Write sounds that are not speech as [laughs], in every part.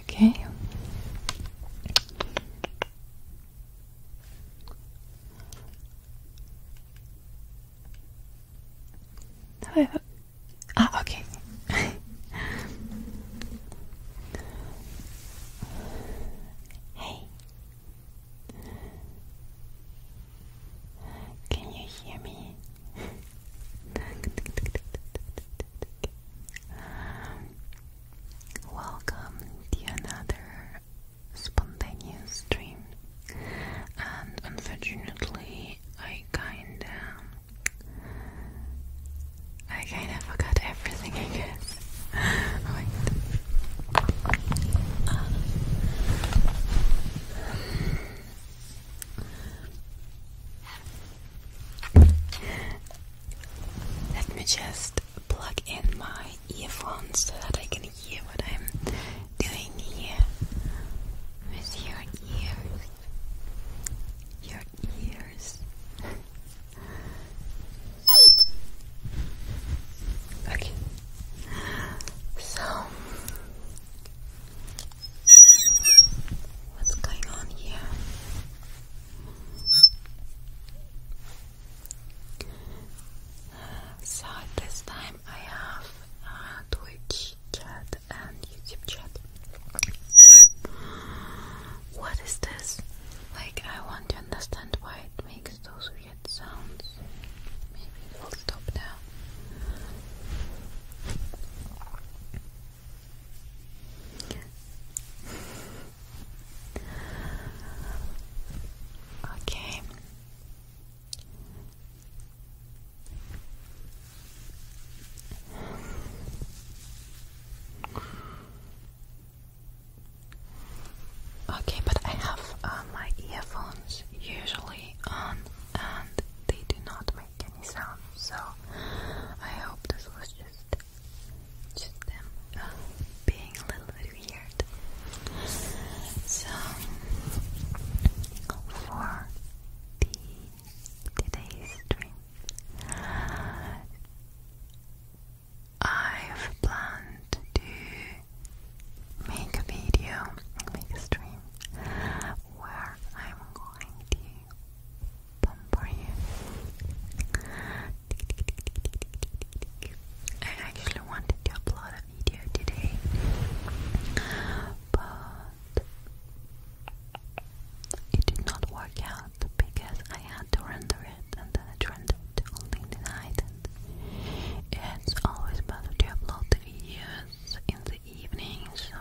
Okay. Oh, ah, okay. [laughs] hey. Can you hear me? welcome to another spontaneous stream, and unfortunately, I kinda, I kinda forgot everything. I guess. Let me just plug in my earphones so that I can hear what I'm doing here with your ears. Your ears. [laughs] Okay. So What's going on here? Uh, so this time I have uh, Twitch chat and YouTube chat. What is this? Like I want to understand why it makes those weird sounds. Maybe we'll stop now. okay. Okay, but I have uh, my earphones usually on and they do not make any sound. So I hope this was just just them uh, being a little bit weird. So for the today's stream, I've planned to make a video, make a stream where I'm going to pamper you. I actually wanted to upload a video today, but it did not work out because I had to render it and then it rendered the night. it's always better to upload the videos in the the evening, so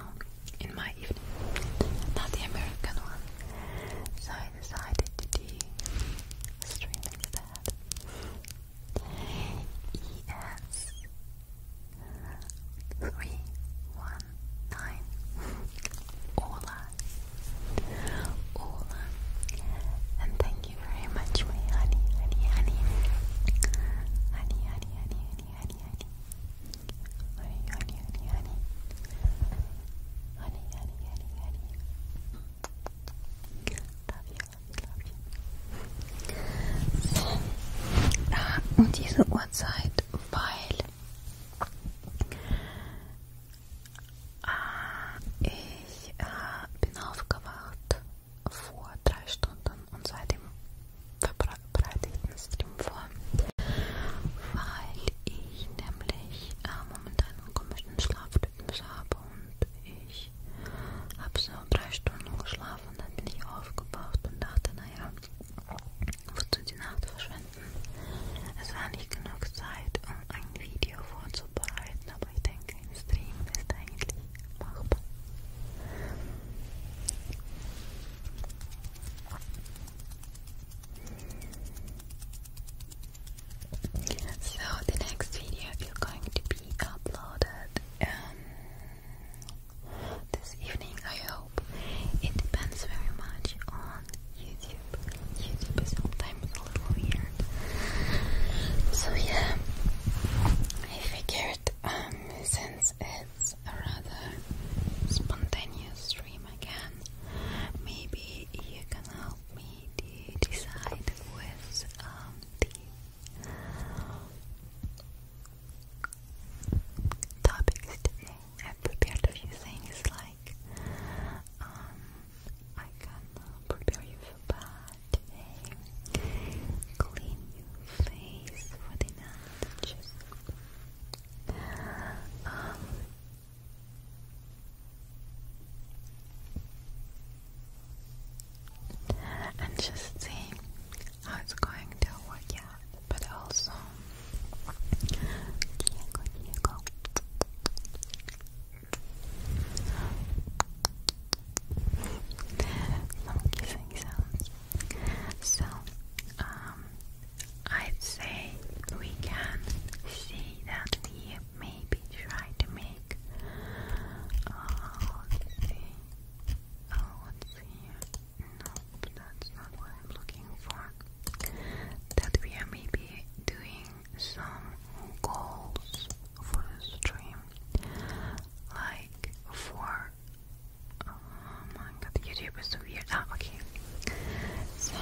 in my evening, not the American one. So I decided to stream instead. ES three one nine Ola Ola and thank you very much my honey honey honey honey honey So, um diese Uhrzeit, weil ich äh, bin aufgewacht vor drei Stunden und seitdem verbreite ich den Stream vor, weil ich nämlich äh, momentan einen komischen Schlafrhythmus habe und ich habe so drei Stunden geschlafen und dann bin ich aufgewacht und dachte, naja, wozu die Nacht verschwenden? Es war nicht genug Zeit, um ein Video vorzubereiten, aber ich denke, im Stream ist eigentlich So the next video is going to be uploaded um, this evening, I hope. It depends very much on YouTube. YouTube is sometimes a little weird. So yeah, I figured um, since it's a rather spontaneous stream again, maybe you can help me decide with um, the topics today. I've prepared a few things like um, I can prepare you for Clean your face for the night. and just see how it's going to work out, but also some kissing sounds. So, um, I'd say we can see that we maybe try to make. Uh, Oh, No, that's not what I'm looking for. That we are maybe doing some goals for the stream, like for Oh my god, YouTube is so weird. Ah, okay. So.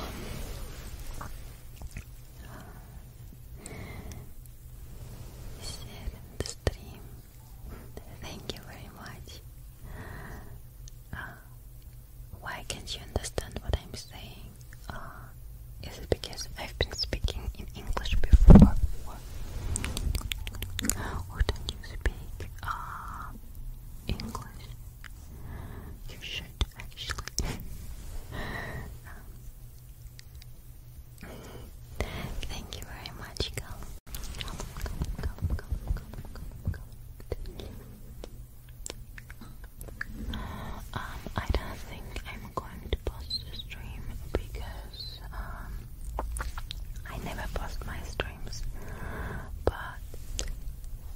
stream. Thank you very much. Uh, why can't you understand what I'm saying? Uh, is it because I've been speaking in English before? Or do you speak uh, English? You should actually. [laughs] Thank you very much, Cal. Come, come, come, come, come, come, come. Um, I don't think I'm going to post the stream because um, I never post my streams. But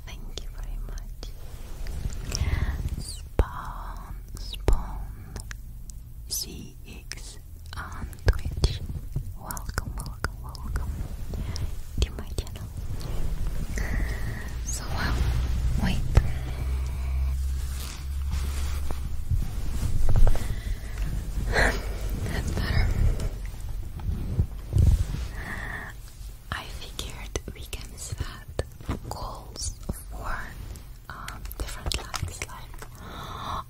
thank you very much. Spawn, spawn, CX on Twitch. Welcome, welcome, welcome to my channel. So, um, wait. I figured we can set goals for um, different likes, like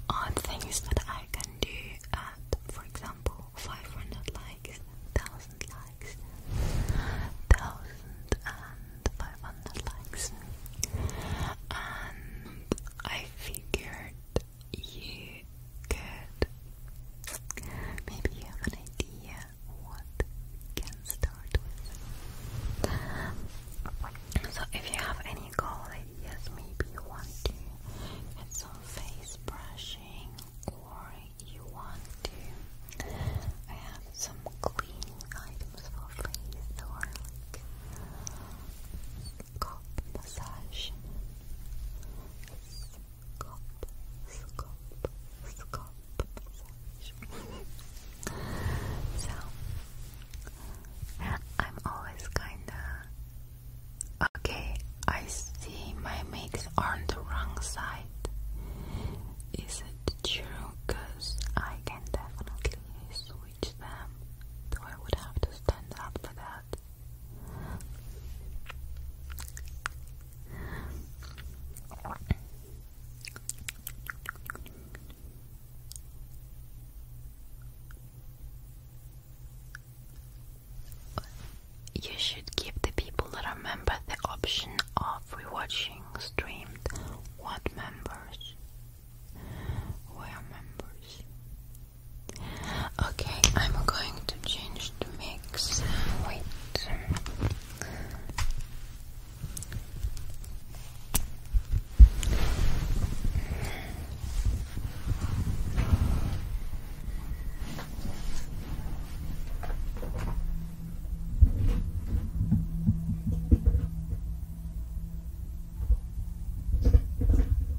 on things that I can do at, for example, 500 likes, 1000 likes, 1500 likes. And I figured you could maybe you have an idea what can start with. So if you have any goal ideas, maybe you want to get some face brushing or you want to have some cleaning items for face or like massage. Scalp, scalp, scalp massage. so, I'm always kinda. Okay, I see my makes on the wrong side. Is it true? Because I can definitely switch them, so I would have to stand up for that. You should give the people that are members the option of rewatching streamed what members were members. Okay, I'm going to change the mix. Wait.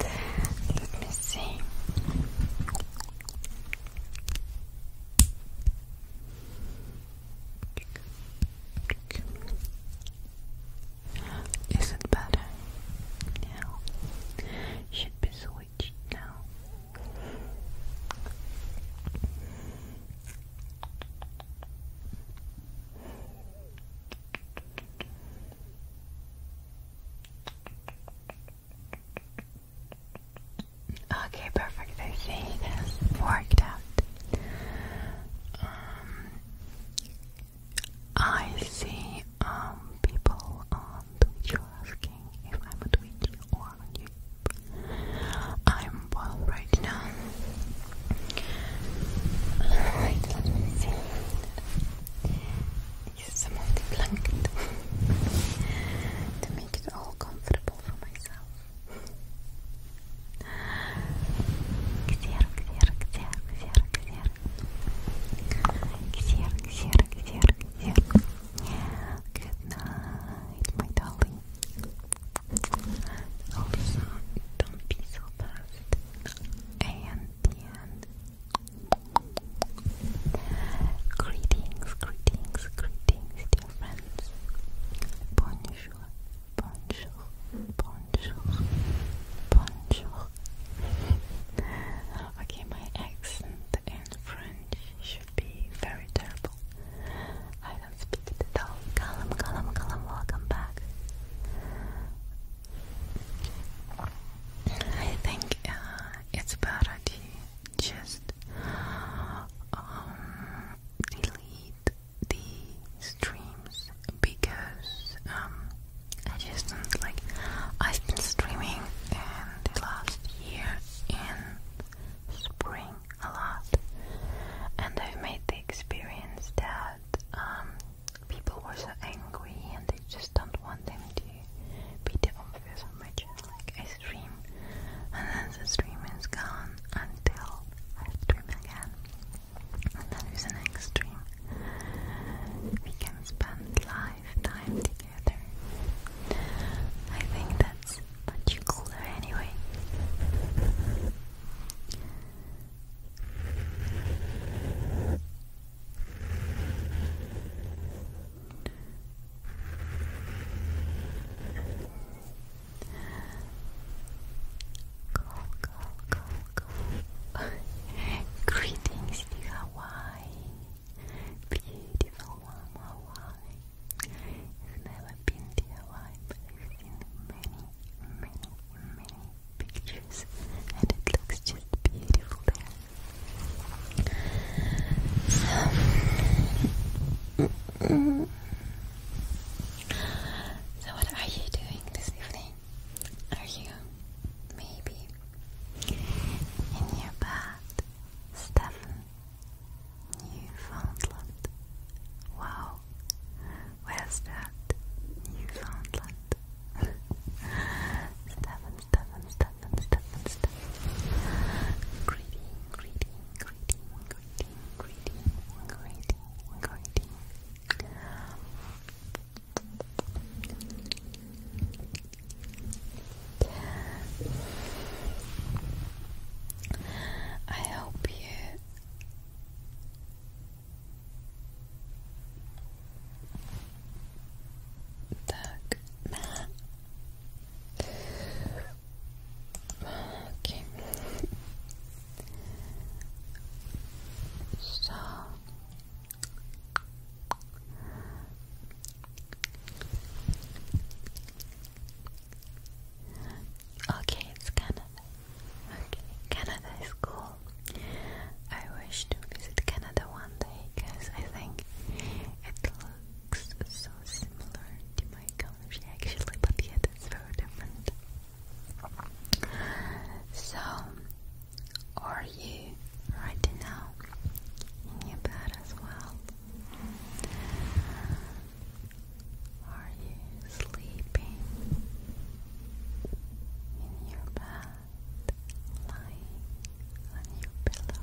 Let me see. Is it better? Yeah. Should be switched now. Okay, perfect. I see it worked out. Um, I see um, people on Twitch asking if I'm a Twitch or on YouTube. I'm well right now. Alright, let me see use some multi-blanket to make it all comfortable for myself. Good night, my darling. Also, don't be so fast. and the end. Greetings, greetings, greetings, dear friends. Bonjour, bonjour, bonjour, bonjour. okay, my accent in French should be very terrible. I don't speak it at all. Column, column, column, welcome back. I think uh, it's better to just um, delete the streams because um, I just don't like. I've been streaming in the last year in spring a lot, and I've made the experience that um, people were so angry and they just don't want them to be the obvious on my channel. Like I stream and then the stream is gone until I stream again. And then with the next stream we can spend live time together. I think that's much cooler anyway. [laughs] Greetings to Hawaii. Beautiful warm Hawaii. I've never been to Hawaii, but I've seen many, many, many pictures and it looks just beautiful So, so what are you doing this evening? Are you maybe in your bed, Stefan? Newfoundland. Wow, where's that? Newfoundland. [laughs] Stefan Stefan, Stefan, Stefan, Stefan. Greedy, greedy, greedy, greedy, greedy, greedy, greedy. I hope you Так. Okay. So Okay, it's Canada. Okay, Canada is cool. I wish to visit Canada one day because I think it looks so similar to my country actually, but yet it's very different. So, are you right now in your bed as well? Are you sleeping in your bed? lying on your pillow.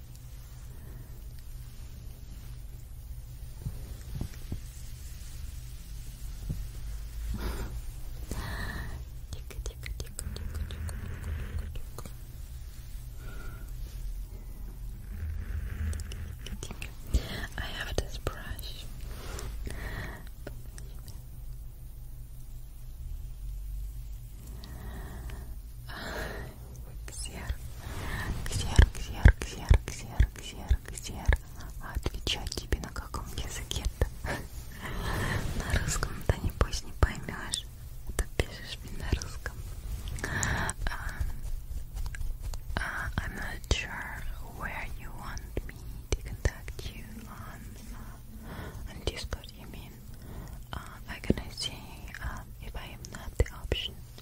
I have this brush. Ксер, ксер, ксер, ксер, ксер, ксер, ксер. А отвечать тебе на каком языке-то? На русском-то небось не поймешь. Это пишешь мне на русском. Um, uh, I'm not sure where you want me to contact you on, uh, on Discord, you mean? Uh, I'm gonna see uh, if I am not the option.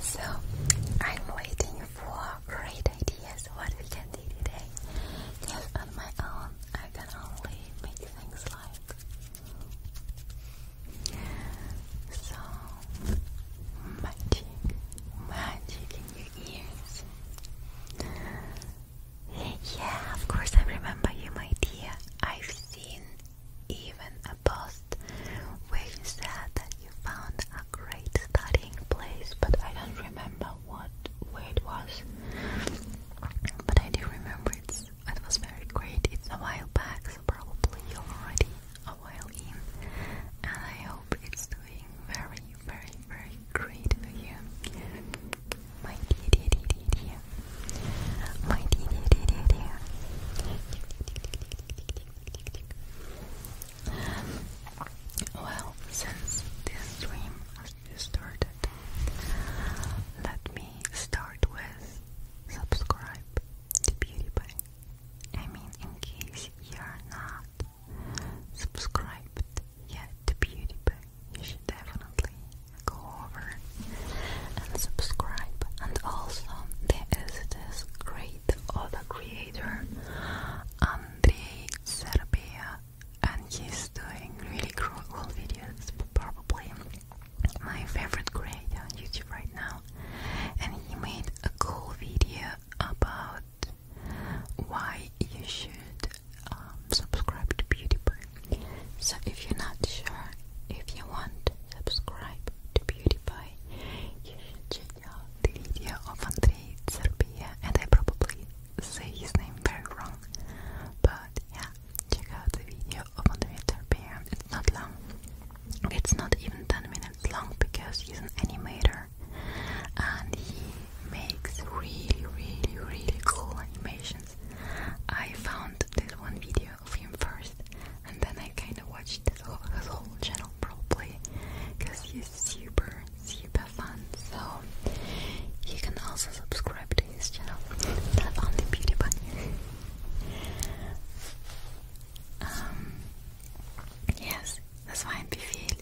So I'm waiting for great ideas what we can do today. Because on my own I can only make things like so magic, magic in your ears. Yeah, of course I remember you, my dear. I've seen even a post where which said that you found a great studying place, but I don't remember what where it was. But I do remember it's it was very great. It's a while back, so probably you're already a while in, and I hope it's doing very, very, very great for you. My dear, dear, dear, dear, dear. My dear, dear, dear, dear, dear. Well, since this stream has just started, let me start with subscribe to PewDiePie. I mean, in case you're not subscribed yet to PewDiePie, you should definitely go over subscribe. And also, there is this great other creator, Andrei Serbia, and he's doing really cool videos. Probably my favorite creator on YouTube right now. And he made a cool video about why you should um, subscribe to Beautify. So if you're not sure if you want to subscribe to Beautify you should check out the video of Andrei Serbia and I probably say his name very wrong but yeah, check out the video of Andrei Serbia it's not long it's not even 10 minutes long because he's an animator and he makes really really really cool animations I found this one video film first, and then I kind of watched his whole, channel probably, because he's super, super fun. So you can also subscribe to his channel, not only Beauty Bunny. Um, yes, das war ein Befehl.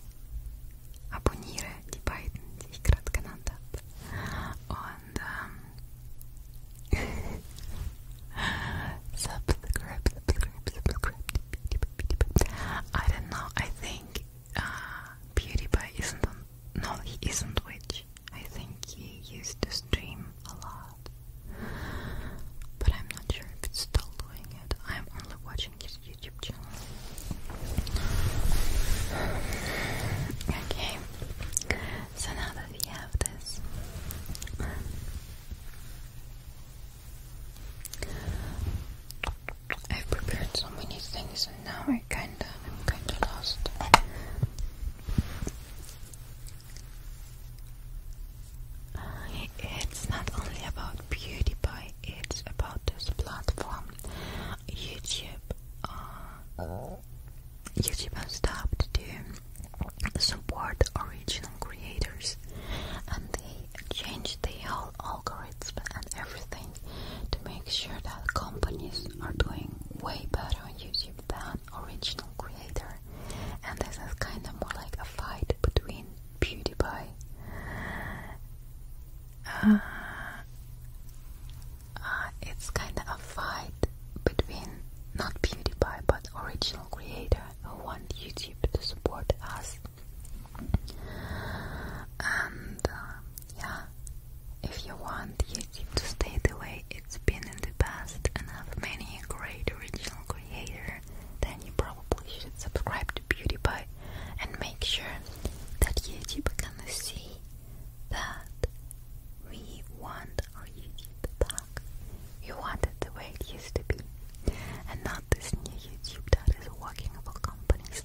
Abonniere die beiden, die ich gerade genannt habe. Und um, subscribe, subscribe, subscribe I don't know, I think uh, PewDiePie isn't on, no, he isn't Twitch. I think he used to stream a lot, but I'm not sure if he's still doing it. I'm only watching his YouTube channel. Okay, so now that we have this, I've prepared so many things and now I kinda kinda lost. it's not only about beauty but it's about this platform. YouTube uh, YouTube has stopped doing support original creators and they change the whole algorithm and everything to make sure that companies are doing way better on YouTube than original creator and this is kind of more like a fight between PewDiePie uh, uh, it's kind of a fight between not PewDiePie but original creator who want YouTube to support us. And uh, yeah, if you want YouTube to stay the way it's been in the past and have many great original creators, then you probably should subscribe to Beauty PewDiePie and make sure that YouTube can see that we want or you eat back. You wanted the way it used to be, and not this new YouTube that is working for companies.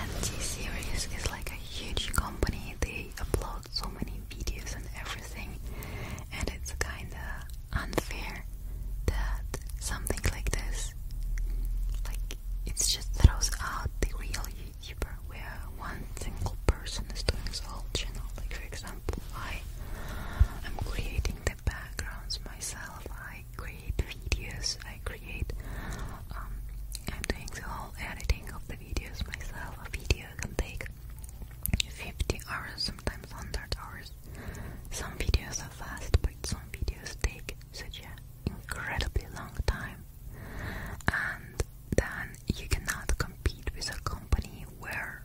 And T-Series is like a huge company, they upload so many videos and everything, and it's kinda unfair that something like this, like, it just throws out the real YouTuber where one single person is doing all whole channel, like for example. I am creating the backgrounds myself. I create videos. I create. Um, I'm doing the whole editing of the videos myself. A video can take 50 hours, sometimes 100 hours. Some videos are fast, but some videos take such a incredibly long time. And then you cannot compete with a company where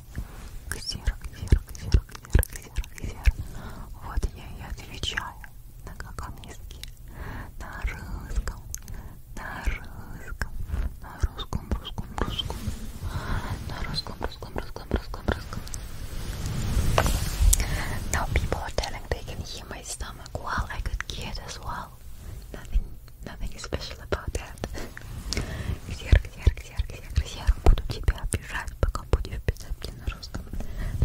ксер, ксер, ксер, ксер, ксер, ксер. Вот я и отвечаю на каком языке? На русском, на русском, на русском, русском, русском, на русском, русском, русском, русском, русском. Now people are telling they can hear my stomach. Well, I could hear it as well. Nothing, nothing special about that. Ксер, ксер, ксер. ксерк, ксерк, ксерк, буду тебя обижать, пока будешь писать мне на русском.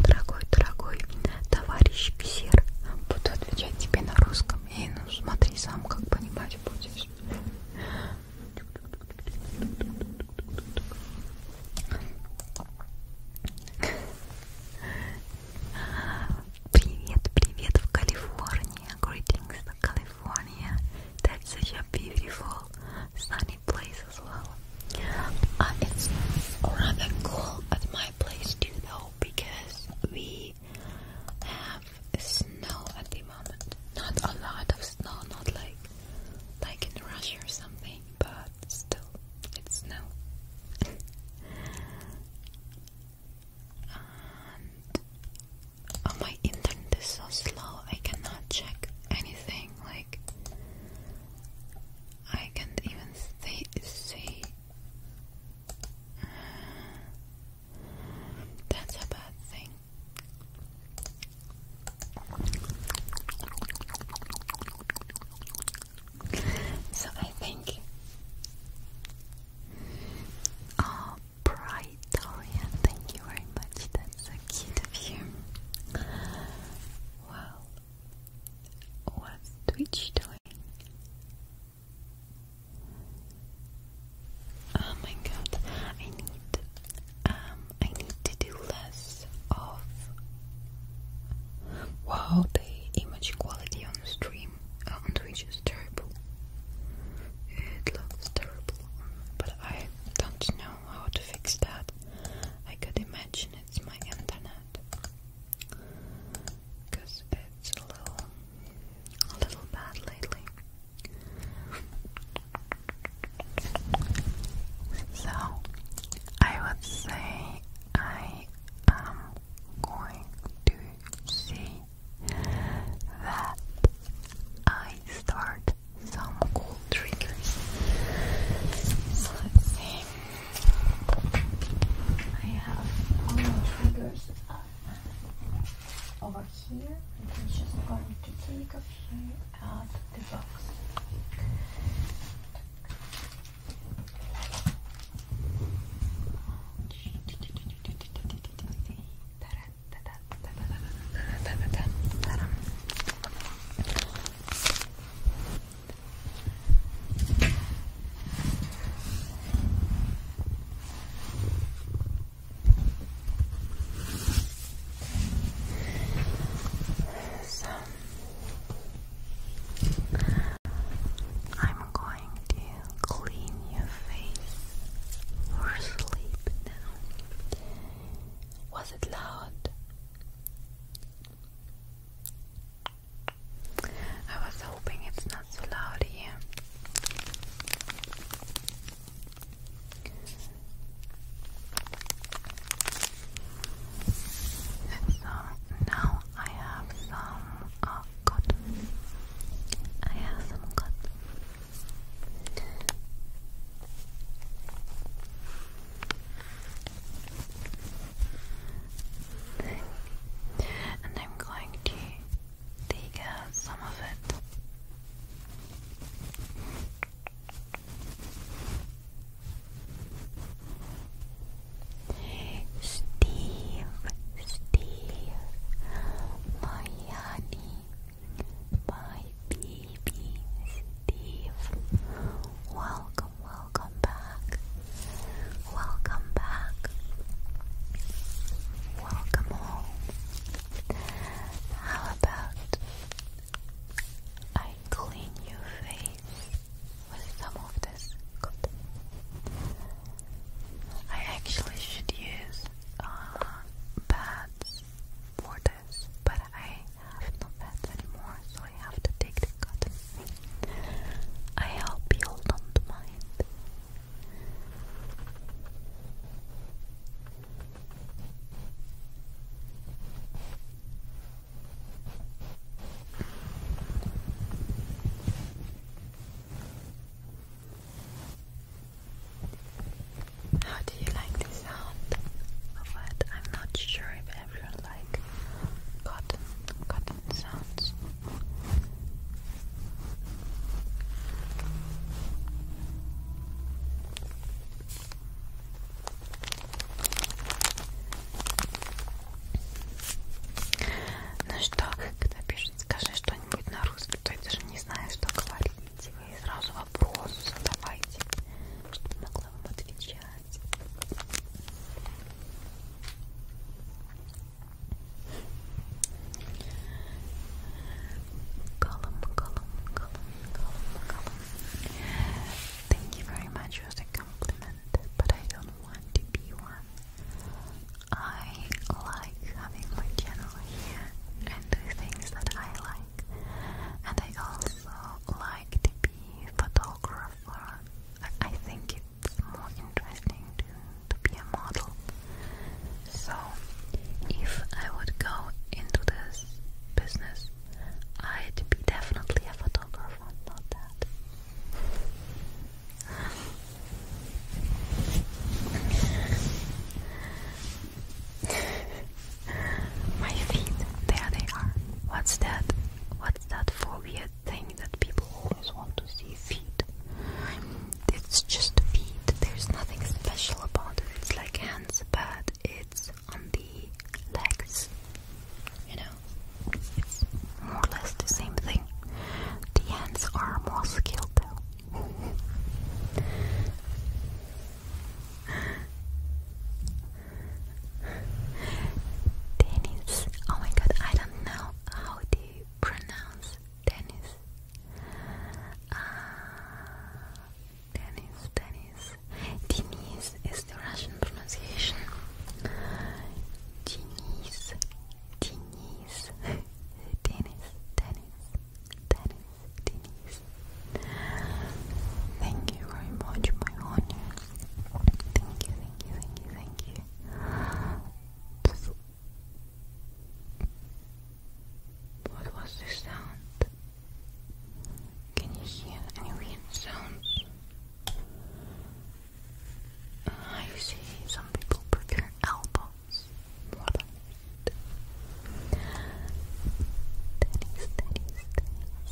Дорогой, дорогой товарищ ксерк, буду отвечать тебе на русском. И ну смотри сам, как понимать будешь. Привет, привет в Калифорнии. Greetings to California. That's such a beautiful sunny Place as well. Uh, it's rather cool at my place too, though, because we have snow at the moment. Not a lot of snow, not like like in Russia or something, but still, it's snow. [laughs] and oh, my internet is so slow; I cannot check anything. Like I can't even say see. that's a bad thing. So I think Oh uh, Bright Dorian, thank you very much, that's so cute of you. Well, what's Twitch doing? Oh my god, I need um I need to do less of Wow the image quality on the stream uh, on Twitch is terrible. It looks terrible. But I don't know how to fix that. I could imagine it's my internet because it's a little, a little bad lately. So I would say I am going to see that I start some cool triggers. So I have all my triggers over here. And I'm just going to take a few out of the box. So I'm going to clean your face for sleep now. Was it loud? I was hoping it's not so loud here. So uh, now I have some uh, cotton. I have some cotton and I'm going to take out uh, some of it. Steve, Steve, my honey, my baby baby Steve. Welcome, welcome back. Welcome back. Welcome home. How about I clean your face with some of this? I actually should use uh, pads for the this, but I have no pets anymore, so I have to take the cotton. I hope you don't mind. How do you like the sound of I'm not sure if everyone like cotton, cotton sounds. Ну что, когда пишет, скажи что-нибудь на русском, то я даже не знаю, что говорить. Вы сразу вопросы задавайте, чтобы могла вам отвечать. Column, column, column, column, column. Thank you very much for the compliment, but I don't want to be one. I like having my channel here and do things that I like, and I also also like to be photographer. I think it's more interesting to, to be a model. So, if I would go into this business, I'd be definitely a photographer, not that. My feet, there they are. What's that? What's that for weird thing that people always want to see? Feet. It's just feet. There's nothing special about it. It's like hands, but it's on the legs. You know, it's more or less the same thing. The hands are more skilled though. Dennis. Oh my god, I don't know how to pronounce Dennis. Uh, Dennis, Dennis. is the Russian pronunciation. Denise, Denise, [laughs] Dennis, Dennis, Dennis, Thank you very much, my honors. Thank you, thank you, thank you, thank you. What was this sound? Can you hear any weird sounds? Uh, I see some people prefer elbows more than feet. Steady,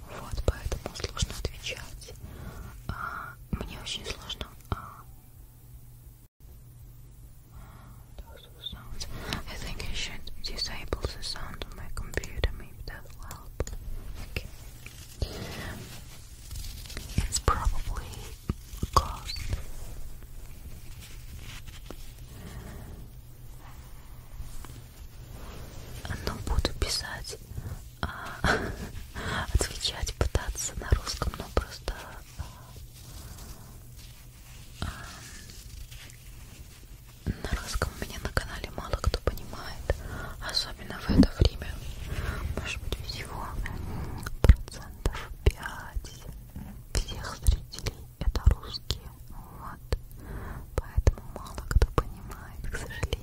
Вот, поэтому think I should disable the sound of my computer. Maybe that'll help. Okay. It's probably caused. но буду писать, а, [laughs] отвечать, пытаться на русском, но просто а, на русском у меня на канале мало кто понимает, особенно в это время, может быть всего процентов 5 всех зрителей это русские, Вот. Поэтому мало кто понимает, к сожалению.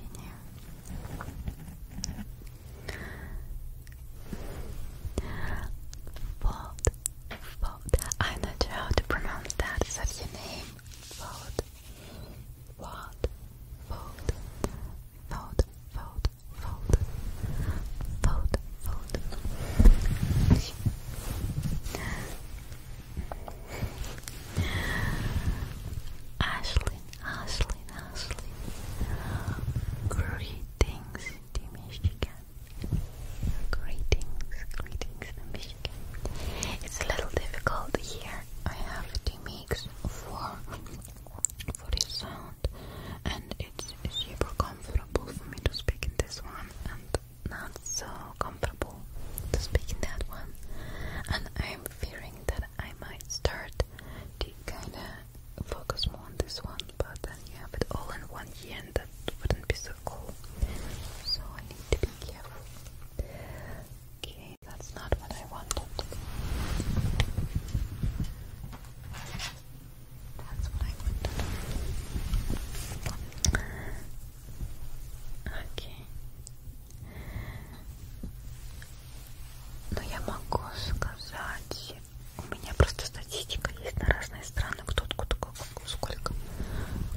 Vought. Vought. I'm not sure how to pronounce that. Is that your name? Vought. Vought. Vought. Vought. Vought. Vought. Vought. Vought. Ashley, Ashley, Ashley. Greetings to Greetings, greetings to It's a little difficult here. I have to mix for for this sound, and it's super comfortable for me to speak in this one, and not so comfortable to speak that one, and I'm fearing that I might start to kind of focus more on this one, but then you have it all in one year, and that wouldn't be so cool. So I need to be careful. Okay, that's not what I wanted. That's what I wanted. Okay. Но я могу сказать, у меня просто статистика есть на разные страны, кто откуда, сколько,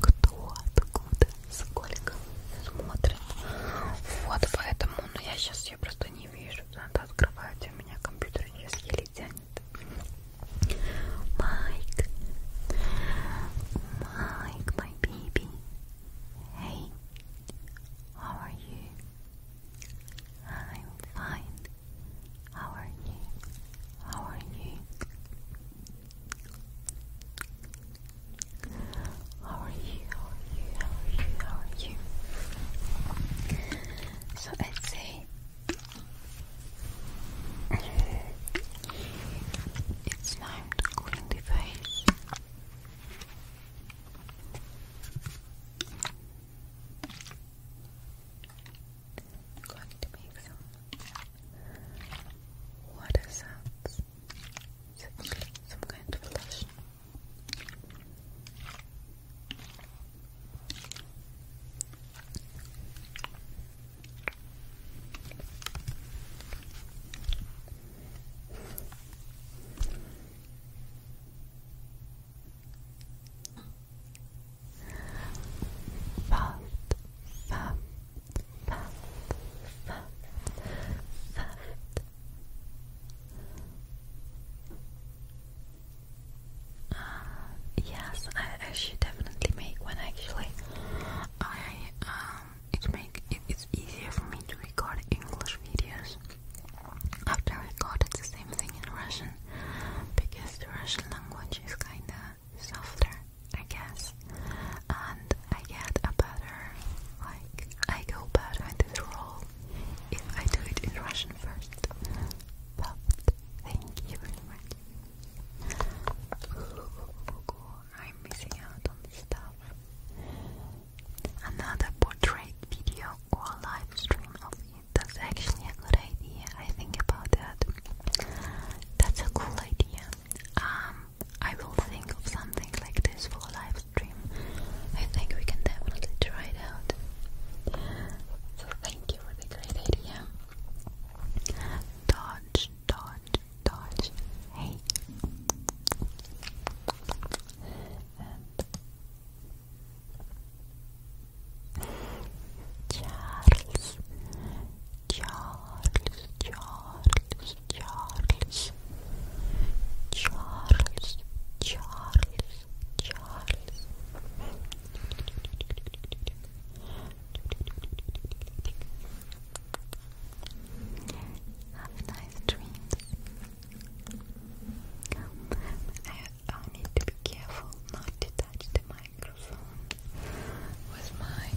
кто откуда, сколько смотрит. Вот поэтому, но ну, я сейчас ее просто не вижу, надо открывать, у меня компьютер сейчас еле тянет. Майк, Майк, my baby, Hey, how are you? I'm fine. How are you? How are you? How are you? How are you? How are you? So let's say [laughs] it's time to clean the face. I'm going to make some water sounds, some kind of flush. Good. Fat, fat, fat, fat, uh, fat. yes, I, should definitely make one actually. I um, it make it, it's easier for me to record English videos after I recorded the same thing in Russian because the Russian language is kinda softer, I guess, and I get a better like I go better into the role if I do it in Russian first. But thank you very much. I'm missing out on stuff. Another portrait video or live stream of it. That's actually a good idea. I think about that. That's a cool idea. Um, I will think of something like this for a live stream. I think we can definitely try it out. So thank you for the great idea. Dodge, dodge, dodge. Hey. Charles. Charles. Charles. Charles. Charles. Charles. Charles. Have nice dreams. I, uh, need to be careful not to touch the microphone with my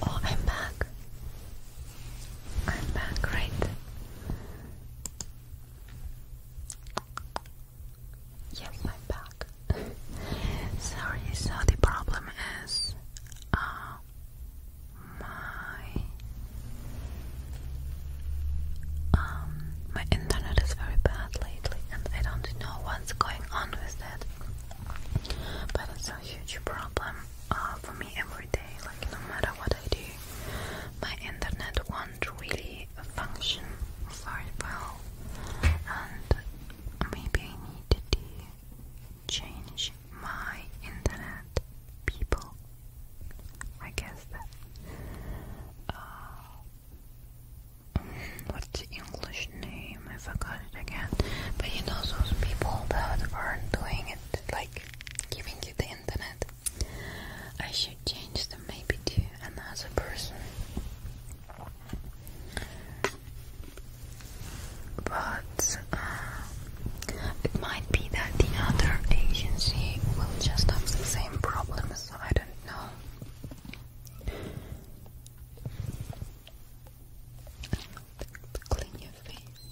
Oh, I'm back. I'm back, right? Yes, I'm back. [laughs] Sorry, so the problem is uh my um my internet is very bad lately and I don't know what's going on with that. But it's a huge problem uh, for me every day, like no matter what I do, my internet won't really function very well and maybe I need to change my internet people I guess that. Uh, English name? I forgot again. But you know those people that are doing it, like giving you the internet. I should change them maybe to another person. But uh, it might be that the other agency will just have the same problem, so I don't know. Clean your face.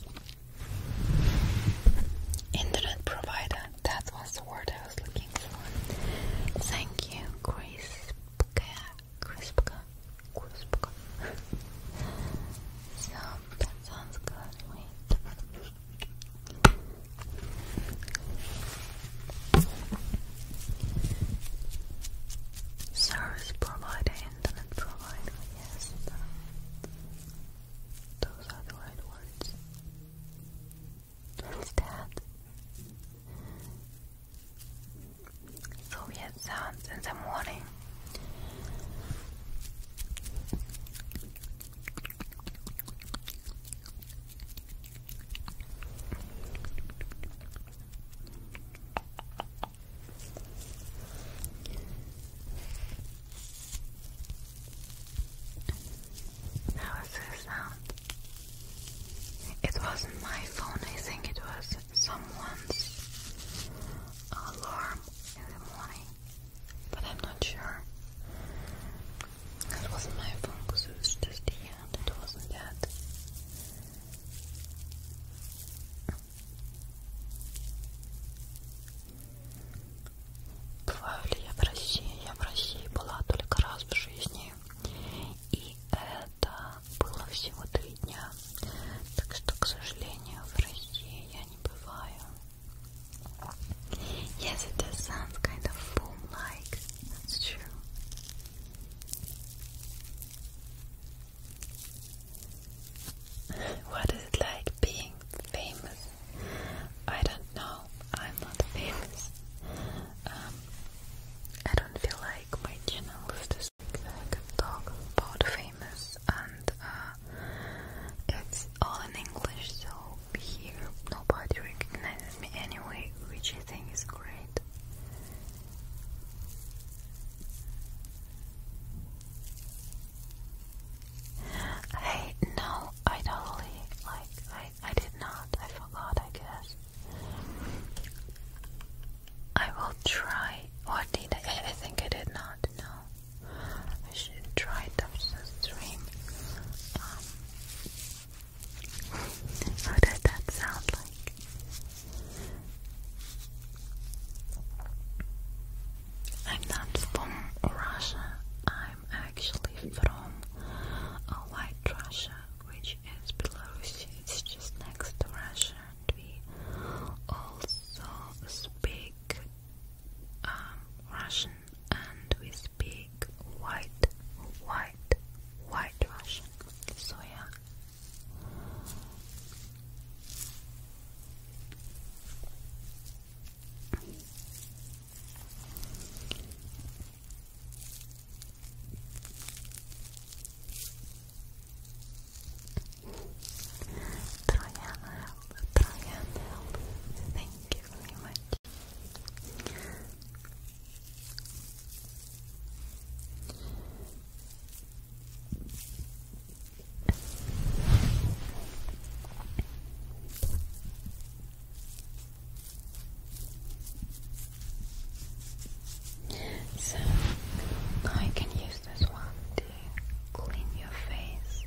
Internet provider. That was the word I was looking for. Thank you, Crispka. Crispka. Crispka. [laughs] so that sounds good. Service provider, internet provider, yes. Those are the right words. What is that? Soviet sounds in the morning. How is this sound? It wasn't my phone, I think it was someone's alarm in the morning but I'm not sure. It wasn't my phone because it was just here and it wasn't that. Бываю ли я в России? Я в России была только раз в жизни. И это было всего три дня. Так что, к сожалению, в России я не бываю. Yes, it does sound kind of foam-like. That's true. [laughs] What is it like being famous? I don't know. I'm not famous. Um, I don't feel like my channel is just I could talk about famous and uh, it's all in English, so here nobody recognizes me anyway, which I think is great. I no, I totally like I I did not. I forgot. I guess I will try. What did I? I think I did not. No. I should try it after the stream. Um, what that sound like? I'm not from Russia. I'm actually from uh, White Russia, which is Belarus. It's just next to Russia, and we also speak um, Russian and we speak white, white, white Russian. So, yeah. I can help. Thank you very much. So now can use this one to clean your face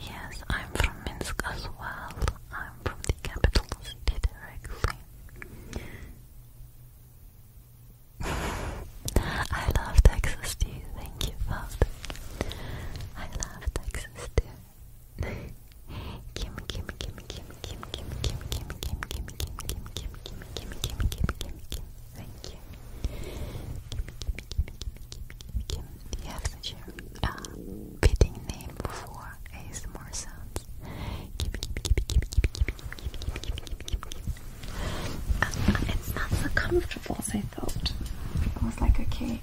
Yes, I'm from Minsk as well. I'm from the capital city directly. [laughs] I love Texas too. Thank you, Bob. I love Texas too. Kim, Kim, Kim, Kim, Kim, Kim, Kim, Kim, Kim, Kim, Kim, Kim, Kim, Kim, Kim, Kim, Kim, Kim, Kim. Thank you. you have such a fitting name for ASMR sounds. Kim, Kim, Kim, Kim, Kim, Kim, Kim, Kim, Kim, Kim. It's not so comfortable as I thought. I was like, okay,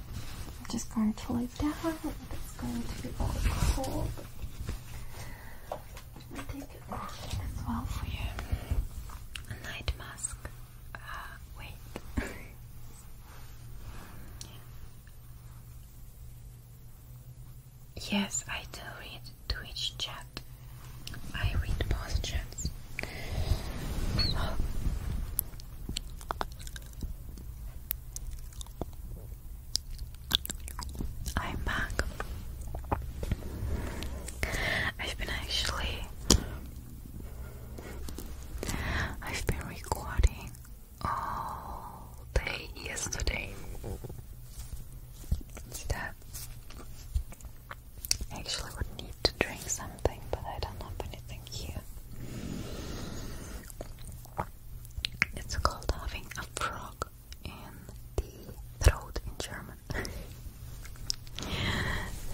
I'm just going to like light It's going to be all cold. I take a well for you. A night mask. Uh, wait. [laughs] Yes, I do read Twitch chat. I read both chats. Oh. I'm back. I've been actually I've been recording all day yesterday. That actually would need to drink something, but I don't have anything here. It's called having a frog in the throat in German. [laughs]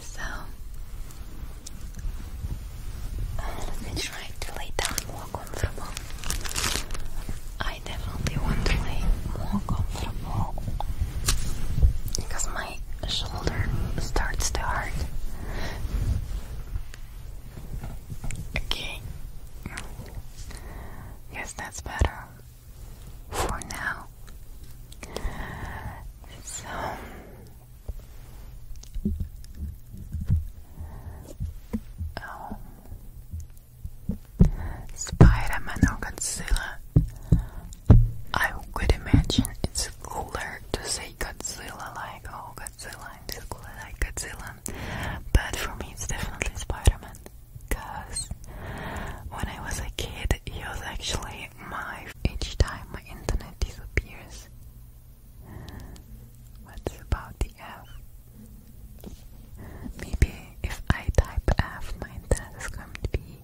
so, uh, let me try to lay down more comfortable. I definitely want to lay more comfortable because my shoulder starts to hurt. Okay, Yes, that's better for now. So um, Spider-Man or Godzilla. I could imagine it's cooler to say Godzilla like oh Godzilla in this I could Godzilla, but for me it's definitely Spider-Man. Cause when I was a kid, he was actually my. Each time my internet disappears. What's about the F? Maybe if I type F, my internet is going to be.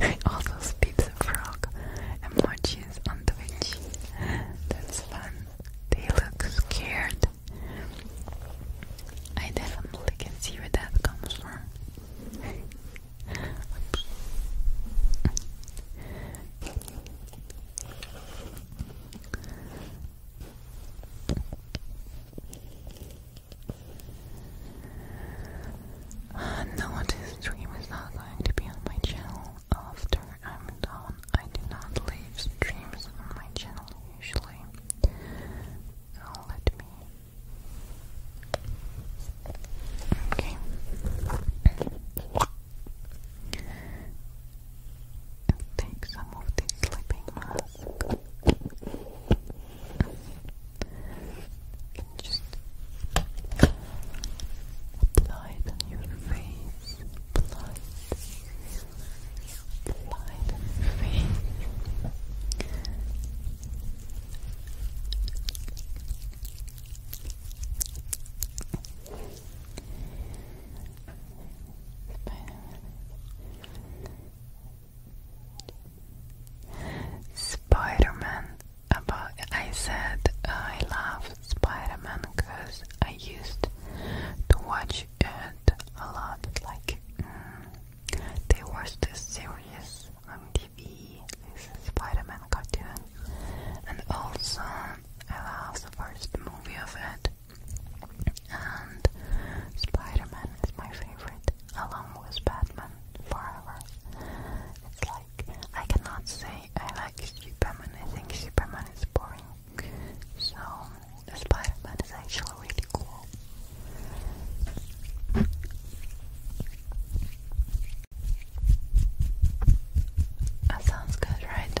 I also pizza frog and more cheese on That's fun. They look scared. I definitely can see where that comes from. Uh, no, this stream is not going to be on my channel after I'm done. I do not leave streams on my channel usually. So let me. Okay. Take some of this sleeping mask. Just apply it on your face. Apply Apply face. Spider-Man. About I said I love Spider-Man because I used to watch it a lot. Like mm, they watched this series on TV, this Spider-Man cartoon, and also I love the first movie of it and spider is my favorite, along with Batman forever. It's like, I cannot say I like Superman, I think Superman is boring. So, spider is actually really cool. That sounds good, right?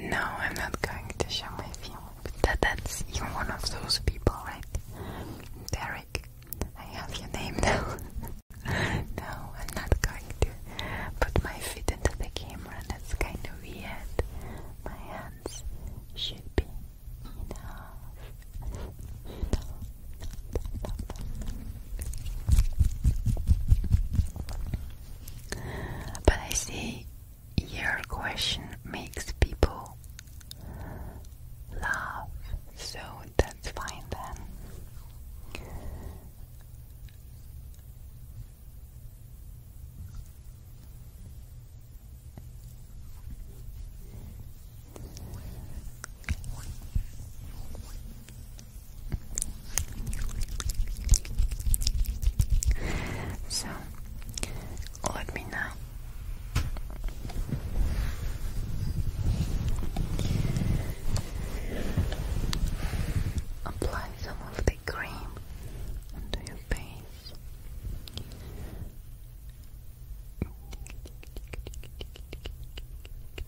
No, I'm not going to show my feelings. That, that's you're one of those people, right? Derek, I have your name now. [laughs] no, I'm not going to put my feet into the camera. That's kind of weird. My hands should be enough. But I see your question makes people laugh, so that's fine then. So let me know. Apply some of the cream onto your face. Sleep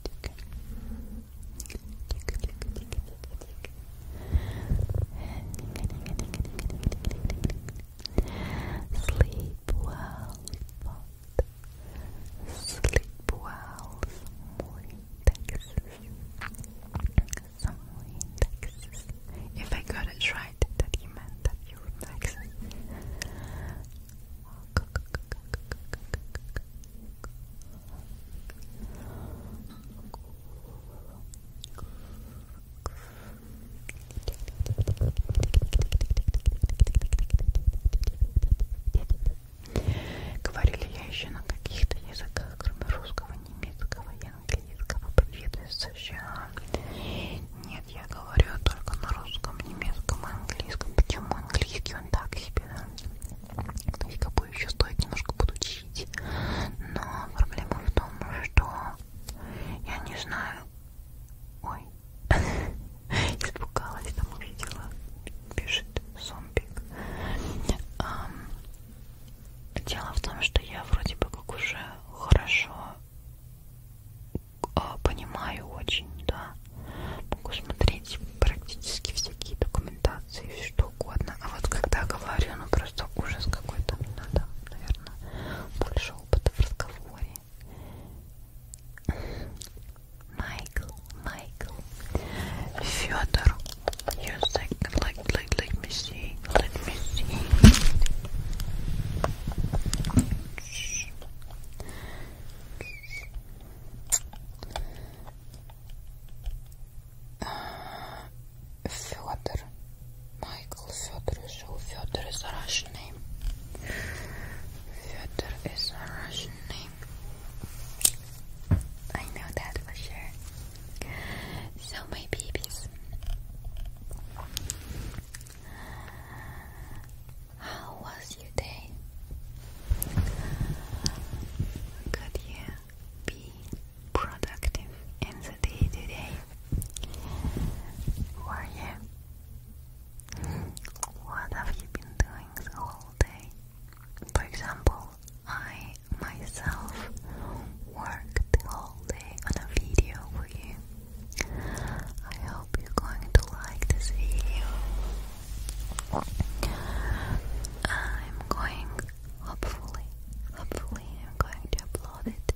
well, but sleep well, some relaxes. If I got it right, that you meant that you relax. Говорили я еще на каких-то языках, кроме русского, немецкого и английского. Привет из США. Нет, я говорю только на русском, немецком и английском. Почему английский он так себе? Якобы еще стоит немножко подучить. Но проблема в том, что я не знаю. Ой, [laughs] испугалась, там увидела. Пишет зомбик. Дело в том, что я вроде бы как уже хорошо а, понимаю очень, да. Могу смотреть практически всякие документации, говорить что угодно, а вот когда говорю, ну просто ужас какой-то, надо, наверное, больше опыта в разговоре. Майкл, Майкл, Федор, you think, like, like, let me see, let me see. Федор, Michael Fedor is Fedor is a Russian name. Fedor is a Russian name. I know that for sure. So my babies, how was your day? Good, yeah be productive in the day to day. Who What have you been doing all day? For example, I myself worked all day on a video for you. I hope you're going to like this video I'm going, hopefully, hopefully, I'm going to upload it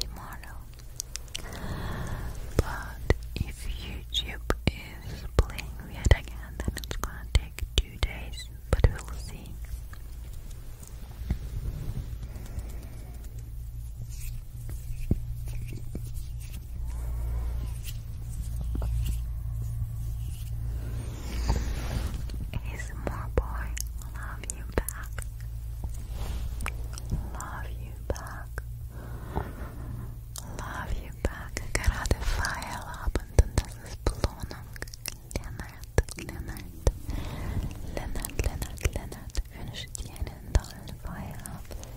tomorrow. But if YouTube is playing weird again, then it's gonna take two days, but we'll see. ASMR boy, love you back. Love you back. Love you back. Gerade Feierabend und das ist Belohnung. Leonard, Leonard, Leonard, Leonard, Leonard wünsche dir einen tollen Feierabend.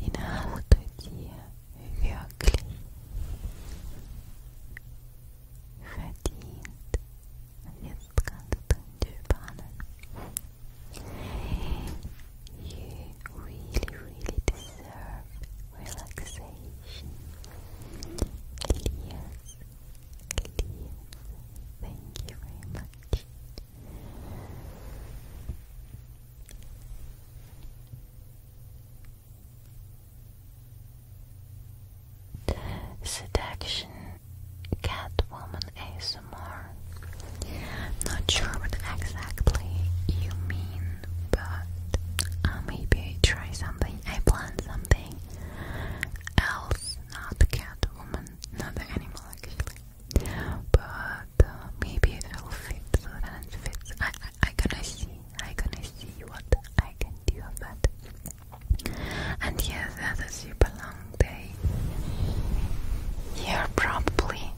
Die Nacht bei dir you really, really deserve relaxation. Elias, Elias, thank you very much. Seduction Catwoman ASMR. Not sure what exactly you mean, but uh, maybe I try something. I plan something else, not Catwoman, not the animal actually. But uh, maybe it'll fit so that fits. I, I, I to see. I'm gonna see what I can do of it. And yes, that's a super long day. You're probably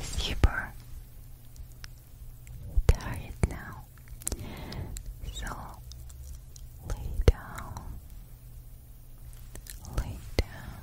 super tired now. So lay down, lay down,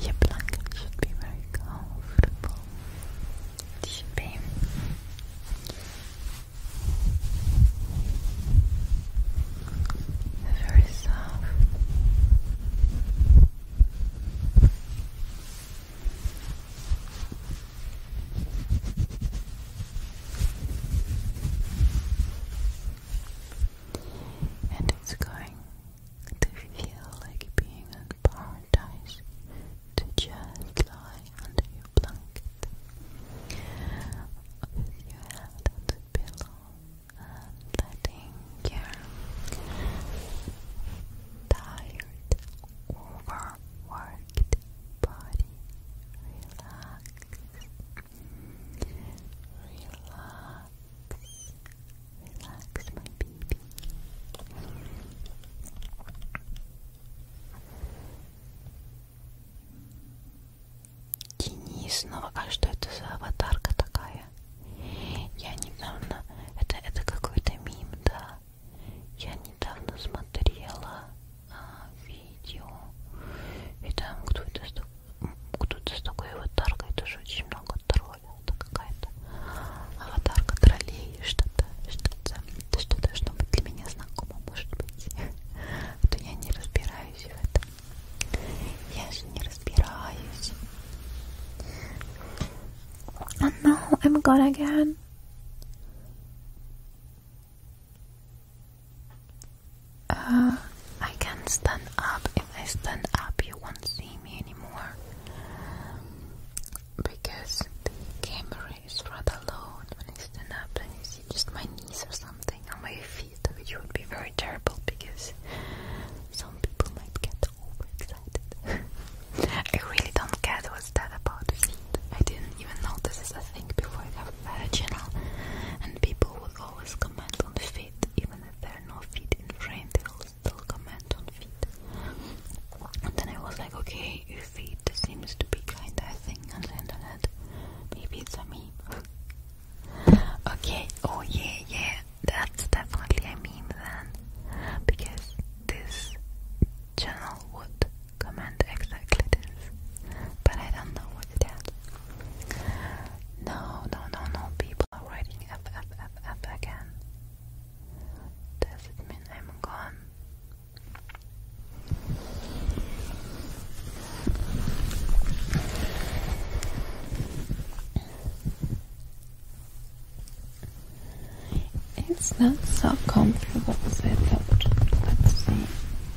Your blanket should be very comfortable. It should be. Very soft. And it's going to feel like being in paradise to just lie under your blanket with your head on the pillow and letting your tired overworked body relax relax relax my baby Денис, ну а что это за аватарка такая? Я недавно... Это, это какой-то мим, да? Я недавно смотрела видео. И там кто-то с, кто с такой аватаркой тоже очень много троллей. Это какая-то аватарка троллей, что-то, что-то, что должно быть для меня знакомо, может быть. А то я не разбираюсь в этом. Я же не разбираюсь. Oh no, I'm gone again. Uh, I can not stand up. If I stand up, you won't see me anymore because the camera is rather low. When I stand up, and you see just my knees or something on my feet, You would be very terrible because some people might get overexcited. [laughs] I really don't get was dead about feet. I didn't even know this is a thing before I had a channel, and people will always comment on feet, even if there are no feet in frame, they will still comment on feet. And then I was like, okay, feet seems to be kinda a thing on the internet. Maybe it's a meme. [laughs] okay, oh yeah, yeah, that's definitely a meme then, because this channel would comment exactly this, but I don't know what it is. No, no, no, no, people are writing F, F, F, F again. Does it mean I'm gone? It's not so comfortable as I thought. Let's see.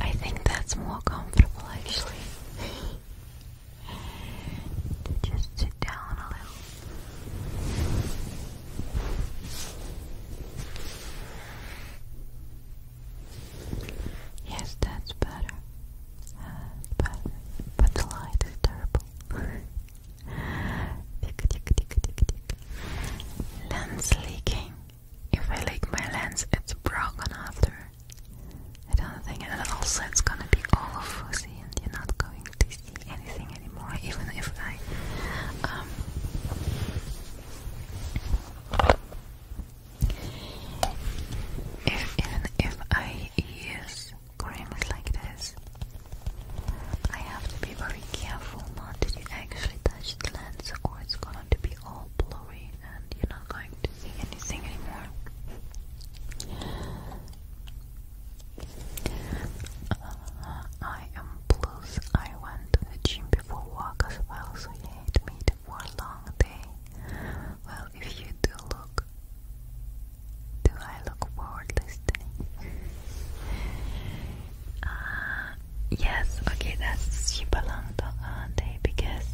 I think that's more comfortable actually. [laughs] to just sit down a little. Yes, that's better. That's better. But the light is terrible. [laughs] Lens leaking. If I leak my lens, it's broken after. I don't think, and also it's gonna be all fuzzy, and you're not going to see anything anymore, even if I. Um, if, even if I use creams like this, I have to be very careful not to actually touch the lens or it's going to be all blurry and you're not going to see anything anymore. Uh, I am blues. I went to the gym before work as well, so you hate for a long day. Well, if you do look, do I look forward listening? Uh, yes, okay, that's super long uh, day because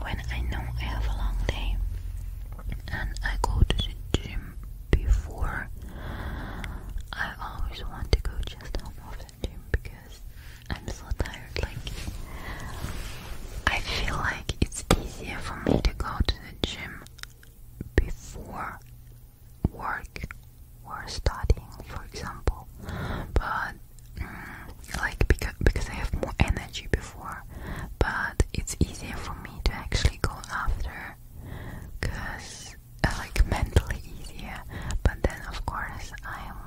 when I know I have a long day and I go to the gym before, I always want to go just home of the gym because I'm so tired. Like, I feel like it's easier for me to go to the gym before work or studying, for example. But mm, like because because I have more energy before, but it's easier for me to actually go after, cause uh, like mentally easier. But then of course I'm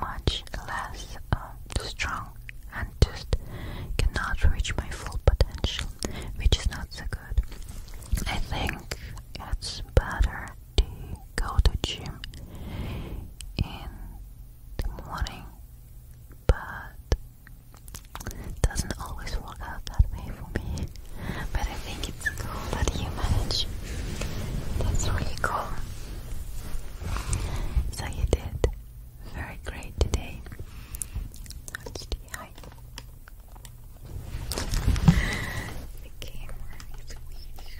much less uh, strong and just cannot reach my full potential, which is not so good. I think it's better to go to gym in the morning, but it doesn't always work out that way for me. But I think it's cool that you manage. That's really cool. So you did very great today. let hi the camera is weird.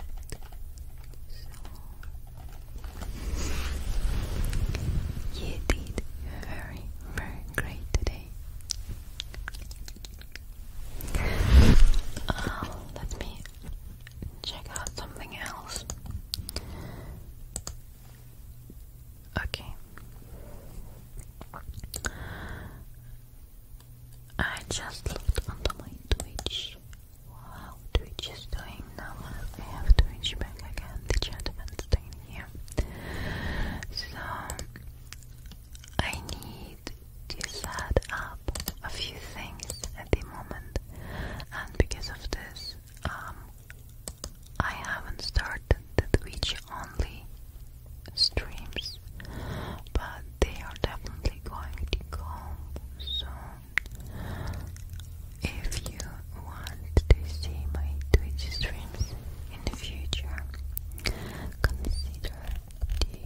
So you did very, very great today. Um, let me check out something else. Okay. I just looked onto my Twitch. Wow, Twitch is doing now. I have Twitch back again. The chat event's here. So, I need to set up a few things at the moment. And because of this, um, I haven't started the Twitch only streams, but they are definitely going to come soon. If you want to see my Twitch streams in the future, consider to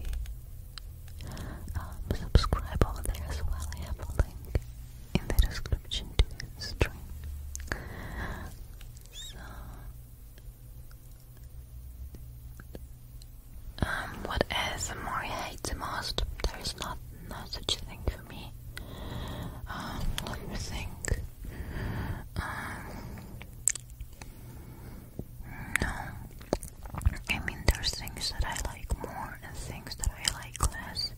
um, subscribe over there as well. I have a link in the description to the stream. So um, what ASMR I hate the most? There is not, not such thing for me. Um, let me think. Um, no. I mean, there's things that I like more and things that I like less.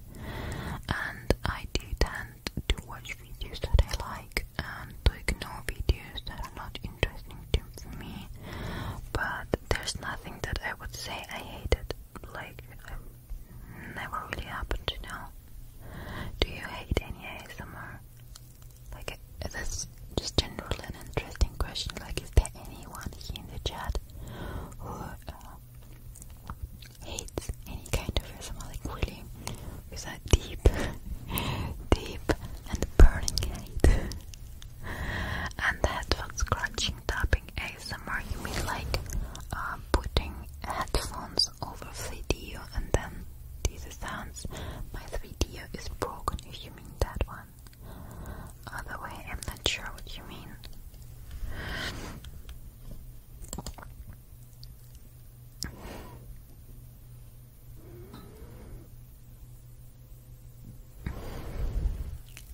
And I do tend to watch videos that I and to ignore videos that are not interesting to me. But there's nothing that I would say I hated. Like, it never really happened, to know. Do you hate any ASMR? Like, this just general and interesting question. Like, is there anyone here in the chat who uh, hates any kind of ASMR? Like, really, Is that deep, [laughs] deep and burning hate. and that's what scratching tapping ASMR you mean like uh, putting headphones over 3D, and then these sounds. My 3D is broken if you mean that one. Other I'm not sure what you mean.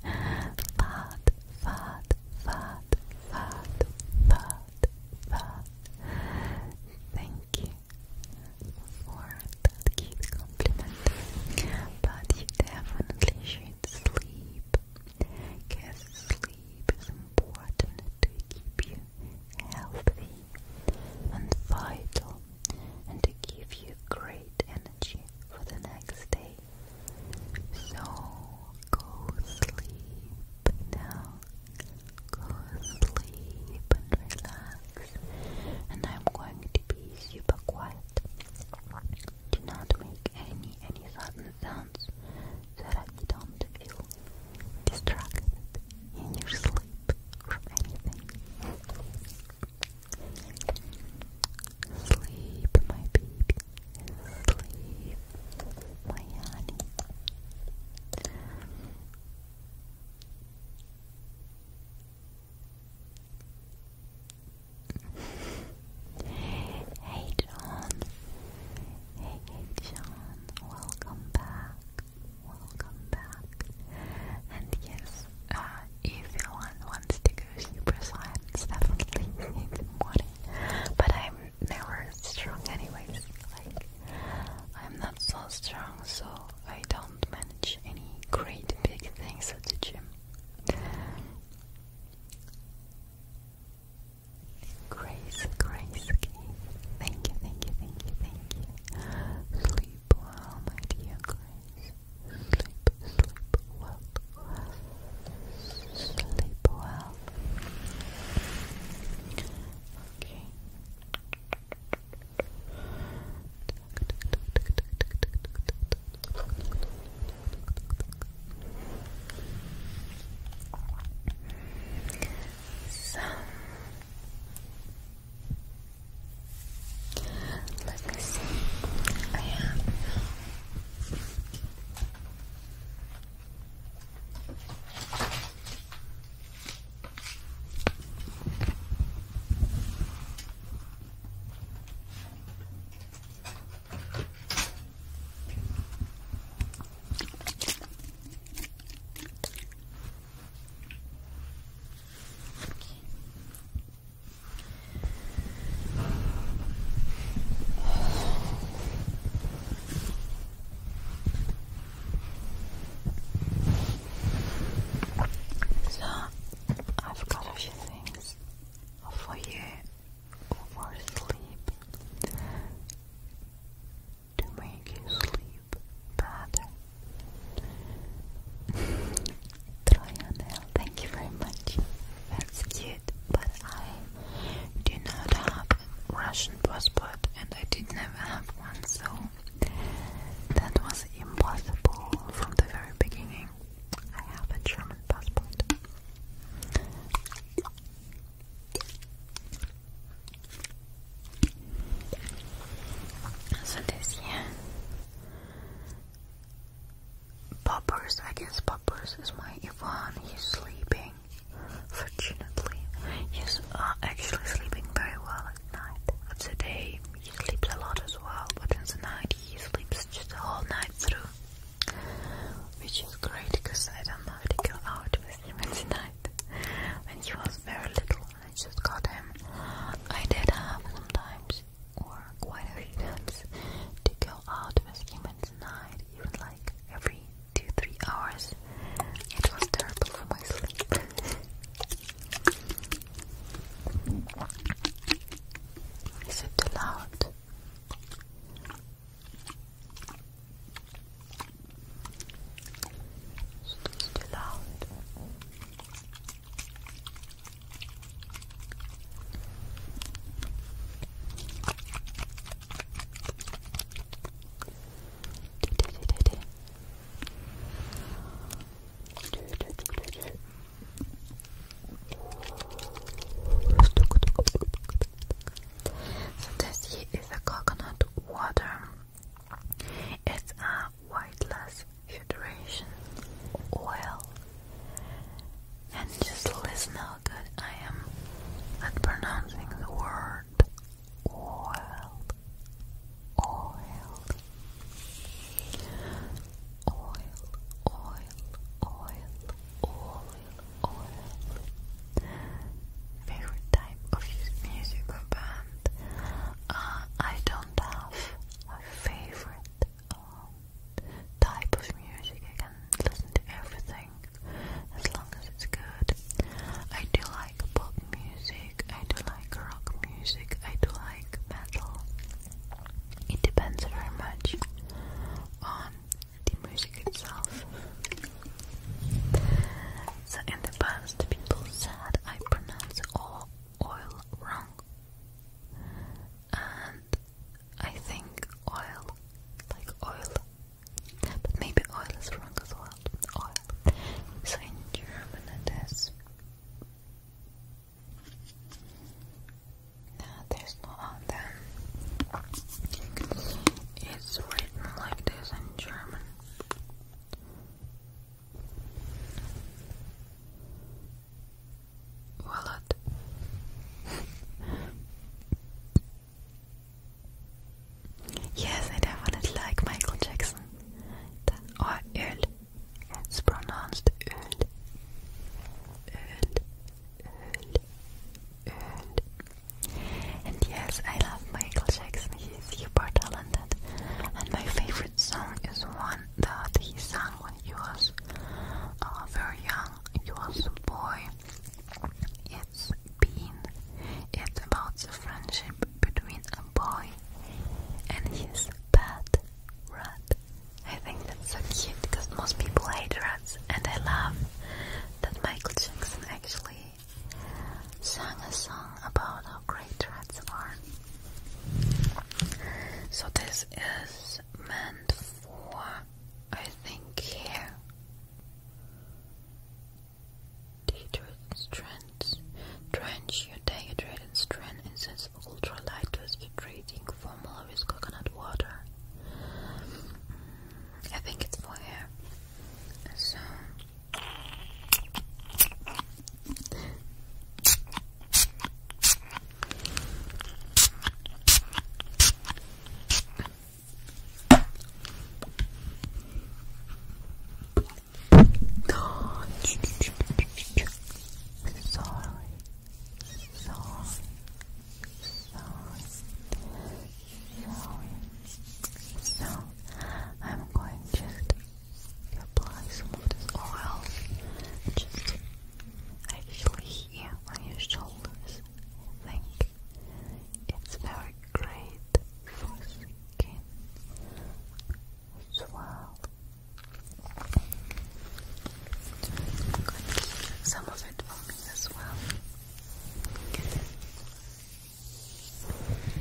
Fat, fat, fat, fat, fat, fat. Thank you for that cute compliment. But you definitely should sleep. Because sleep is important to keep you healthy, and vital, and to give you great energy for the next day. So go sleep now. Go sleep and relax. And I'm going to be super quiet. Do not make any any sudden sounds so that you don't feel distracted in your sleep from my baby. Sleep, my honey. hey John. hey John. Welcome back welcome back. And yes, uh, if anyone wants to go super slime, it's definitely [laughs] in the But I'm never strong, anyways. Like, I'm not so strong, so I don't manage any great big things at the gym. Grace, Grace, thank you, thank you, thank you, thank you sleep well, Grace. Sleep, sleep well, sleep well. Okay. So Let's see. I have so I've got a few things for you for sleep to make you sleep better. [sighs] Troyanel, thank you very much. That's cute, but I do not have Russian passport and I did never have one, so that was impossible from the very beginning. I have a German passport. So this year, Poppers against Poppers is my Ivan. He's sleeping. Fortunately, he's actually sleeping very well at night. At the day, he sleeps a lot as well, but in the night, he sleeps just the whole night through. Which is great because I don't know to go out with him in night when he was very little. I just got him. I did have sometimes, or quite a few times, to go out with him at night, even like every two, three hours. It was terrible for my sleep. Is it too loud? It's too loud. So this here is a coconut water it's a weightless hydration oil. And just listen how good I am at pronouncing the word oil. Oil. Oil, oil, oil, Favorite type of musical band? Uh, I don't have my favorite um, type of music. I can listen to everything as long as it's good. I do like pop music, I do like rock music, I do like metal. It depends very much on the music itself. So in the past people said I pronounce all oil wrong. And I think oil, like oil, but maybe oil is wrong as well. Oil. So in German it is. No, there's no on It's written like this in German. Wallet. yes, I definitely like Michael Jackson. Or Öl. It's pronounced Öl. Öl. Öl. Öl. And yes, I love Michael Jackson. He's super talented. And my favorite favorite song is one that he sang when he was uh, very young. He was a boy. It's been. It's about the friendship between a boy and his pet rat. I think that's so cute because most people hate rats, and I love that Michael Jackson actually sang a song about how great rats are. So this is meant for, I think, here. Dehydrated strands. Drench your dehydrated strand in this ultralight twisted treating formula with coconut water. Mm, I think it's for hair. So. Sorry. Sorry. Sorry. Sorry. So I'm going just apply some of this oil just actually here on your shoulders. I think it's very great for skin as well. Some of it for me as well.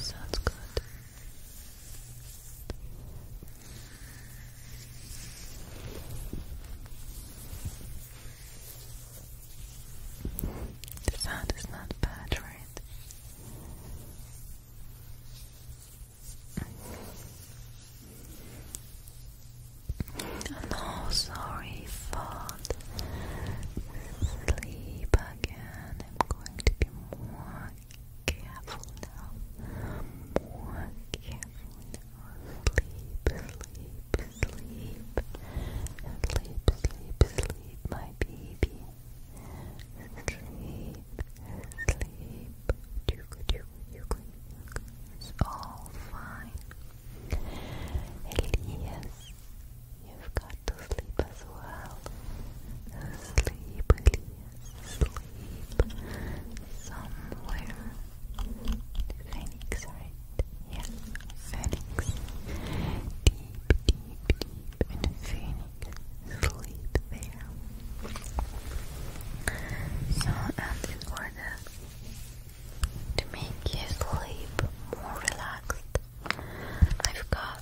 Sounds good. The sound is not bad, right? No, sorry, fall asleep again. I'm going to be more careful now. More careful now. Sleep, sleep, sleep. Sleep, sleep, sleep, my baby. Sleep, sleep. You good, you good, It's all fine. Elias, you've got to sleep as well. Sleep, Elias sleep somewhere. Phoenix, right? Phoenix. Deep, deep, deep in Phoenix. Sleep there. So, in order to make you sleep more relaxed, I've got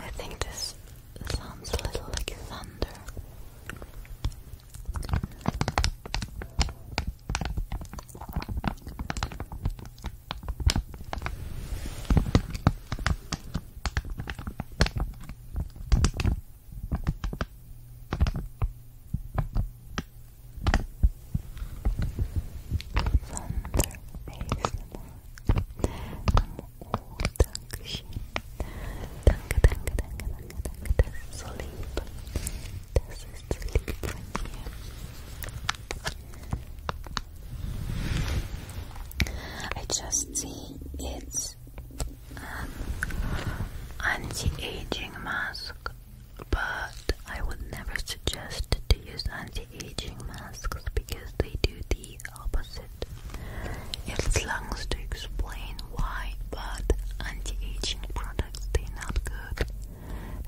I think this sounds a little like thunder. Sleep. This is sleep from you. I just see it's an um, anti-aging mask, but I would never suggest to use anti-aging masks because they do the opposite. It's long to explain why, but anti-aging products they're not good.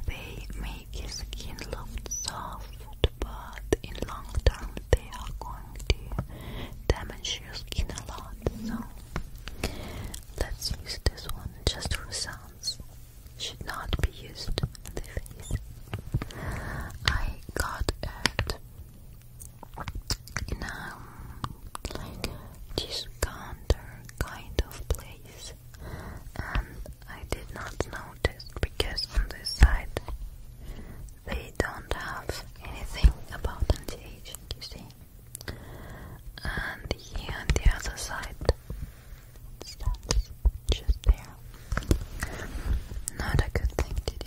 They make your skin look soft but in long term they are going to damage your skin a lot. So let's use this one just for sounds. Should not be used on the face. I got it in um, a like discounter kind of place, and I did not notice because on this side they don't have anything about anti-aging, you see. And here on the other side, it's just there. Not a good thing to do.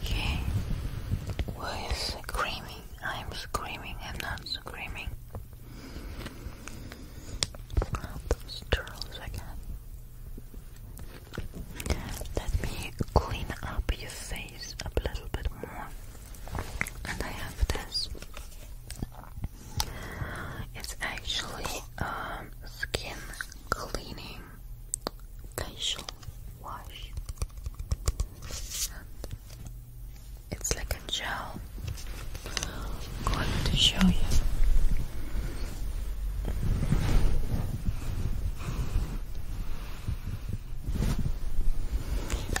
He was screaming. I'm screaming. i not screaming. Oh, those turtles Let me clean up your face a little bit more. And I have this. It's actually um, skin cleaning facial wash. It's like a gel. going to show you.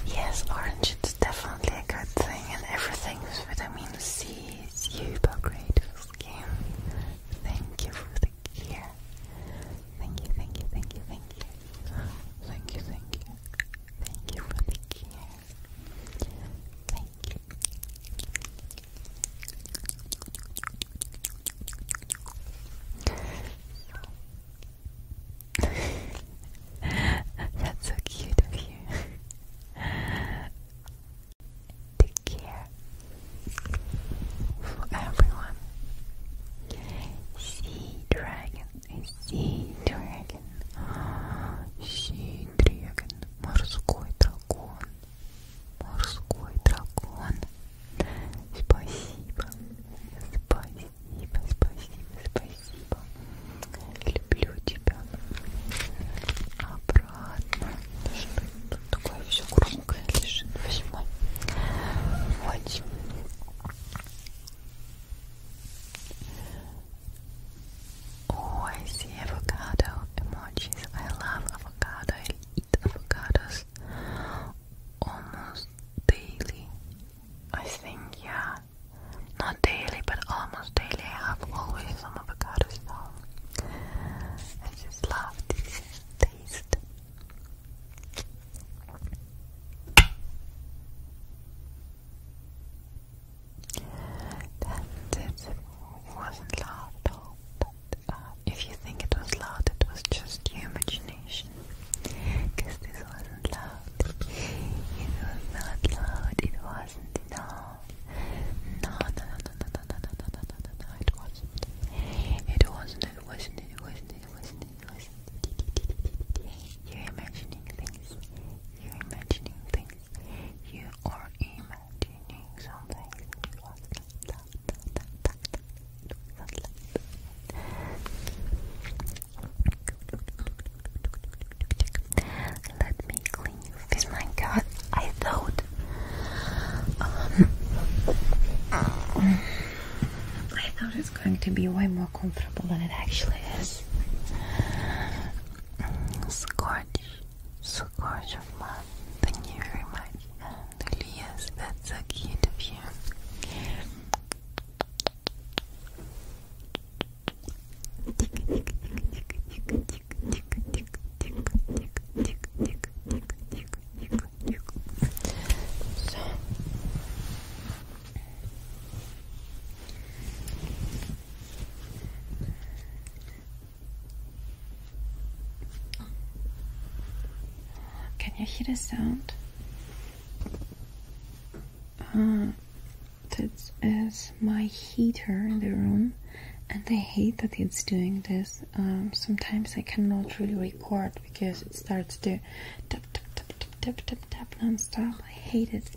Yes, orange definitely a good thing, and everything with vitamin C is super great for skin. Thank you for the Thank you, thank you, thank you, thank you. Thank you, thank you. Thank you for the gear. Thank you. [laughs] That's so cute of you. [laughs] Take care. there for everyone. Sea dragon, sea dragon, sea dragon, морской дракон, морской дракон. Спасибо, спасибо, спасибо, спасибо. Люблю тебя. Обратно, чтобы Oh, I see avocado emojis. I love avocado. I eat avocados almost daily. I think, yeah. Not daily, but almost daily. I have always some avocados at I just love this taste. That's it. It wasn't loud at all, but uh, if you think it was loud, it was just your imagination. Because this wasn't loud. It was not loud, it wasn't at all. No, no, no, no, no, no, no, no, no, no, no, no, it wasn't. It wasn't, it wasn't, it wasn't, you're imagining things. You're imagining things. You are imagining something. Let me clean you. Oh my god, I thought. Um, I thought it's going to be way more comfortable than it actually is. Scorch, scorch of love. Thank you very much, Elias. That's so cute of you can you hear the sound? Uh, that is my heater in the room, and I hate that it's doing this. Um, sometimes I cannot really record because it starts to tap tap tap tap tap tap tap non-stop. I hate it.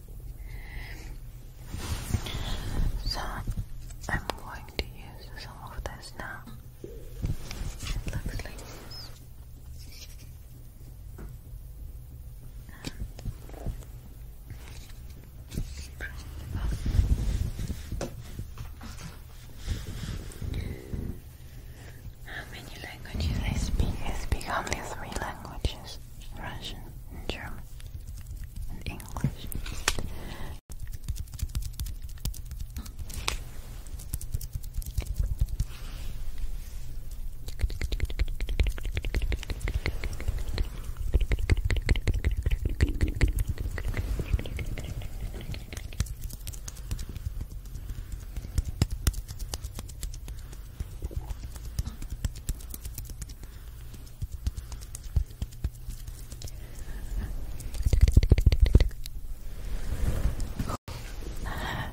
So I'm going to use some of this now. It how many languages they speak? They speak only three languages Russian, German, and English.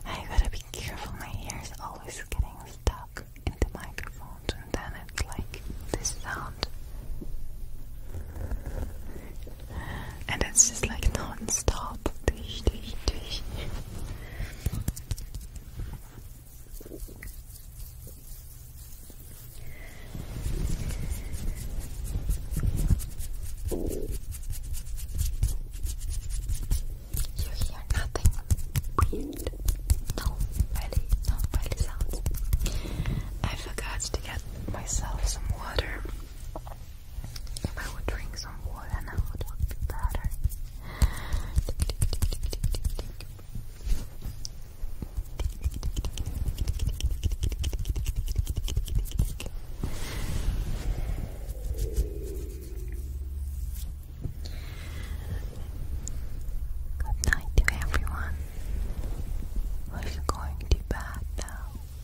I gotta be careful, my hair always getting stuck in the microphones, and then it's like this sound and it's just like non-stop. You hear nothing weird. No, really, no really sounds. I forgot to get myself some water. If I would drink some water now, it would be better. Good night to everyone who's going to bed now.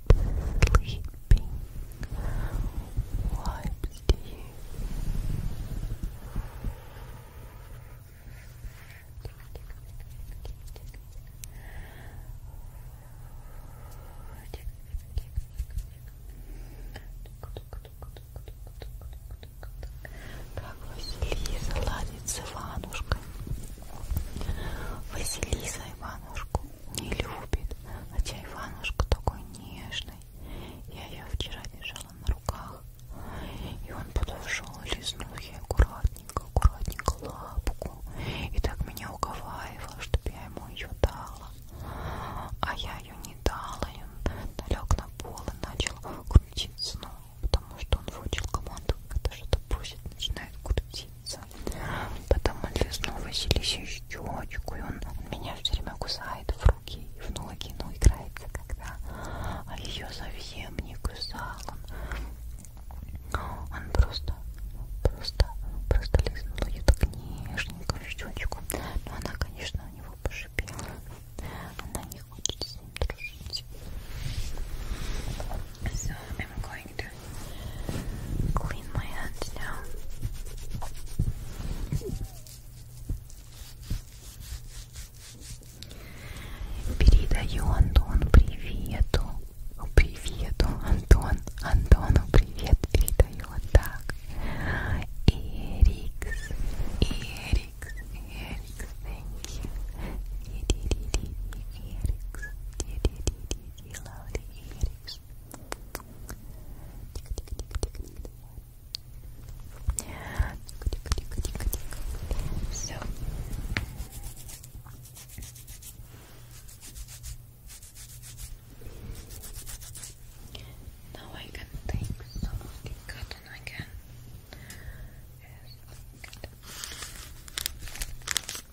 sleeping wipes do you как Василиса ладит с Иванушкой Василиса Иванушку не любит, а чайванушка такой нежный. Я ее вчера держала на руках, и он подошел и лизнул ей аккуратненько, аккуратненько лапку, и так меня уговаривал, чтобы я ему ее дала, а я ее не дала, и он лег на пол и начал крутить снова, потому что он выучил команду, когда что-то просит, начинает крутить нравится. Потом он лизнул Василисе щечку, и он, он меня все время кусает в руки и в ноги, но ну, играется когда. А ее совсем не кусал он. Он просто, просто, просто лизнул ее так нежненько в щечку. Но она, конечно, у него пошипела. Она не хочет с ним дружить. So I'm going going to clean my hands now. Передаю Антону привету. Привету, Антон. Антону привет передаю вот так. Эрикс, Эрикс, Эрикс, thank you. Эрикс, Эрикс, Эрикс, Эрикс, Эрикс, face. So now I can take of the cotton again.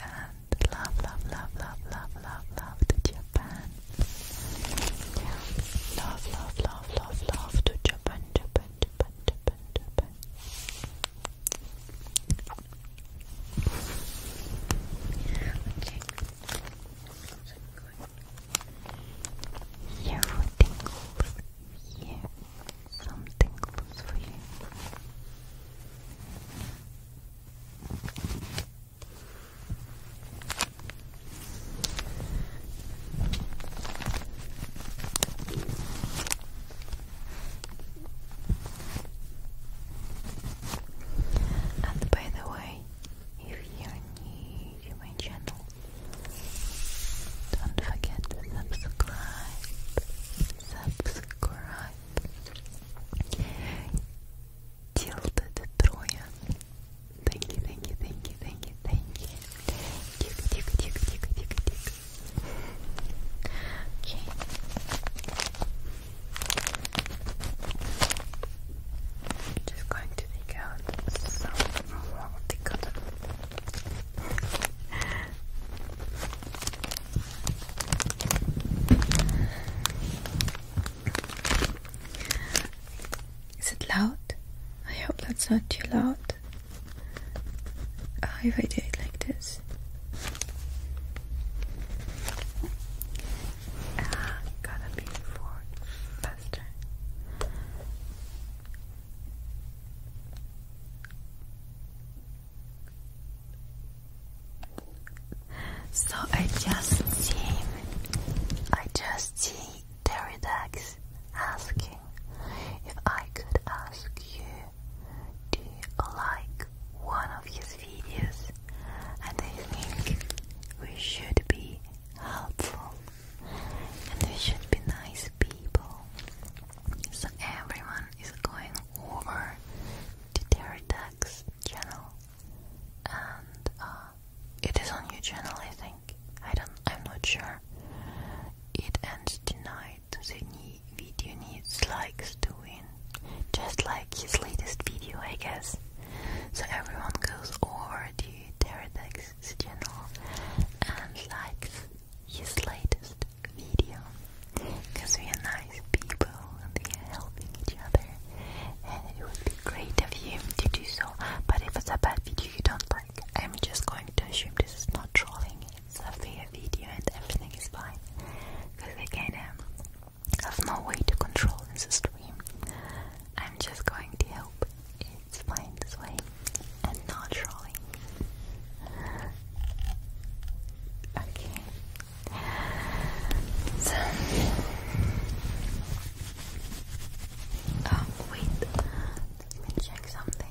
and love, love, love, love, love, love, love to Japan. Yeah. Love, love, love, love, love to Japan, Japan, Japan, Japan, Japan. Okay. Here for tingles. Here, some tingles for you. And by the way, if you're new to my channel, don't forget to subscribe, subscribe, Tilted Troya. Thank you, thank you, thank you, thank you, thank you. Tick, tick, tick, tick, tick, tick. Okay. just going to take out some more the cotton. Is it loud? I hope that's not too loud. Oh, if I do it like this. Ah, gotta be faster. So I just see, I just see Pterodax asking if I could ask you, do you like one of his videos? And I think we should be helpful and we should be nice people. So everyone is going over to Pterodax channel and uh, it is on your channel, I think. I don't, I'm not sure. It ends tonight. The new video needs likes to win, just like his latest video, I guess. So everyone goes over to Teradex's channel and likes his latest video. Because we are nice people and we are helping each other. And it would be great of you to do so. But if it's a bad video you don't like, I'm just going to assume this is not trolling. It's a fair video and everything is fine. Because um, I kind have no way to control this stream. I'm just going to help. it's fine this way and not trolling. Okay, so, oh wait, let me check something.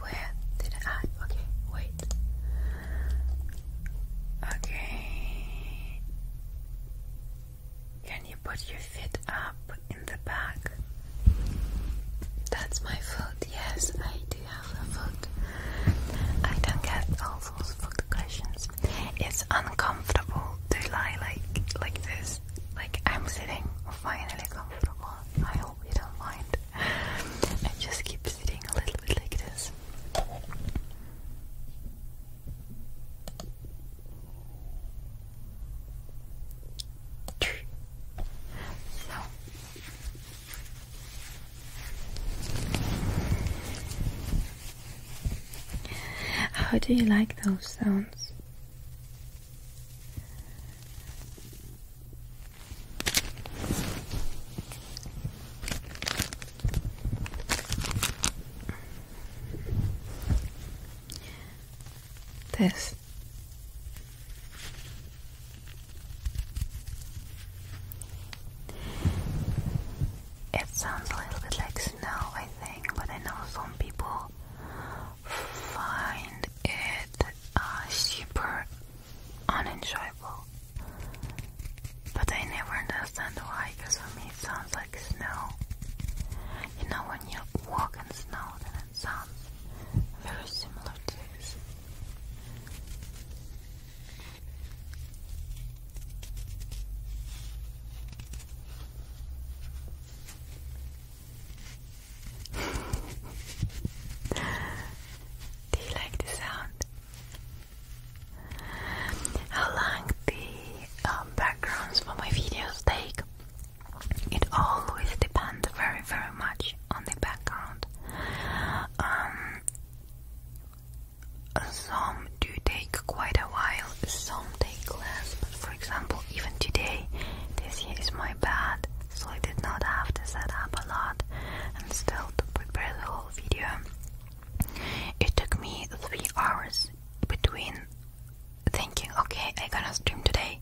where did I? Okay, wait. Okay. Can you put your feet up in the back? That's my foot. Yes, I do have a foot. I don't get all it's uncomfortable to lie like like this. Like I'm sitting finally comfortable. I hope you don't mind. I just keep sitting a little bit like this. So. How do you like those sounds? This. It sounds a little bit like snow, I think, but I know some people find it uh, super unenjoyable. But I never understand why, because for me it sounds like snow. You know, when you walk in snow, then it sounds very similar to this. Do you like the sound? How long the um, backgrounds for my videos take? It always depends very, very much on the background. Um, some do take quite a while, some take less, but for example, even today, this year is my bad, so I did not have to set up a lot and still to prepare the whole video. It took me three hours between thinking, okay, I'm gonna stream today,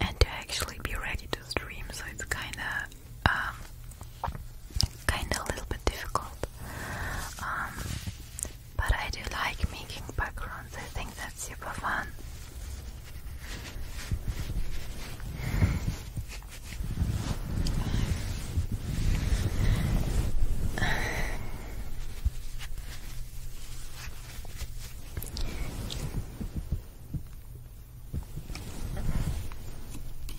and to actually be ready to stream, so it's kinda um, kind of a little bit difficult. Um, but I do like making backgrounds, I think that's super fun.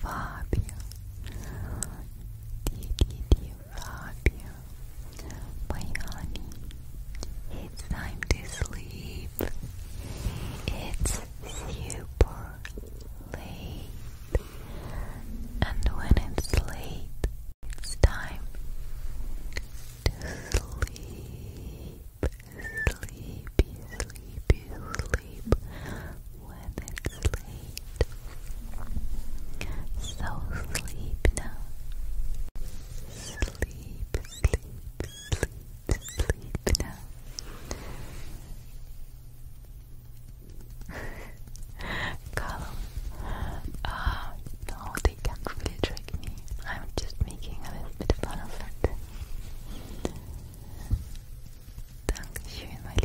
Fábio, Didi, Fábio, my honey, it's time to sleep. It's super late, and when it's late, it's time to sleep sleepy, sleepy, sleep when it's late. So sleep now. Sleep, sleep, sleep, sleep now. [laughs] Column. Ah, uh, no, they can't really trick me. I'm just making a little bit of fun of it. Dankeschön, mein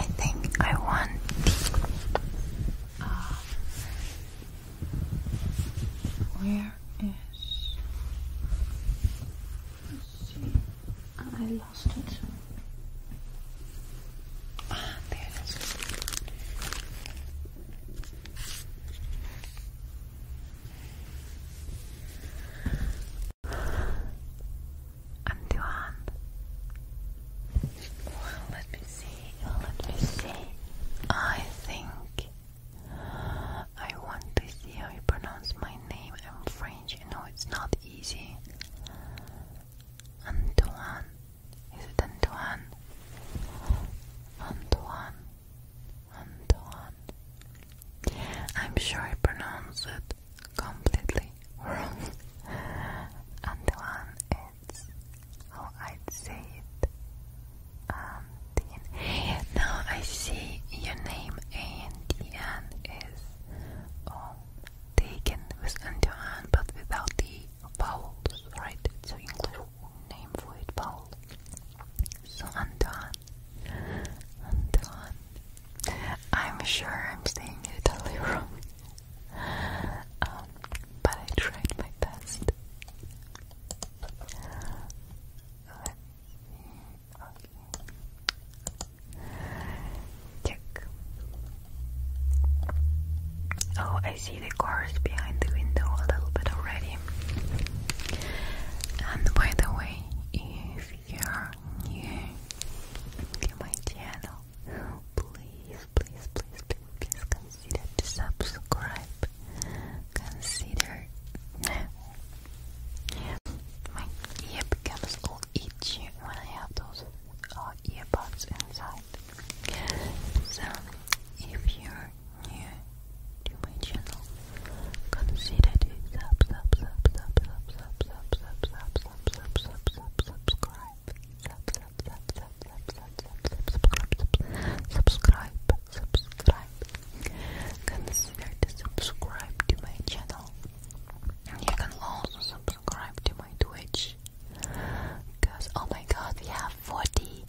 I think I want. where is and I lost it. Ah, there it is. And Well, let me see. let me see. I think I want to see how you pronounce my name. I'm French. you know it's not easy. Antoine. Is it Antoine? Antoine. Antoine. I'm sure I pronounce it completely wrong. [laughs] Antoine, it's how I'd say it. Um, Antian. Now I see your name Antian is um, taken with Antian but without the vowels, right? So English name for it vowel. So Antoine, Antoine. I'm sure I'm saying it totally wrong, um, but I tried my best. Oh, I see the cars behind the window a little bit already. And by the way, if you're new to my channel, please, please, please, please consider to subscribe. Consider my ear all itchy when I have those earbuds inside. So, if you're new to my channel, consider to sub, sub, sub, sub, sub, sub, sub, sub, sub, sub, sub, sub, subscribe, sub, sub, sub, sub, sub, sub, sub, subscribe, subscribe, subscribe, consider to subscribe to my channel. You can also subscribe to my Twitch. Cause oh my god, we have 40,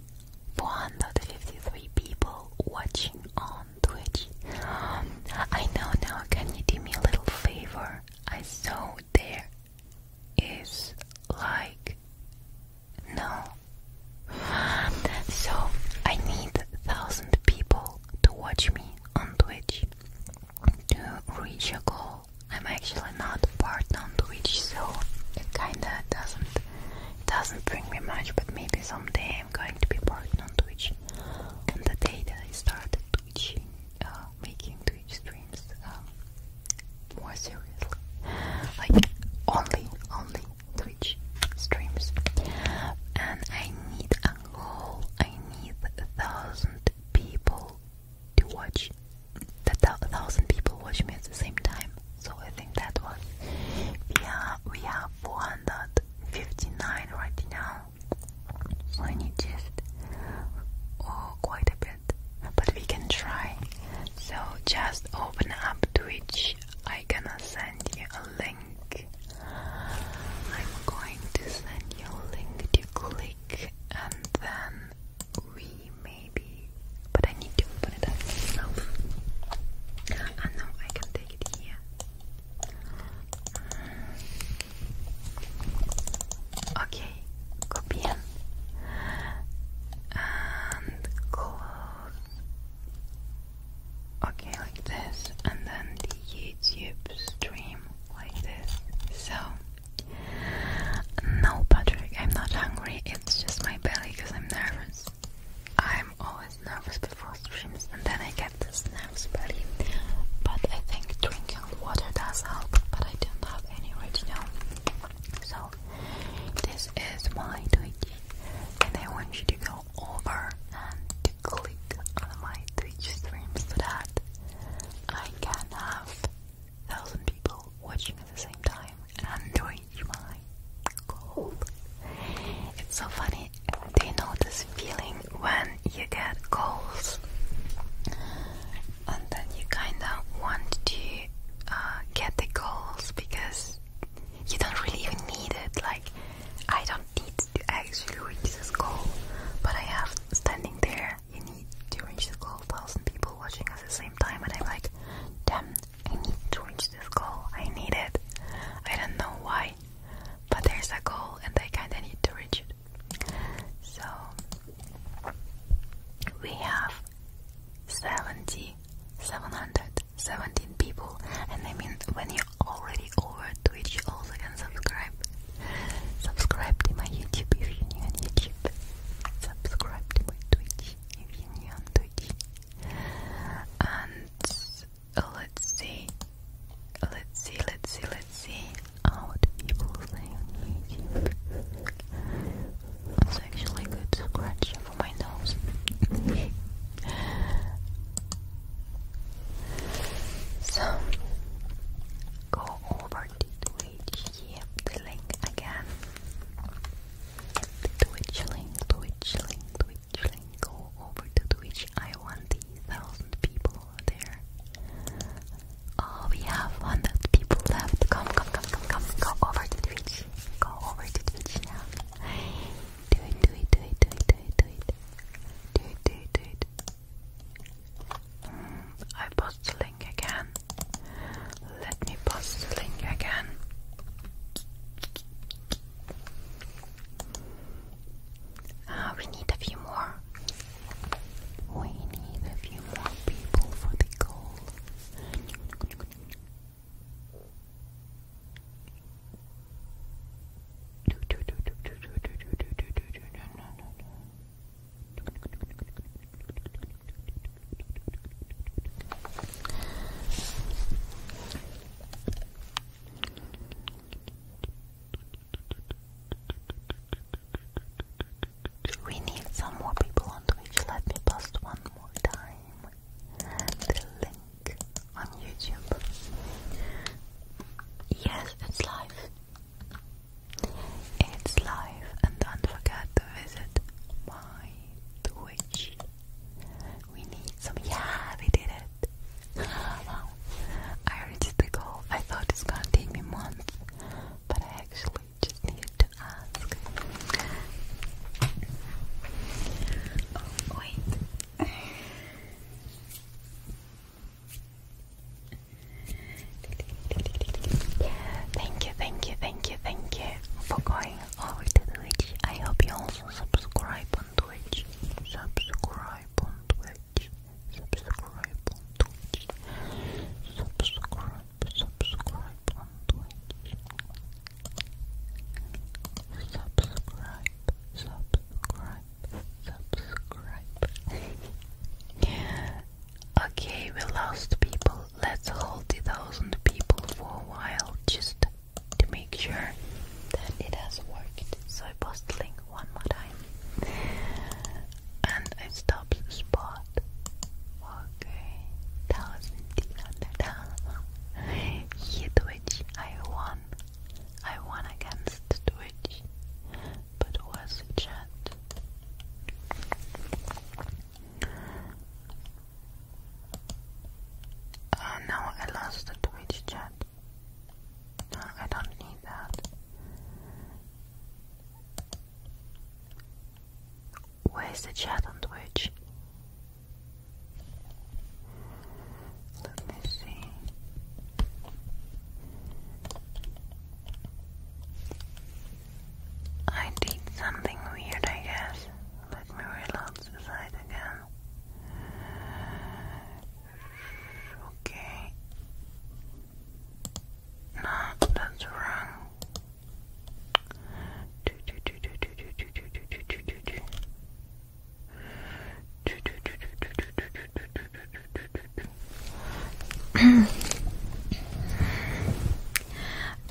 453 people watching on Twitch. I know now, can you do me a little favor? I saw there is like no. So I need thousand people to watch me on Twitch to reach a goal. I'm actually not part on Twitch, so it kinda doesn't doesn't bring me much. But maybe someday I'm going to be part on Twitch. And the day that I started Twitching, uh, making Twitch streams um, more seriously, like only only Twitch streams, and I need a goal. I need a thousand people to watch. That thousand people watch me at the same time. So I think that was. We are we have 459 right now. So I need just oh quite a bit, but we can try. So just open up Twitch. I gonna send you a link I'm going to send you a link to click and then we maybe but I need to open it myself. And now I can take it here. Mm. Okay, copy and close Okay, like this, and then the YouTube stream like this. So, no, Patrick, I'm not hungry. It's just my belly because I'm nervous. I'm always nervous before streams, and then I get this nervous belly. But I think drinking water does help. But I don't have any right now. So, this is my I and I want you to go over and click on my Twitch stream so that I can have thousand people watching at the same time and reach my goal. It's so funny. Do you know this feeling when you get goals and then you kinda want to uh, get the goals because you don't really even need it. Like, I don't need to actually reach this goal, but I have standing there. You need to reach the goal. Thousand people watching us at the same time, and I'm like, damn, I need to reach this goal. I need it. I don't know why, but there's a goal, and I kinda need to reach it. So we have 70, 717 people, and I mean, when you you're already over Twitch, also can subscribe. Subscribe to my YouTube if you're new on YouTube. Subscribe to my Twitch if you're new on Twitch. And let's see, let's see, let's see, let's see oh, what people say on YouTube. It's actually good scratch for my nose. [laughs] So go over to Twitch, the link again. The link, Twitch link, link, go over to Twitch. I want the thousand people there. Oh, we have 100 people left. Come, come, come, come, come. Go over to Twitch. Go over to Twitch now. Do it, do it, do it, do it, do it, do it. Do it, do it, um, I post the link again. Let me post the link again. Ah, we need a few more. We need a few more people for the goal. We need some more people on Twitch. Let me post one more time the link on YouTube. Yes, it's live. It's live, and don't forget to visit my Twitch. We need some. Yeah, we did it. [laughs] I reached the goal. I thought it's gonna take me months, but I actually just needed to ask. Oh, wait. Thank you, thank you, thank you, thank you for going over to Twitch. I hope you also subscribe on Twitch. Subscribe on Twitch. Subscribe on Twitch. Subscribe, subscribe on Twitch. Subscribe, subscribe subscribe. [laughs] okay, we lost people. Let's hold the thousand people for a while just to make sure that it has worked. So I post the link one more time. And it stops the spot. Okay. Thousand, thousand, thousand. [laughs] Hit which I won. I won against Twitch, but was chat. Uh, I lost the Twitch chat. I don't need that. Where's the chat on Twitch? Let me see. I did something weird, I guess. Let me reload the side again. Okay. No, that's wrong.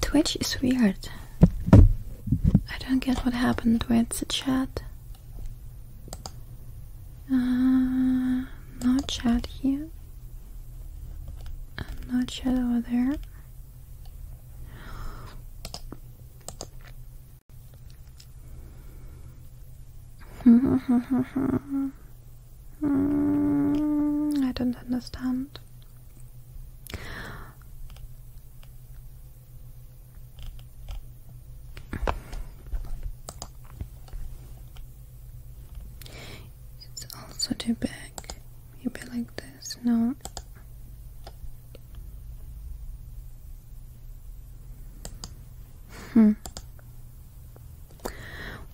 Twitch is weird. I don't get what happened with the chat. Uh, not chat here. Not no chat over there. [laughs] I don't understand. It's also too big. Maybe like this. No. Hmm.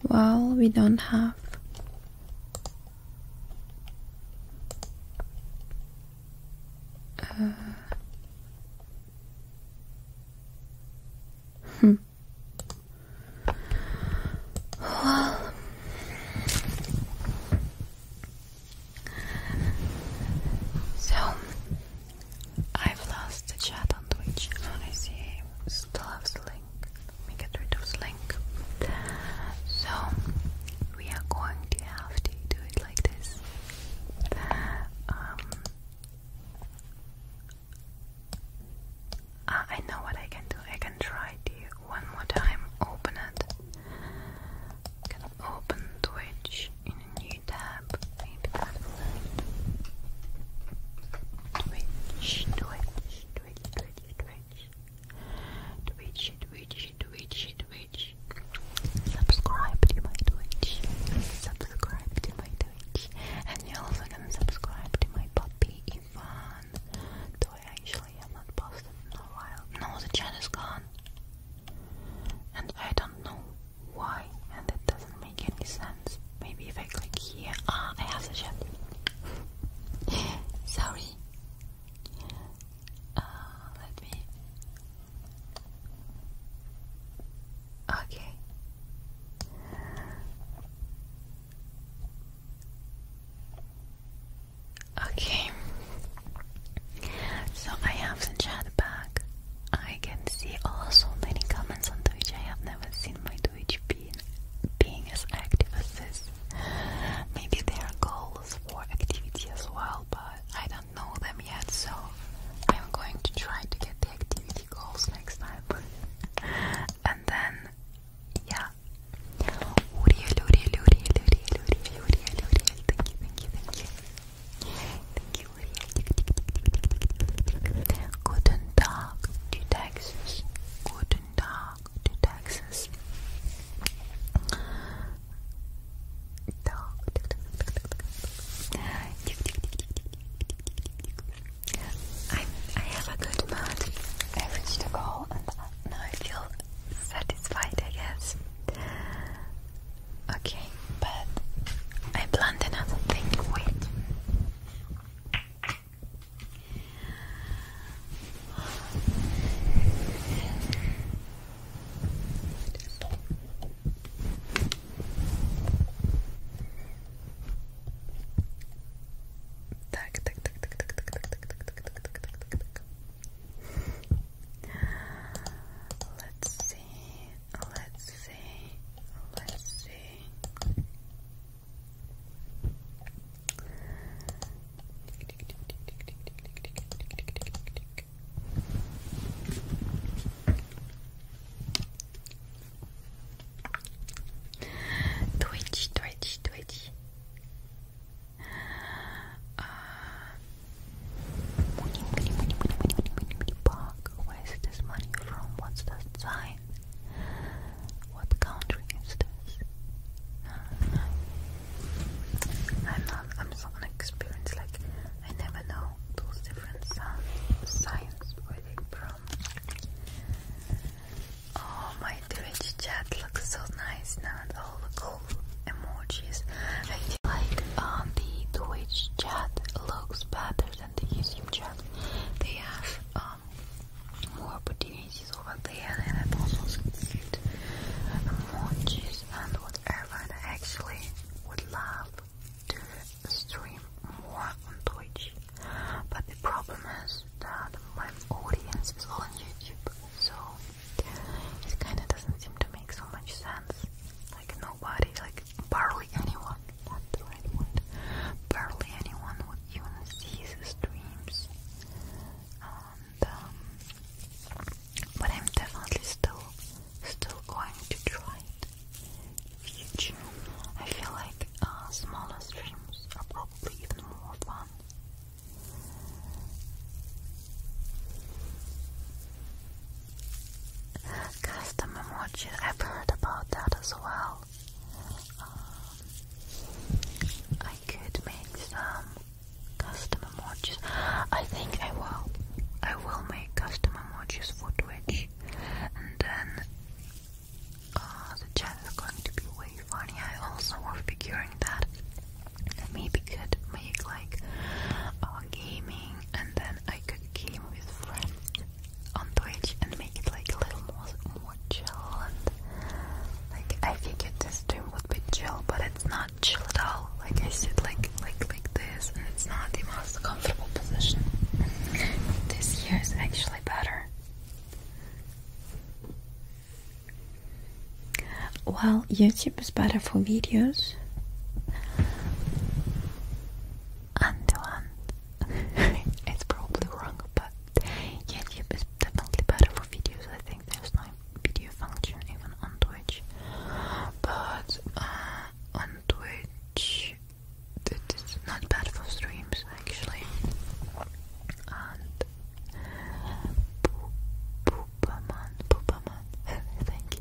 Well, we don't have. Uh, hmm. Well, so I've lost the chat on Twitch. I see still have Slink. Let get rid of Slink. So we are going to have to do it like this. Um, uh, I know what I can do. I can try to one more time open it. open Twitch in a new tab, maybe Twitch, Twitch, Twitch, Twitch, Twitch, Twitch, Twitch, Twitch, Twitch. Subscribe to my Twitch. Subscribe to my Twitch. And you also can subscribe to my puppy Ivan. Though I actually have not posted in a while. No, the chat is gone. And I don't know why and it doesn't make any sense. Maybe if I click here, ah, I have the chat. [laughs] Sorry. Uh, let me. Okay. Okay. So I have the chat back. I can see also many comments on Twitch. I have never seen my Twitch being as active as this. Maybe there are goals for activity as well, but I don't know them yet, so I'm going to try to get the activity goals next time. [laughs] and then yeah. Thank you, Lydia. Guten Tag to Texas. Guten I, I have a good mood. I reached a goal and now I feel satisfied, I guess. Okay, but I planned another thing. Wait. Так, так, так, так, так, так, так, так, так, так, так, так, так, так. Let's let's see, let's see. Twitchy, twitchy, twitchy. Uh, where is this money from? What's that sign? What country is this? I'm not, I'm so inexperienced, like, I never know those different signs, where they from. Oh, my Twitch chat looks so nice now, all the cool emojis. I feel like um, the Twitch chat looks better other than the YouTube channel. They have um, more opportunities over there, and I've also seen more cheese and whatever. And I actually would love to stream more on Twitch, but the problem is that my audience is on YouTube, so it kind of doesn't seem to make so much sense. Like nobody, like Barely anyone, that's anyone would even see his dreams. Um, but I'm definitely still, still going to try it future. I feel like uh, smaller streams are probably even more fun. Custom emoji, I've heard about that as well. Um, I could make some custom watches. I think I will. I will make custom watches for Twitch, and then uh, the channel is going to be way funny. I also was figuring that I maybe could make like uh, gaming, and then I could game with friends on Twitch and make it like a little more, more chill and like I figured this stream would be chill but it's not chill at all like I sit like like like this and it's not the most comfortable position this year is actually better well YouTube is better for videos Antoine. [laughs] it's probably wrong, but YouTube is definitely better for videos. I think there's no video function even on Twitch. But uh, on Twitch, it's not bad for streams actually. And Poopaman, Poopaman, [laughs] thank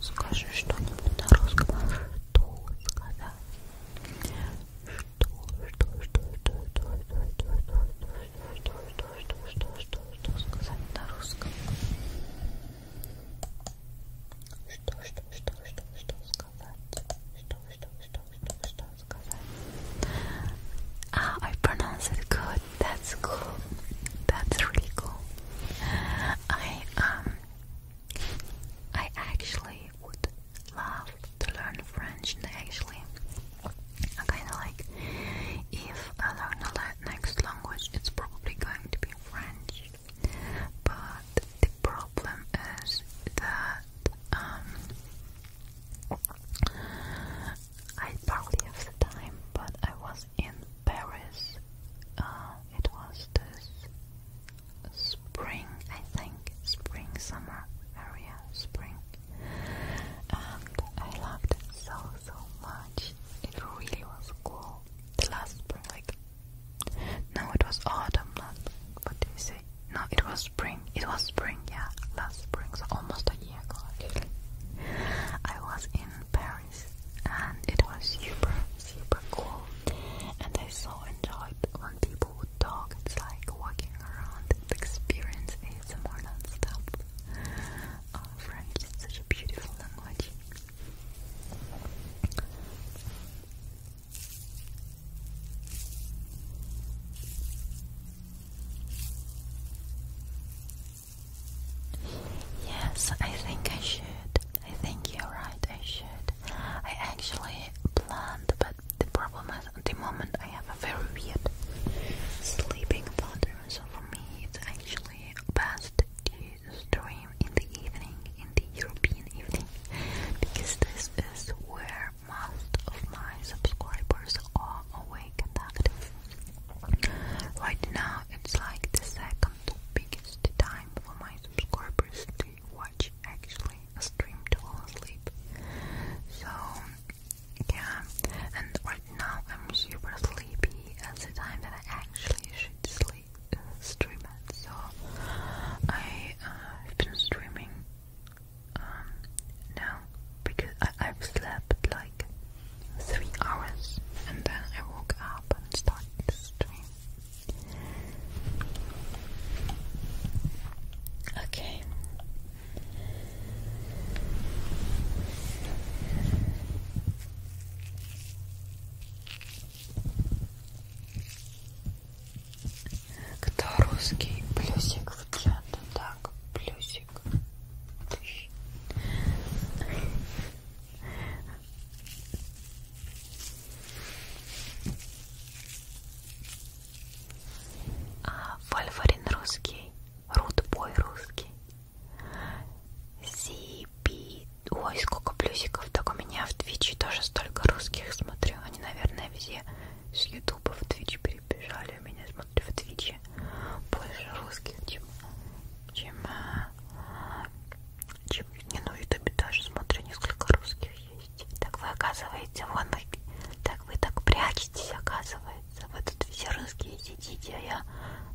Скажи что-нибудь на русском. Что сказать? Что, что, что, что, что, что, что, что, что, что, Ah, I pronounce it good. That's cool. That's really cool. I um, I actually would love to learn French. And actually I kinda like if I learn the next language, it's probably going to be French, but the problem is that um, I partly have the time, but I was in Paris. Uh, it was this spring, I think, spring summer area, spring and I loved it so so much. It really was cool. The last spring, like no, it was autumn. Not what do you say? No, it was spring. It was spring, yeah, last spring, so almost a year ago. I was in Paris, and it was super super cool, and I so enjoyed when people would talk. It's like walking around and experience ASMR and stuff. French is such a beautiful language. Yes, I think I should. I think you're right, I should. I actually planned, but the problem at the moment I have a very weird sleeping pattern, so for me it's actually best to stream in the evening, in the European evening, because this is where most of my subscribers are awake and Right now it's like the second biggest time for my subscribers to watch actually a stream to fall asleep. So yeah, and right now I'm super sleepy at the time that I actually should sleep, uh, stream it. So I, have uh, been streaming um, now because I, have slept like three hours and then I woke up and started to Okay, Кто русский? Плюсик в чат. Так, плюсик. А, Вольфарин русский. Рудбой русский. Зипи. Ой, сколько плюсиков. Так у меня в Твиче тоже столько русских смотрю. Они, наверное, все с Ютуба в Твич перебежали. Меня смотрю в Твиче. Больше русских, чем... чем... А, чем... Не, ну в Ютубе тоже смотрю. Несколько русских есть. Так вы, оказываете, вон... Так вы так прячетесь, оказывается нравится. Вы тут все русские сидите, а я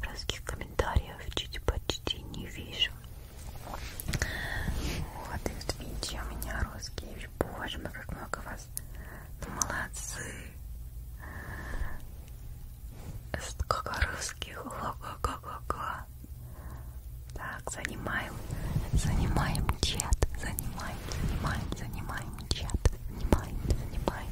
русских комментариев чуть почти не вижу. Вот, и видите, у меня русские. Боже мой, как много вас. Ну, молодцы. Сколько русских. Ла-га-га-га-га. Так, занимаем, занимаем чат, занимаем, занимаем, занимаем чат, занимаем, занимаем,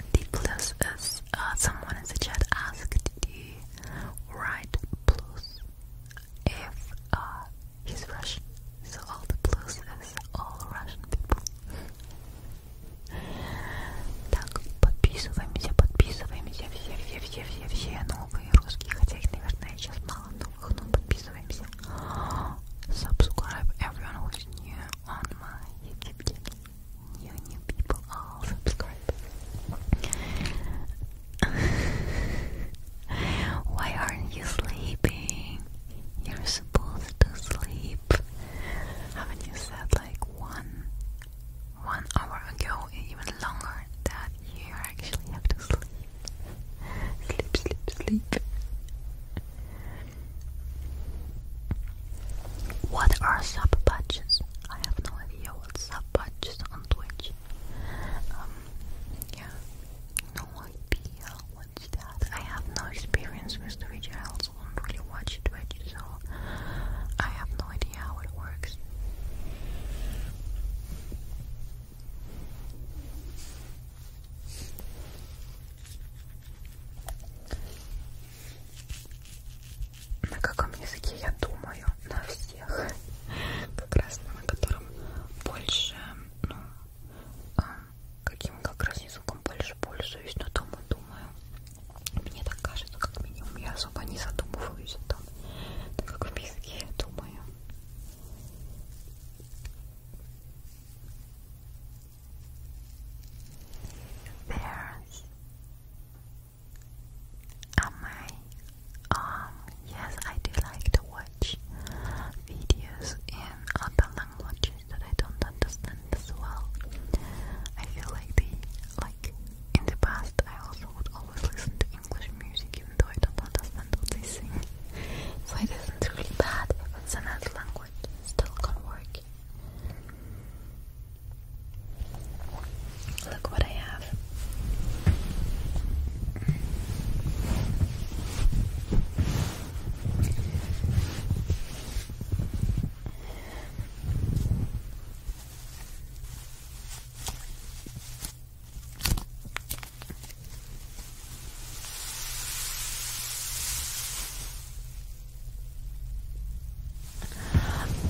ridiculous is uh, someone in the chat asked to write plus if uh, Russian. So all the plus is all Russian people. Так, подписываемся, подписываемся, все, все, все, все, все новые русские, хотя их, наверное, сейчас мало новых, но подписываемся. Subscribe everyone on my YouTube channel. You new people all subscribe. [laughs] Why aren't you sleeping? You're supposed to sleep. Haven't you said like one one hour ago, even longer, that you actually have to sleep? [laughs] Sleep, sleep, sleep. What are sub patches? I have no idea what sub patches on Twitch. Um, yeah, no idea what's that. I have no experience with Twitch. I also don't really watch Twitch, so I have no idea how it works. На каком языке я думаю? На всех. Как раз на котором больше, ну, а, каким как раз языком больше пользуюсь, но там и думаю. Мне так кажется, как минимум, я особо не задумываюсь о том, так как в языке я думаю. Bears on my um yes I do like to watch videos in other languages that I don't understand as well. I feel like the like in the past I also would always listen to English music even though I don't understand what they sing. So it isn't really bad if it's another language. Still can work. Look what I have.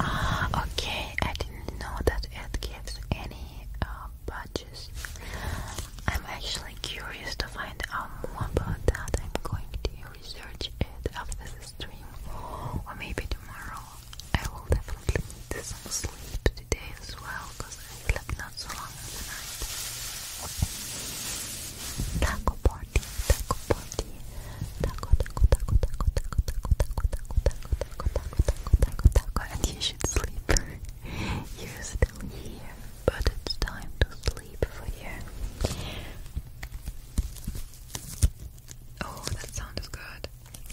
Ah, okay. I didn't know that it gives any uh, badges. I'm actually curious to find out more about that. I'm going to research it after the stream, or maybe tomorrow. I will definitely need some sleep today as well, because I slept not so long in the night. Taco taco party, taco, taco, taco, taco, taco, taco, taco, taco, taco, taco, taco, taco, and you should sleep. You're still here, but it's time to sleep for you. Oh, that sound is good.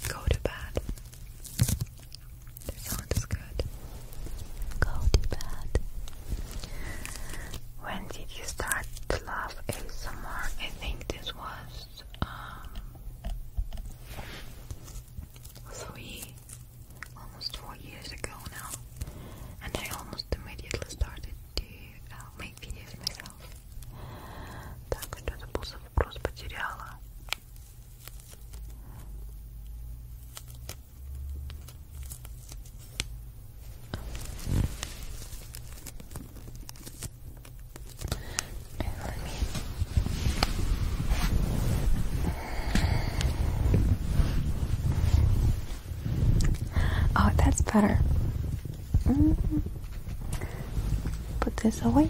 Go to bed. That sound is good. Go to bed. When did you start to love ASMR? I think this was um, three, almost four years ago now, and I almost immediately started to uh, make videos myself. Так, что это был за вопрос? Oh, that's better. Mm. Put this away.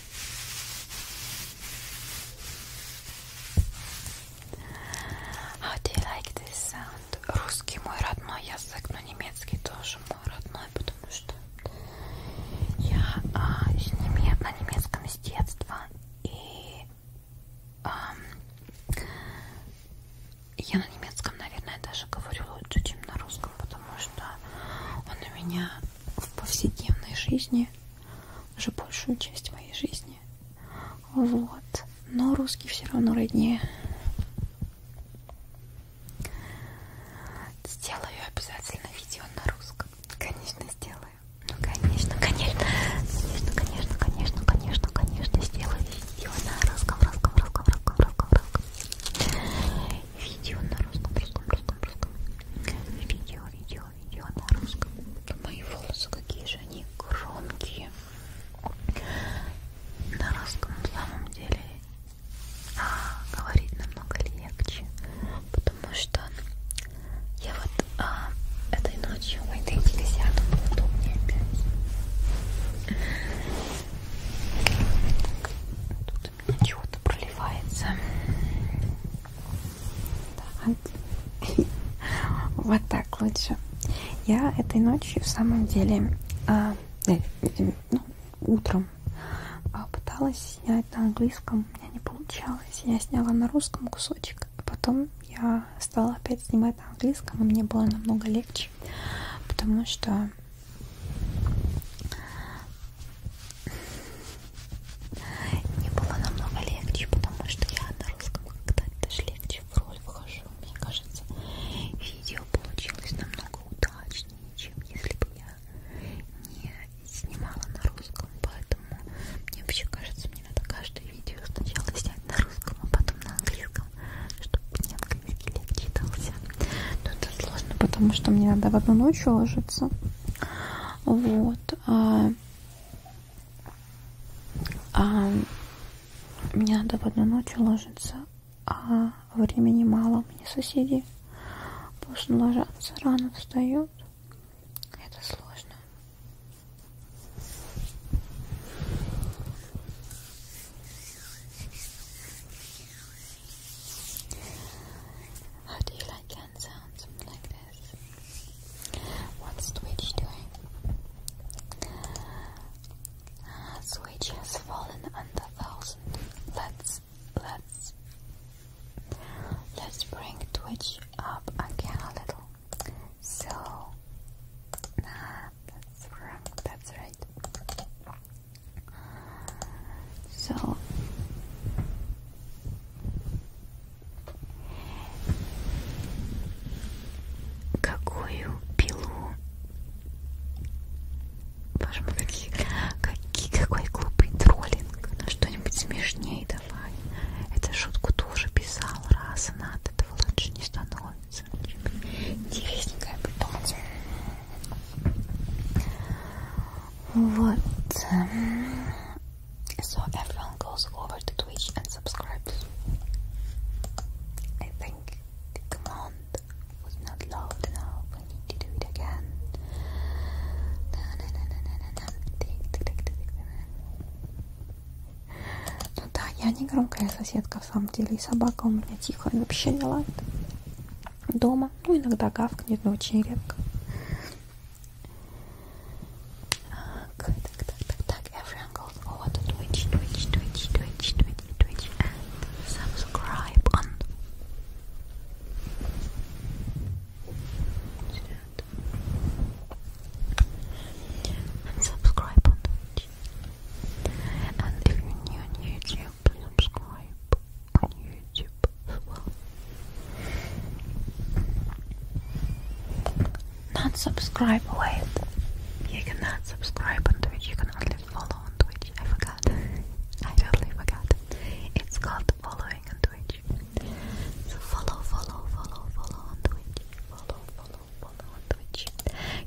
How do you like this sound? Русский мой родной язык, но немецкий тоже мой родной, потому что я а, неме... на немецком с детства и а, я на немецком, наверное, даже говорю лучше, чем на русском, потому что он у меня в повседневной жизни, уже большую часть моей жизни. Вот. Но русский все равно роднее. Сделаю обязательно видео на русском. Конечно, сделаю. Ну, конечно, конечно. Конечно, конечно, конечно, конечно, конечно. Сделаю видео на русском, русском, русском, русском, русском, русском. Видео на русском, русском, русском русском, русском. Видео, видео, видео на русском. Мои волосы какие же они громкие. На русском самом деле а, говорить намного легче, потому что я вот а, этой ночью в этой телесяду удобнее опять. Так, тут у меня чего-то проливается. Так. [laughs] Вот так лучше. Я этой ночью в самом деле, а, э, э, ну, утром а, пыталась снять на английском, у меня не получалось. Я сняла на русском кусочек, а потом я стала опять снимать на английском, и мне было намного легче, потому что мне было намного легче, потому что я на русском когда-то даже легче в роль вхожу. Мне кажется, видео получилось намного удачнее, чем если бы я не снимала на русском. Поэтому мне вообще кажется, мне надо каждое видео сначала снять на русском, а потом на английском, чтобы мне английский легче читался. Но это сложно, потому что мне надо в одну ночь ложиться. Вот. А, а, мне надо в одну ночь ложиться, а времени мало. Мне соседи поздно ложатся, рано встают. Это сложно. How do you like hand sounds like this? What's Twitch doing? Twitch ah, has fallen under thousand. Let's let's let's bring Twitch up again a little. So that's wrong. That's right. So Какую пилу? Боже мой, какие, какие, какой глупый троллинг. Ну что-нибудь смешнее давай. Эту шутку тоже писал раз, она от этого лучше не становится. Интересненькая пытаться. Вот. So everyone goes over to Twitch and subscribes. I think the command was not loud enough. I need to do it again. Ну да, я не громкая соседка в самом деле. И собака у меня тихая, вообще не лает дома. Ну, иногда гавкнет, но очень редко. Okay, tak, tak, tak, Everyone goes oh, over to Twitch, Twitch, Twitch, Twitch, Twitch, Twitch, and subscribe on. And subscribe on And if you're new on YouTube, please subscribe on YouTube as well. Not subscribe, wait. You cannot subscribe on Twitch, you can only follow on Twitch. I forgot. I totally forgot. It's called following on Twitch. So follow, follow, follow, follow on Twitch. Follow, follow, follow on Twitch.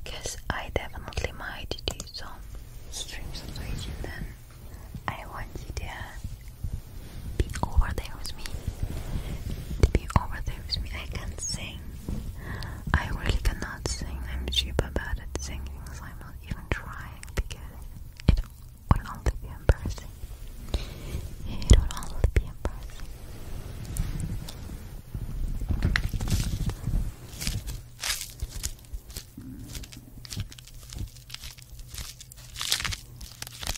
Cause I definitely might do some streams on Twitch then I want you to be over there with me. To be over there with me. I can sing. I really cannot sing. I'm super bad at singing, so I'm not even trying because it would only be embarrassing. It would only be embarrassing.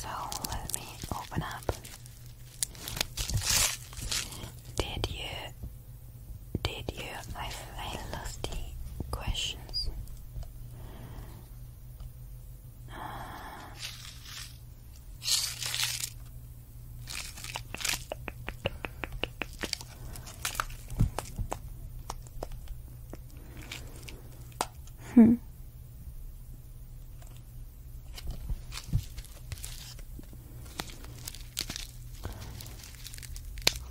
So let me open up. Did you? Did you? I I lost the questions. Uh, Хм.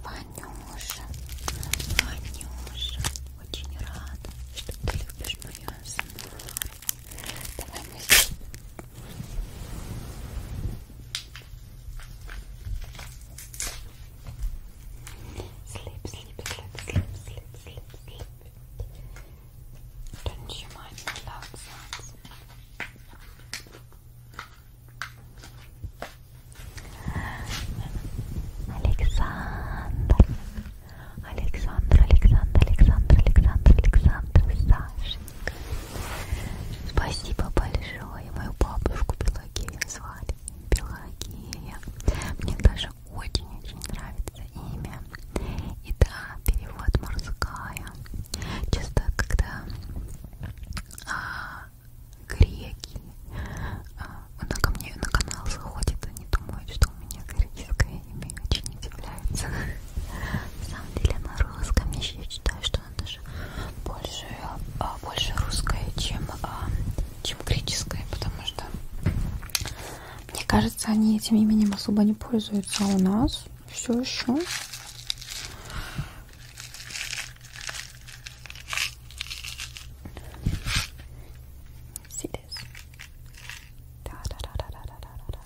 Ванюша, Ванюша, очень рада, что ты любишь мою асмару. Sleep, sleep, sleep, sleep, sleep, sleep, sleep. Don't you mind the loud sounds? Alexander, Александр, Александр, Александр, Александр, Александр, Сашенька. Спасибо большое. Мою бабушку Пелагея звали. Пелагея. Мне даже очень-очень нравится имя. И да, перевод морская. Часто, когда а, греки а, на ко мне на канал заходит, они думают, что у меня греческое имя очень удивляется. На самом деле на русском я считаю, что она даже больше, а, больше русская, чем, а, чем греческая, потому что мне кажется, они этим именем особо не пользуются а у нас. Все еще. Да, да, да, да, да, да, да, да.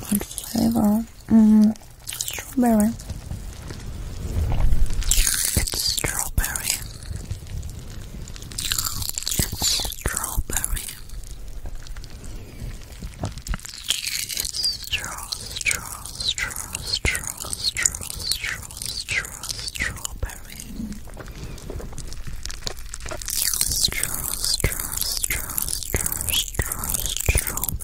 What flavor? Mm, strawberry. It's strawberry. It's strawberry. It's straw, straw, straw, straw, straw, straw, straw, strawberry. Straw, straw, straw, straw, straw, strawberry.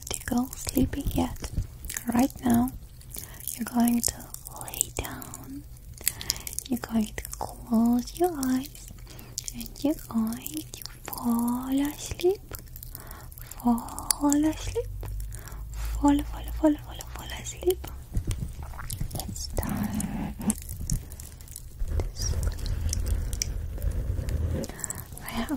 to go sleeping yet. Right now, you're going to lay down. You're going to close your eyes and you're going to fall asleep. Fall asleep. Fall, fall, fall, fall, fall asleep. It's time to sleep. I have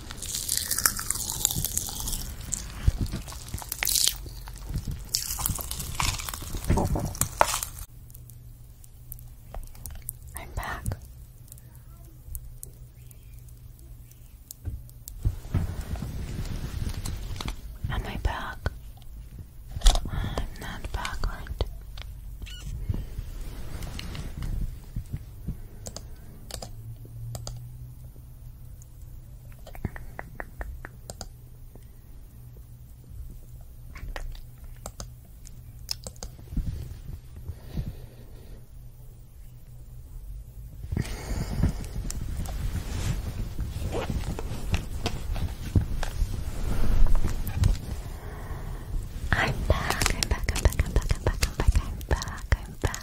I'm back. Am I back? not back, I'm back, I'm back, I'm back, I'm back, I'm back, I'm back, I'm back,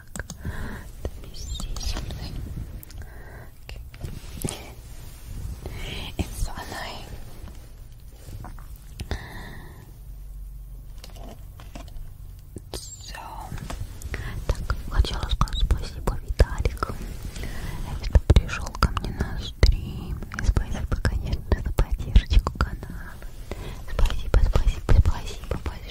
так. This is okay. It's so annoying. So. Так, хотела сказать спасибо Виталик, что пришел ко мне на стрим. И спасибо, конечно, за поддержку канала. Спасибо, спасибо, спасибо, спасибо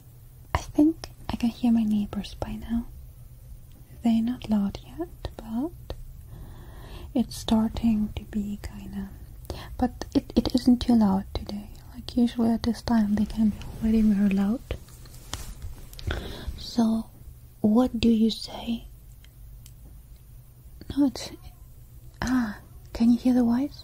I think I can hear my neighbors by now. They're not loud yet, but it's starting to be kinda. But it, it isn't too loud today. Like usually at this time they can be already very loud. So what do you say? No, it's ah. Can you hear the voice?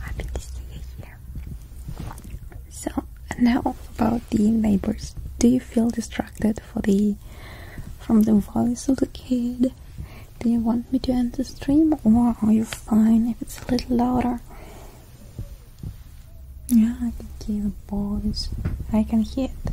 Happy to see you here. So now about the neighbors. Do you feel distracted for the from the voice of the kid? Do you want me to end the stream or are you fine if it's a little louder? Yeah, I can hear the voice. I can hear it.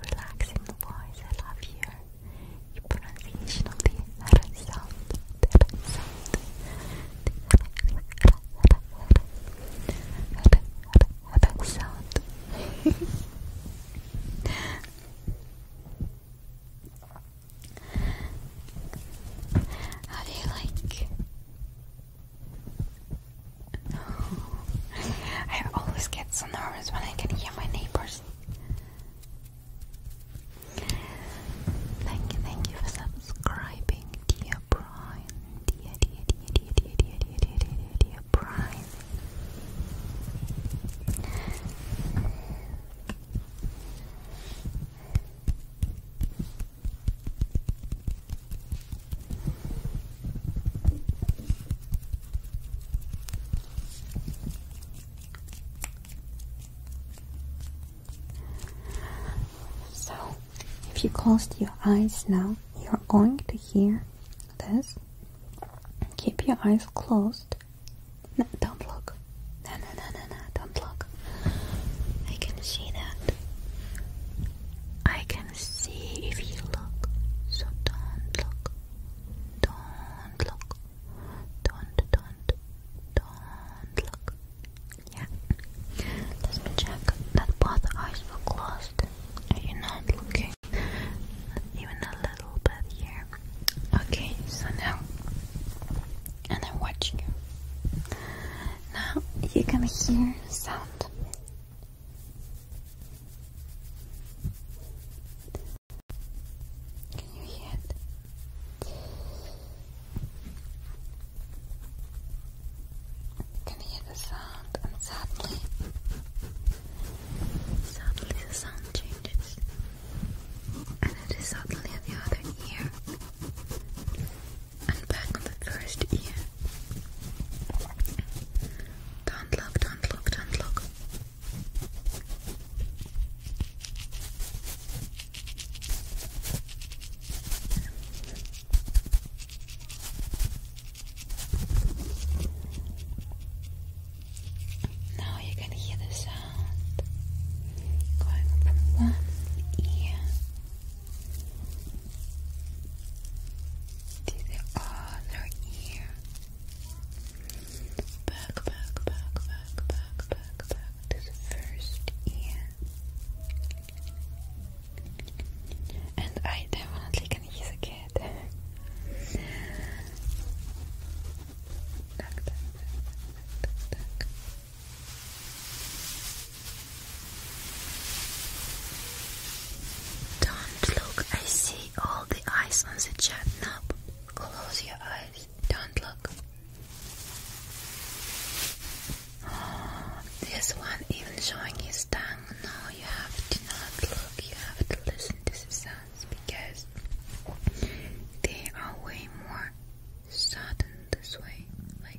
relaxing voice. I love your, your pronunciation of the R sound. The sound. The [laughs] sound. How do you like I always get so nervous when I can hear my neighbors. Thank you, thank you for subscribing, dear Brian. Dear, dear, dear, dear, dear, dear, dear, dear, dear, dear, Brian. So, if you close your eyes now, you're going to hear this. Keep your eyes closed. No, don't look. No, no, no, no, no, don't look. I can see that. I can see if you look, so don't look. Don't look. Don't, don't, don't look. Yeah. Let me check that both eyes were closed. Are you not looking? even a little bit here. Okay, so now. And I'm watching you. Now you can hear sound. Can you hear it? Can you hear the sound? And suddenly, suddenly the sound changes, and it is suddenly at the other ear, and back on the first ear. Don't look, don't look, don't look. Now you can hear the sound going from one ear to the other ear. Back, back, back, back, back, back, back to the first ear. And I definitely can use a cat. Don't look, I see all the ice on the chat knob. Close your eyes. Don't look. [sighs] this one even showing his tongue. No, you have to not look. You have to listen to the sounds because they are way more sudden this way. Like.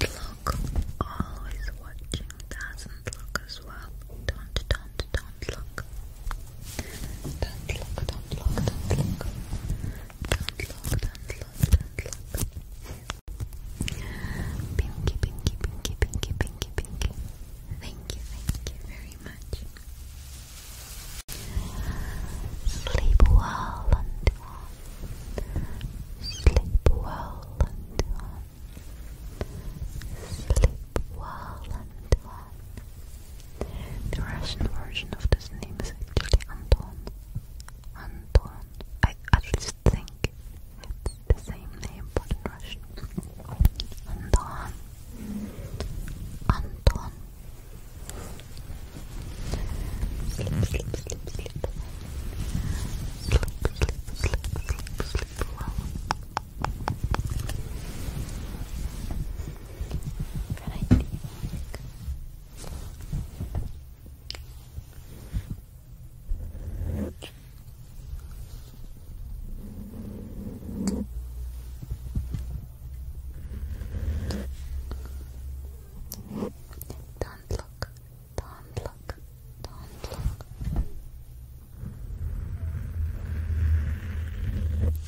Don't look, always watching doesn't look as well. Don't, don't, don't look. Don't look, don't look, do Thank you, thank you very much. Sleep well and on. Sleep well and on. Sleep well and on. The Russian version of this name is actually Anton. Anton. I at least think it's the same name but in Russian. Anton. Anton. Sleep, sleep, sleep, sleep. Sleep, sleep, sleep, sleep, sleep but I don't look, don't look, don't look.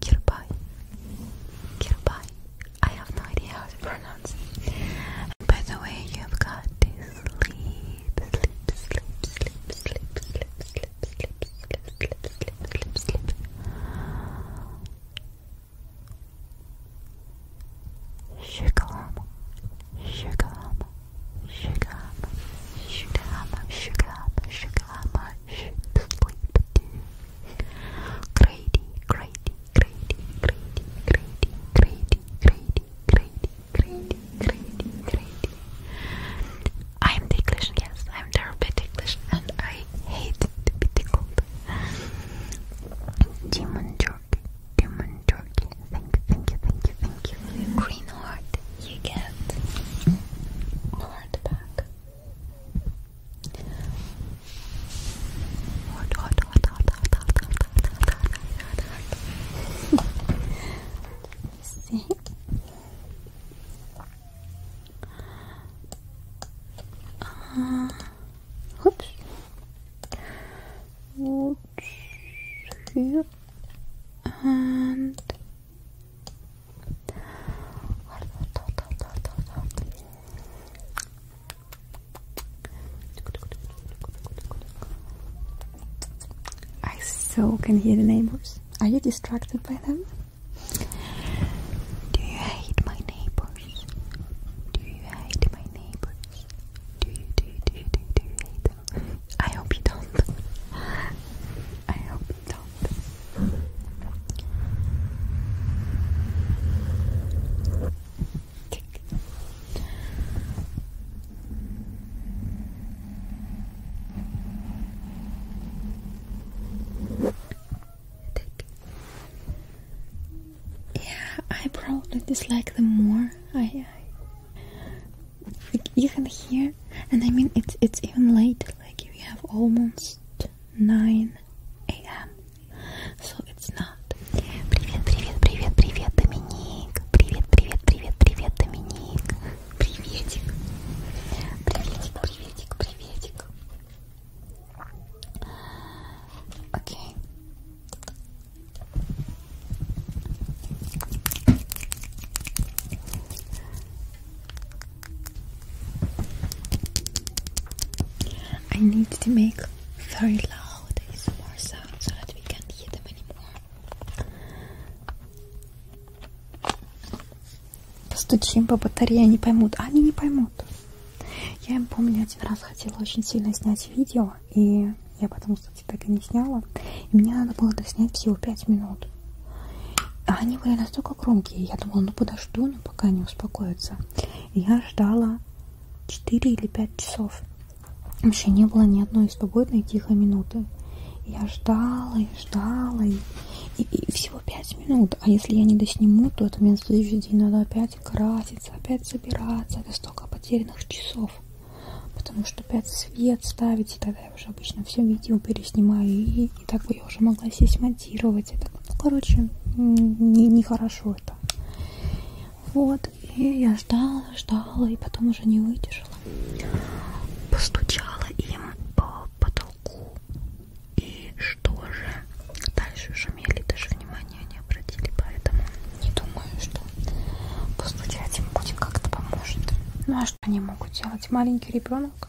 Kirby, Kirby. I have no idea how to pronounce by the way, you've got to sleep, sleep, sleep, sleep, sleep, sleep, sleep, sleep, sleep, sleep, sleep, sleep, sleep. Shugam, shugam, shugam, shugam, shugam, shugam, rush to sleep too. Grady, Grady, Grady, Grady, Grady, Grady, Grady, Grady, Grady, I'm ticklish, yes, I'm terribly ticklish and I hate to be tickled. Demon Jordan, Demon Jordan, thank you, thank you, thank you, thank you. Green heart, you get heart back. Hot, hot, hot, hot, hot, hot, hot, hot, hot, hot, hot, hot. See? Uh, oops. Oops. Here. And I so can hear the neighbors. Are you distracted by them? Do you hate my neighbors? Do you hate my neighbors? Do you do do do do hate them? I hope you don't. [laughs] I hope you don't. Yeah, I probably dislike them more. I, I like you can hear, and I mean it's it's even late. Like you have almost 9 a.m. So it's not. Привет, привет, привет, привет, Доминик. Привет, привет, привет, привет, Доминик. Приветик. Приветик, приветик, приветик. Окей. I need to make very loud ASMR sound so that we can't hear them anymore. Постучим по батарее, они поймут. А они не поймут. Я им помню, один раз хотела очень сильно снять видео, и я потом, кстати, так и не сняла. И мне надо было доснять всего 5 минут минут. А они были настолько громкие. Я думала, ну подожду, но ну, пока не успокоится. Я ждала 4 или 5 часов. Вообще не было ни одной свободной тихой минуты. Я ждала и ждала, и, и, и всего 5 минут. А если я не досниму, то это мне на следующий день надо опять краситься, опять собираться. Это столько потерянных часов. Потому что опять свет ставить, и тогда я уже обычно все видео переснимаю и так бы я уже могла сесть монтировать. Это, ну, короче, нехорошо не это. Вот, и я ждала, ждала, и потом уже не выдержала. Постучала им по потолку. И что же? Дальше шумели, даже внимания не обратили, поэтому не думаю, что постучать им будет как-то поможет. Ну а что они могут делать? Маленький ребенок?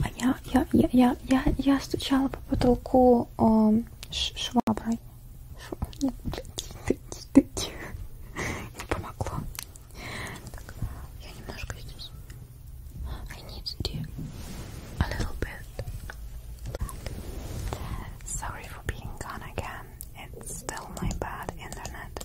А я, я, я, я, я, я стучала по потолку э, шваброй. Шва... Нет, блядь, не помогло. Так, я немножко здесь. I need to a little bit. Sorry for being gone again. It's still my bad internet.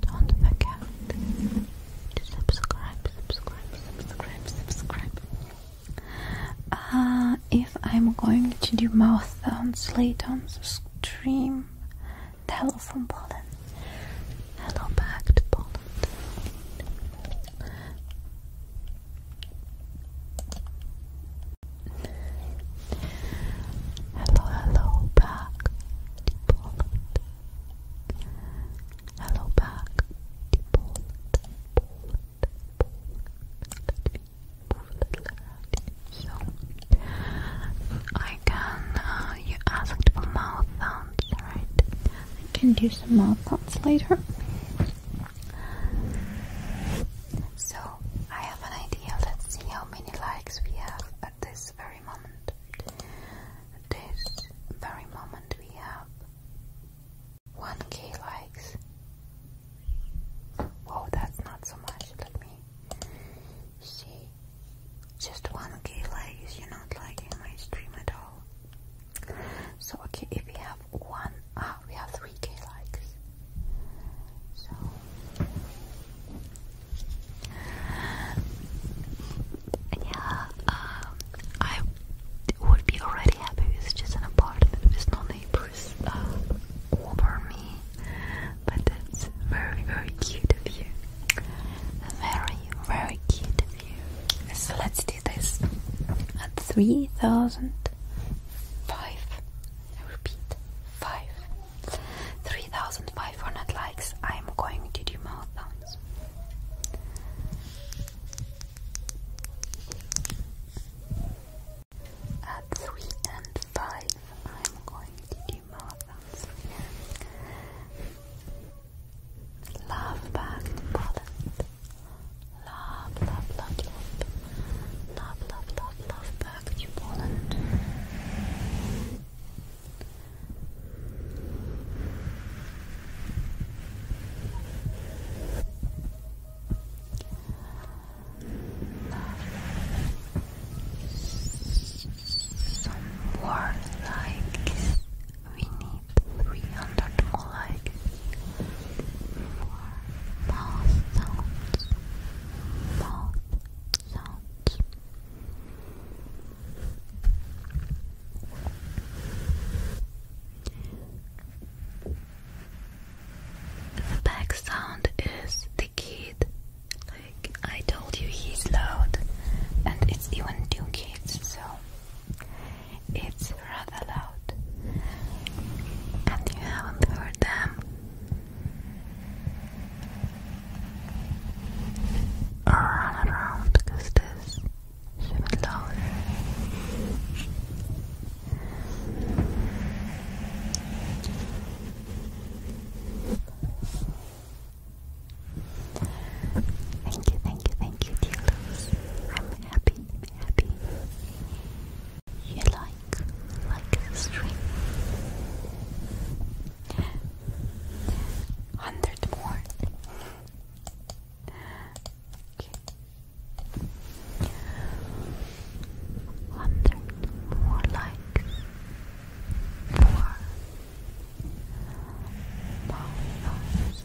Don't forget to subscribe, subscribe, subscribe, subscribe. Uh, if I'm going to do mouth sounds later on the stream, hello from Poland. Hello back to Poland. Hello, hello back Hello back I can, uh, you asked for mouth sounds, right? I can do some mouth sounds later. So, I have an idea. Let's see how many likes we have this very moment. this very moment, we have 1k likes. Wow, that's not so much. Let me see. Just 1k likes, you're not liking my stream at all. So, okay, if we have one, ah, we have 3k likes. So, yeah, um, I would be already happy with just an apartment with no neighbors uh, over me, but that's very, very cute of you. Very, very cute of you. So let's do this at 3005. I repeat, 5. 3,500 likes, I am going to do marathons. At 3 and 5, I'm going to do marathons. Love back Poland. Love, love, love, love. Love, love, love, love back to Poland. Some more likes. 300 more for more sounds, more the background sound is the kid. Like I told you, he's loud, and it's even two kids, so it's rather loud. And you haven't heard them run around because this she would Thank you, thank you, thank you, dear I'm happy, happy. You like, like the Hundred more. Okay. Hundred more likes. Four. Followers.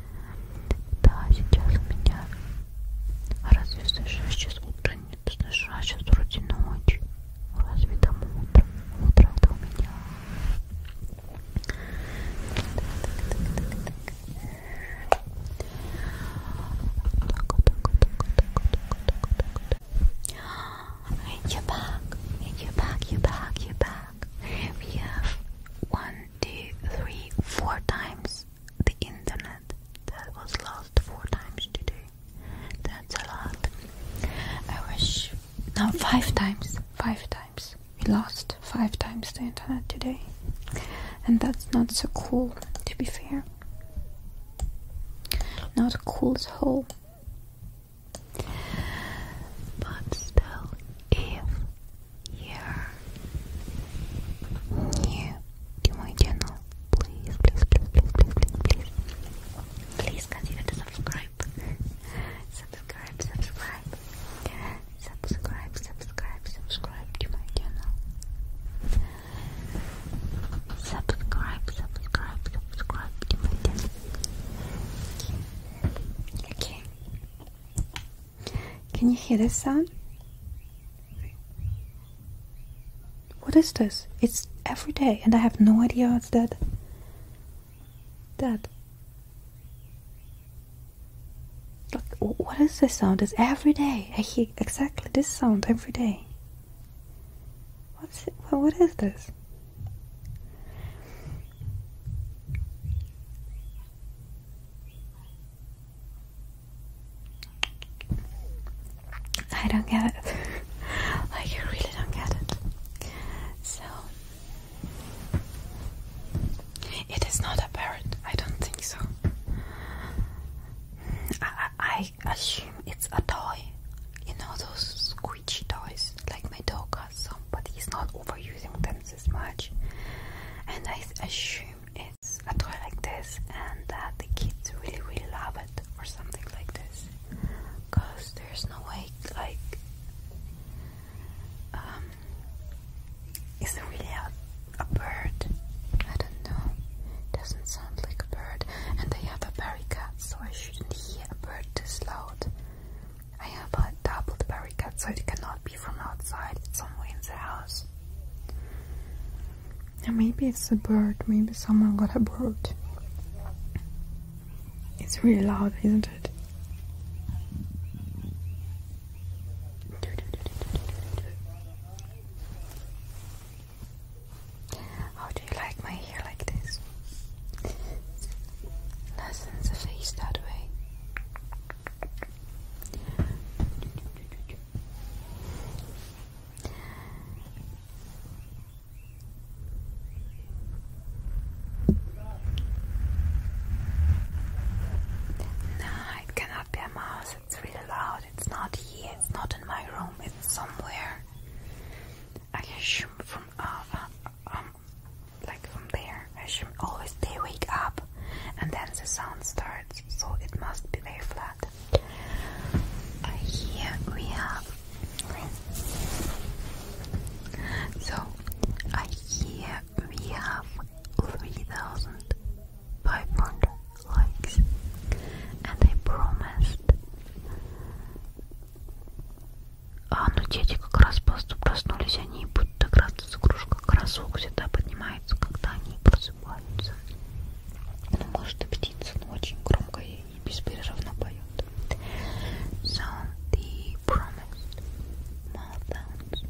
Да, сейчас у меня разве слышишь сейчас утро? Нет, слышишь, а сейчас вроде ночь. Разве там утро? Утро это у меня. You're back, you're back, you're back, you're back. We have one two, three, four times the internet that was lost four times today. That's a lot. I wish now five times. Five times. We lost five times the internet today. And that's not so cool, to be fair. Not cool as whole. But still, if yeah. new to my channel, please, please, please, please, please, please, please, consider to subscribe. subscribe, subscribe, subscribe, subscribe, subscribe to my channel. Subscribe, subscribe, subscribe to my channel. Okay. Can you hear this sound? What is this? It's every day and I have no idea it's that. That. what is this sound? It's every day. I hear exactly this sound every day. What's it? what is this? I don't get it. [laughs] like, I really don't get it. So, it is not a apparent. I don't think so. I, I, assume it's a toy. You know those squishy toys, like my dog has some, but he's not overusing them this much. And I assume a toy like this and that the kids really really love it or something like this because there's no way like um is it really a, a bird? I don't know. doesn't sound like a bird. And they have a cat, so I shouldn't hear a bird this loud. I have a doubled barricade, so it cannot be be from outside, it's somewhere in the house. And maybe it's a bird, maybe someone got a bird. It's really loud, isn't it? How do you like my hair like this? Less the face that way. No, it cannot be a mouse. It's really loud. It's not here. It's not in my room. It's somewhere. I assume from uh, uh um, like from there she always they wake up and then the sound starts, so it must be very flat. here we have so here we have 3,500 likes, and I promised. А, ну дети как раз просто проснулись, они будут играться с игрушкой, как раз звук поднимают. начинается, когда они просыпаются. Ну, может, и птица, но очень громко и беспрерывно поет. So, the promised meltdowns. Thank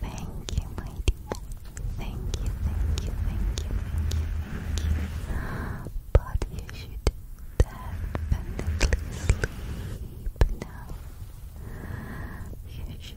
Thank you, my dear. Thank you, thank you, thank you, thank you, thank you. But you should definitely sleep now. You should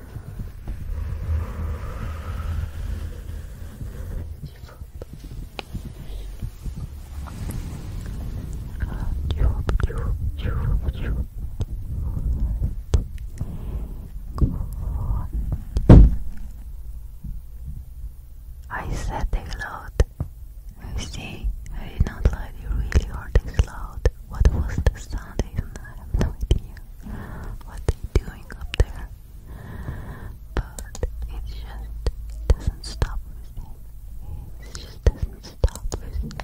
I said it loud. You see, I did not like it really hard it's loud. What was the sound even? I have no idea what they're doing up there. But it just doesn't stop with me. It just doesn't stop with me.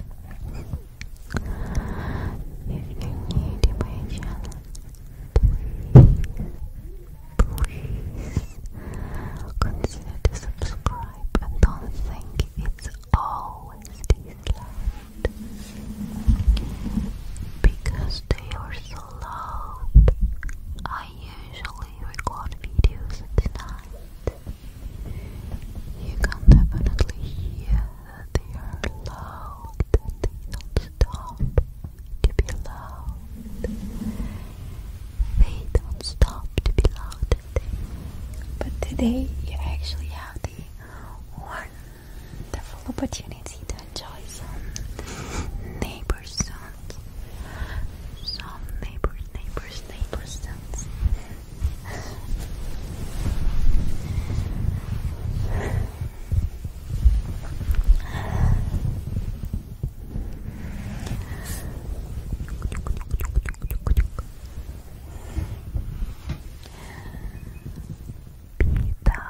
if you're new to please, consider to subscribe. I don't think it's always dislike because they are so loud. I usually record videos at night. You can definitely hear that they are loud they don't stop to be loud. They don't stop to be loud But today you actually have the one the full opportunity to enjoy some neighbor sounds. Some neighbors, neighbors, neighbor sounds beta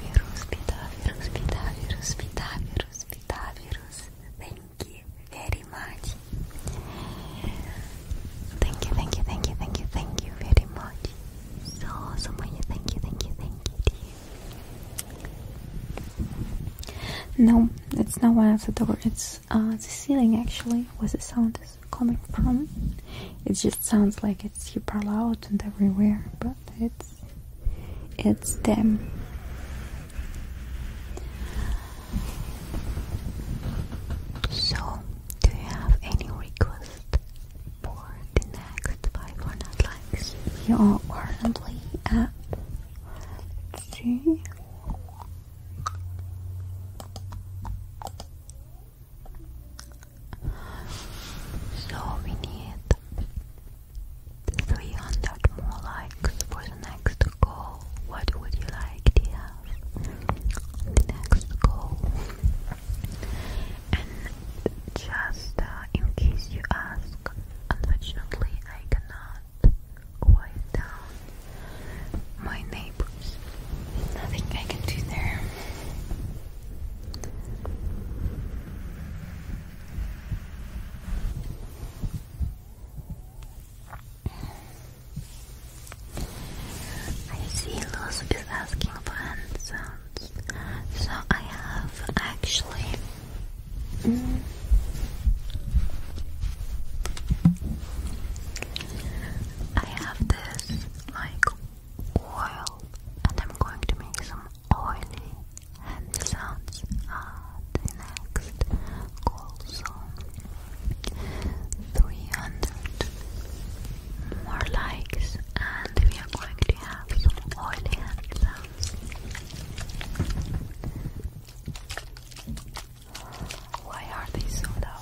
virus beta virus beta virus beta virus beta virus beta virus thank you very much thank you thank you thank you thank you thank you very much so so much thank you thank you thank you dear. no it's not one of the door it's uh, the ceiling actually was the sound is coming from. It just sounds like it's super loud and everywhere, but it's it's them. So, do you have any request for the next five likes? You are currently at let so we 300 more likes for the next goal. What would you like to have? The next goal. And just uh, in case you ask, unfortunately I cannot quiet down my neighbors. Nothing I can do there. I see Luz is asking for sounds, so I have actually. I have this like oil, and I'm going to make some oily hand sounds at ah, the next call. So, 300 more likes, and we are going to have some oily hand sounds. Why are they so loud?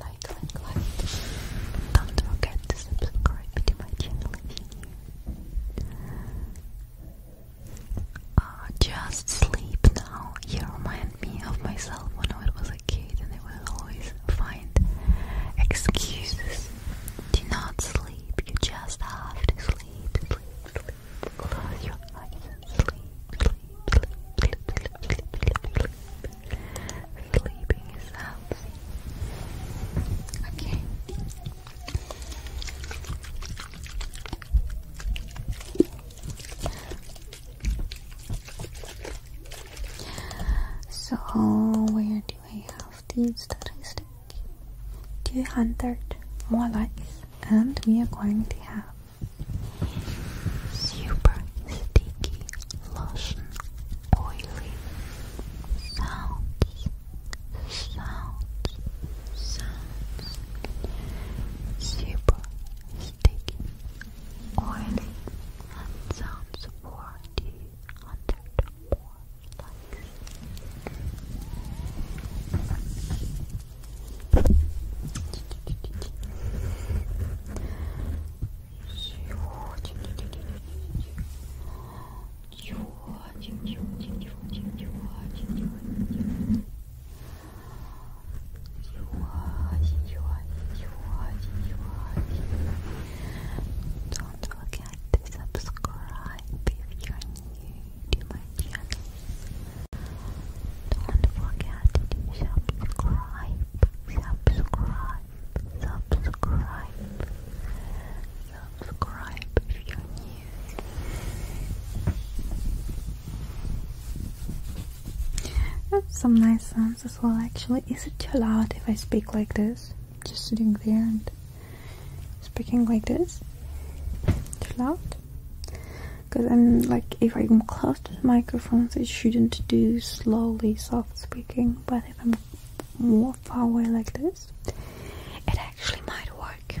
Like, like, like. Don't forget to subscribe to my channel if you ah, just sleep now. you me of myself when I was a kid and I would always find excuses. Do not sleep, you just have to sleep, sleep, sleep. Close your eyes sleep, sleep, sleep. Sleeping is healthy. Okay. So where do I have the statistic? 200 more likes and we are going to have super sticky lotion oily sounds sounds sounds super speaking or sounds for 200 more likes. Thank you Enjoy, enjoy, enjoy, enjoy. Don't forget to subscribe if you're new to my channel. Don't forget to subscribe, subscribe, subscribe, subscribe if you're new. That's some nice sounds as well actually. Is it too loud if I speak like this? Just sitting there and speaking like this? Too loud? Because I'm like, if I'm close to the microphones, it shouldn't do slowly soft speaking, but if I'm more far away like this, it actually might work.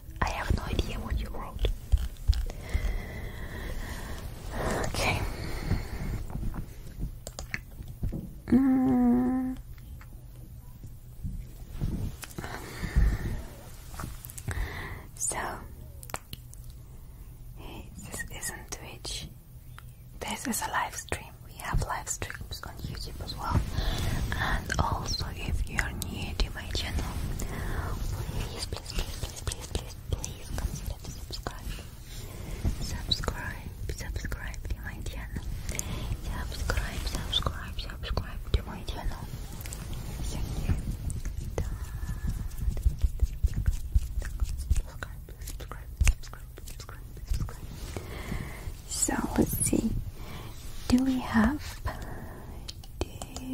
I have no idea what you wrote. Okay. So, this isn't Twitch. This is a live stream. We have live streams on YouTube as well. And also, if you're new my channel. Please, please, please, please, please, please, please consider subscribe. Subscribe, subscribe to my channel. Subscribe, subscribe, subscribe to my channel. Subscribe, subscribe, subscribe, subscribe, subscribe. So let's see. Do we have?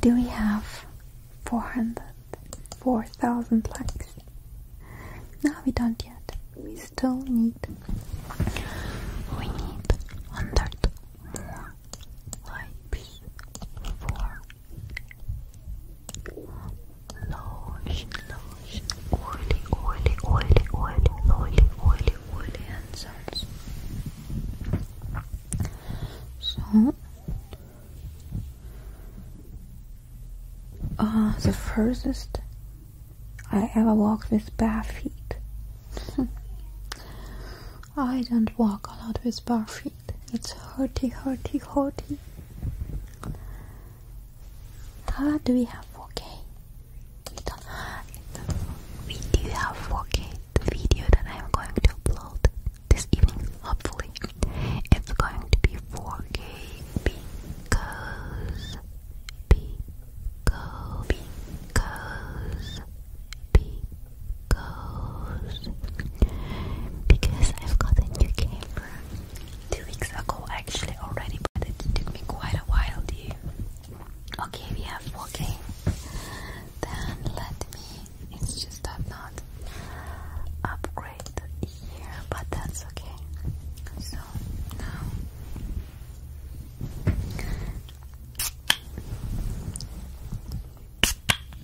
Do we have four hundred four thousand likes? No, we don't yet. We still need we need hundred more likes Lotion, lotion, oily, oily, oily, oily, oily, oily, oily hand sounds. So, uh, the furthest I ever walked with bare feet. [laughs] I don't walk a lot with bare feet. It's hearty, hearty, hearty. Tara, do we have 4K? We do have 4K. video that I'm going to upload this evening, hopefully, it's going to be 4K because, because, because because I've got a new camera two weeks ago actually already but it took me quite a while to okay we have 4k then let me it's just i not upgrade here but that's okay so now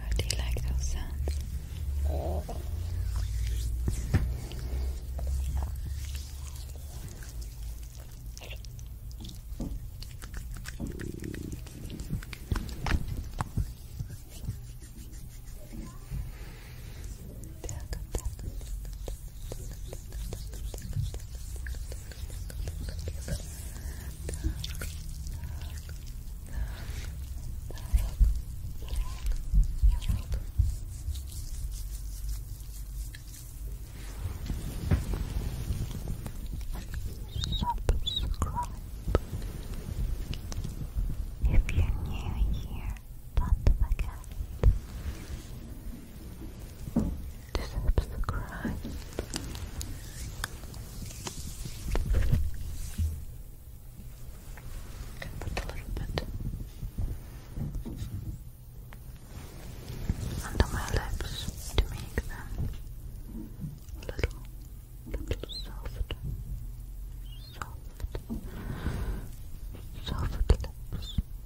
How do you like those sounds? Subscribe. If you're new here, don't to subscribe. Can put a little bit under my lips to make them little, little soft, soft, soft lips.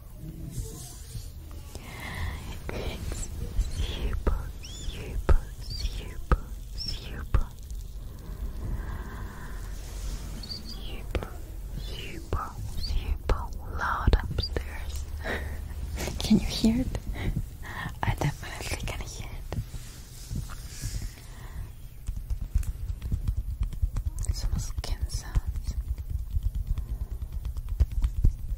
It's super, super, super, super, super, super, super loud upstairs. [laughs] can you hear it? I definitely can hear it. Some skin sounds.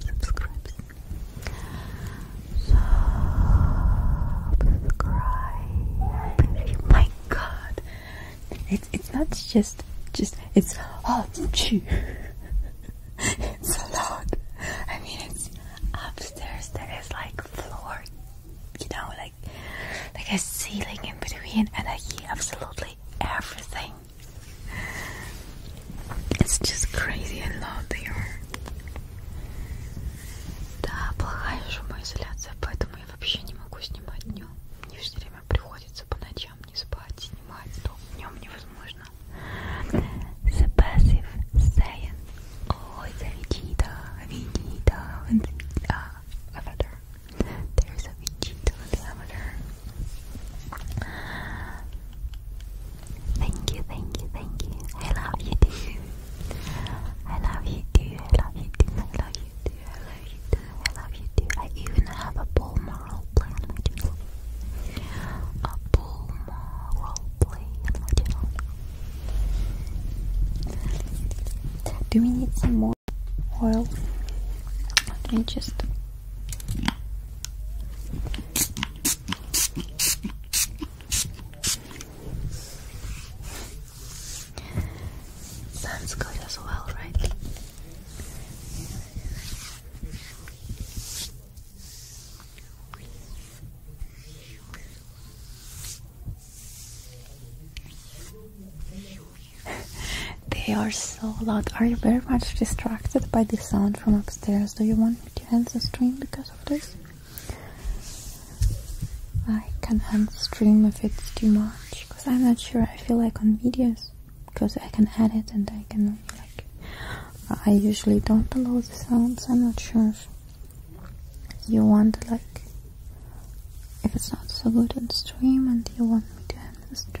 subscribes. Subscribe. Oh my God, it's it's not just just it's oh [laughs] it's a lot. I mean, it's upstairs. There is like floor, you know, like like a ceiling in between, and I hear absolutely everything. It's just crazy how loud they are. Да, плохая шумоизоляция, поэтому я вообще не могу снимать днем. Мне все время приходится по ночам не спать, снимать, то днем невозможно. The passive saying. Ой, Vegeta, Vegeta, Vegeta, Avatar. There's a Vegeta, Avatar. Thank you, thank you, thank you. I love you too. I love you too. I love you too. I love you too. I love you too. I love you too. I even have a ball moral play A ball moral play Do we need some more oil? Let me just that's good as well, right? [laughs] they are so loud. Are you very much distracted by the sound from upstairs? Do you want me to end the stream because of this? I can end the stream if it's too much because I'm not sure. I feel like on videos because I can edit and I can like. I usually don't allow the sounds. I'm not sure if you want like if it's not so good on stream and you want me to end the stream.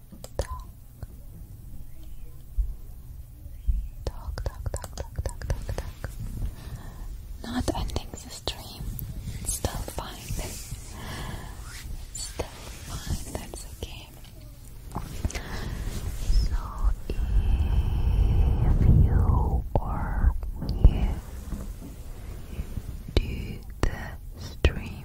Not ending the stream. still fine. still fine. That's okay. So if you or me do the stream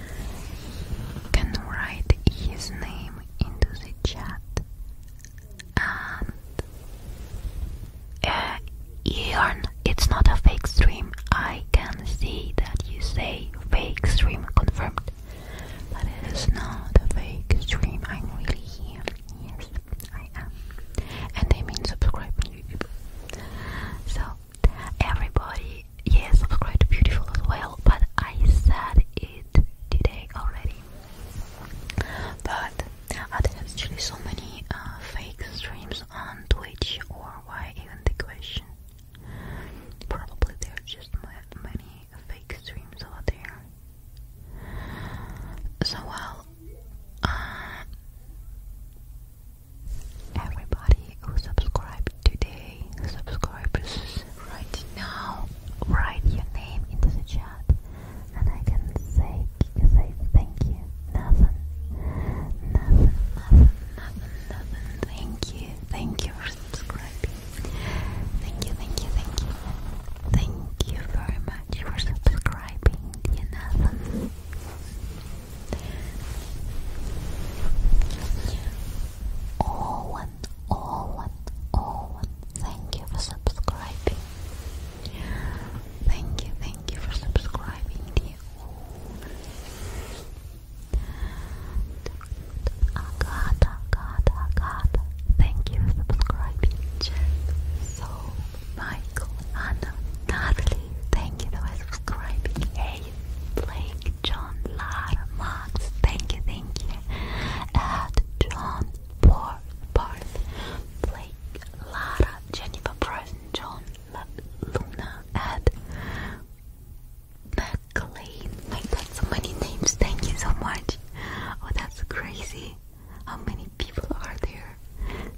can write his name into the chat and uh, it's not a fake stream. I can see that you say fake stream confirmed, but it is not a fake stream. I'm really here. Yes, I am. And I mean subscribe YouTube. So, everybody yes, it's quite beautiful as well, but I said it today already. But uh, there are actually so many uh, fake streams on Twitch, or why even the question? Probably there are just many fake streams out there. So, well, uh, everybody who subscribes today, subscribers, right now, write your name into the chat, and I can say, say thank you. Nothing, nothing, nothing, nothing, nothing. Thank you, thank you for subscribing. Thank you, thank you, thank you, thank you very much for subscribing. nothing. Oh, Owen, Owen, Owen, thank you for subscribing. Thank you, thank you for subscribing, dear. Agata, Agata, Agata, thank you for subscribing. so, Michael, Anna, Natalie, thank you for subscribing. Hey, Blake, John, Lara, Max, thank you, thank you. Ed, John, Paul, Barth, Blake, Lara, Jennifer, Bryson, John, Luna, Ed, McLean. so many names, thank you so much. Oh, that's crazy. How many people are there?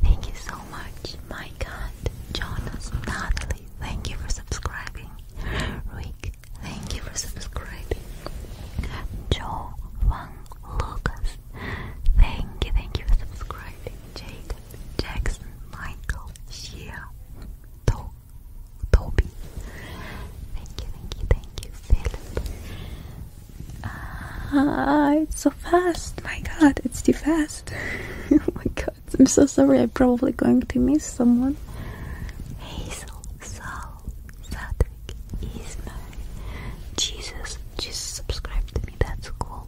Thank you so much. My God, Jonas, Natalie, thank you for subscribing. Rick, Thank you for subscribing. Joe Van Lucas. Thank you, thank you for subscribing. Jacob Jackson, Michael, Shia, to Toby. Thank you, thank you, thank you, Philip. Ah, it's so fast. My God, it's too fast. [laughs] oh my God, I'm so sorry. I'm probably going to miss someone channel. Sal, Sadrik, Jesus, Jesus subscribed to me, that's cool.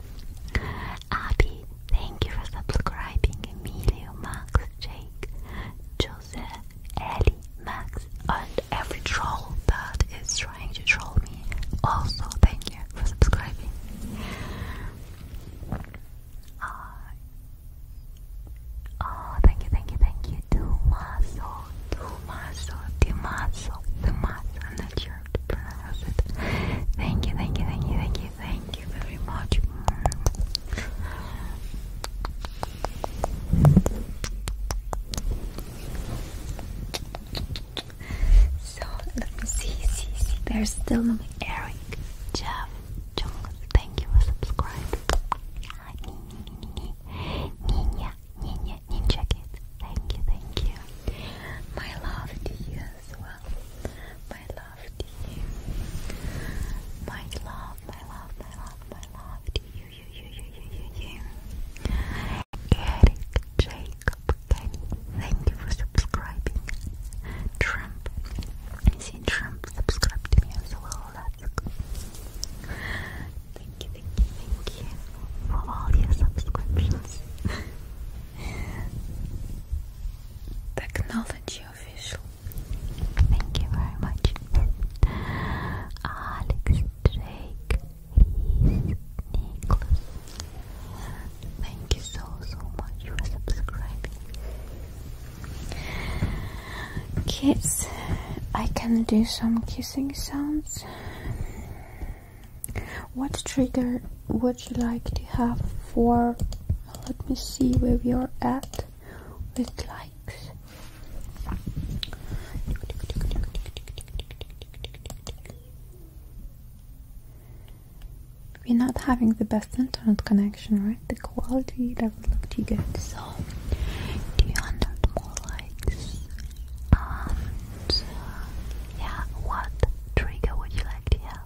Abby, thank you for subscribing. Emilio, Max, Jake, Jose, Ellie, Max, and every troll that is trying to troll me. Also, thank you for subscribing. R. Oh, thank you, thank you, thank you. Tomaso, Tomaso, Tomaso, Tomaso. I'm not sure to pronounce it. Thank you, thank you, thank you, thank you, thank you very much. So let me see, see, see. There's still no Eric, Jeff, thank you for subscribing. Ninja, Ninja, Ninja Kid, thank you, thank you. My love to you as well. My love to you. My love, my love, my love, my love to you, you, you, you, you, you, you. Eric Jacob thank you for subscribing. Trump, see Trump subscribe to me as well. Thank you, thank you, thank you for all your subscriptions. [laughs] Technology official. Thank you very much. Alex Drake Nicholas. Thank you so so much for subscribing. Kids, I can do some kissing sounds. What trigger would you like to have for? Let me see where we are at with likes. We're not having the best internet connection, right? the quality that not look too good. So, do you want more likes? Um, yeah, what trigger would you like to have?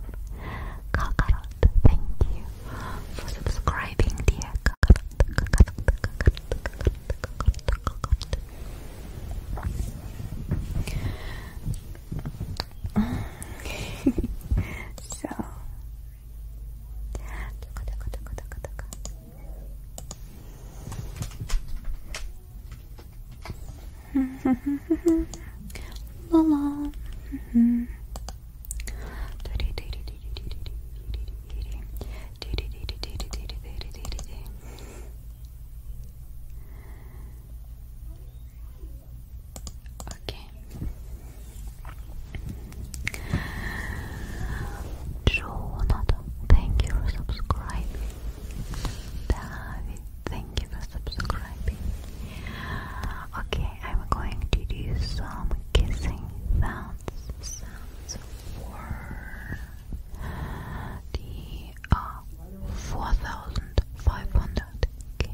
Kakarot, thank you for subscribing, dear Kakarot. [laughs] so, La la. [laughs] Okay, Jonathan, thank you for subscribing. David, thank you for subscribing. Okay, I'm going to do some kissing sounds. for the uh, 4,500. Okay,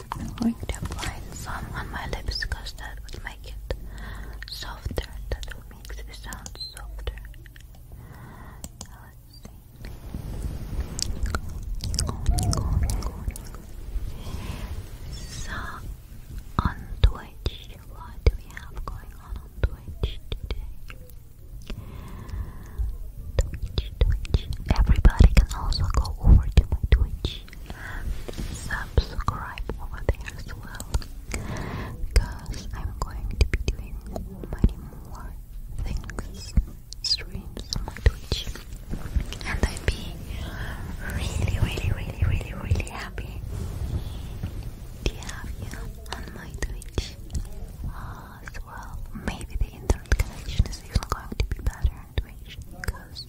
I'm going to apply some on my lips because that would make it softer and that will make the sound softer. So, on Twitch, what do we have going on on Twitch today? Twitch, Twitch. Everybody can also go over to my Twitch subscribe over there as well because I'm going to be doing many more things, streams on my Twitch and I'd be really, really, really, really, really happy to have you on my Twitch as well. Maybe the internet connection is even going to be better on Twitch because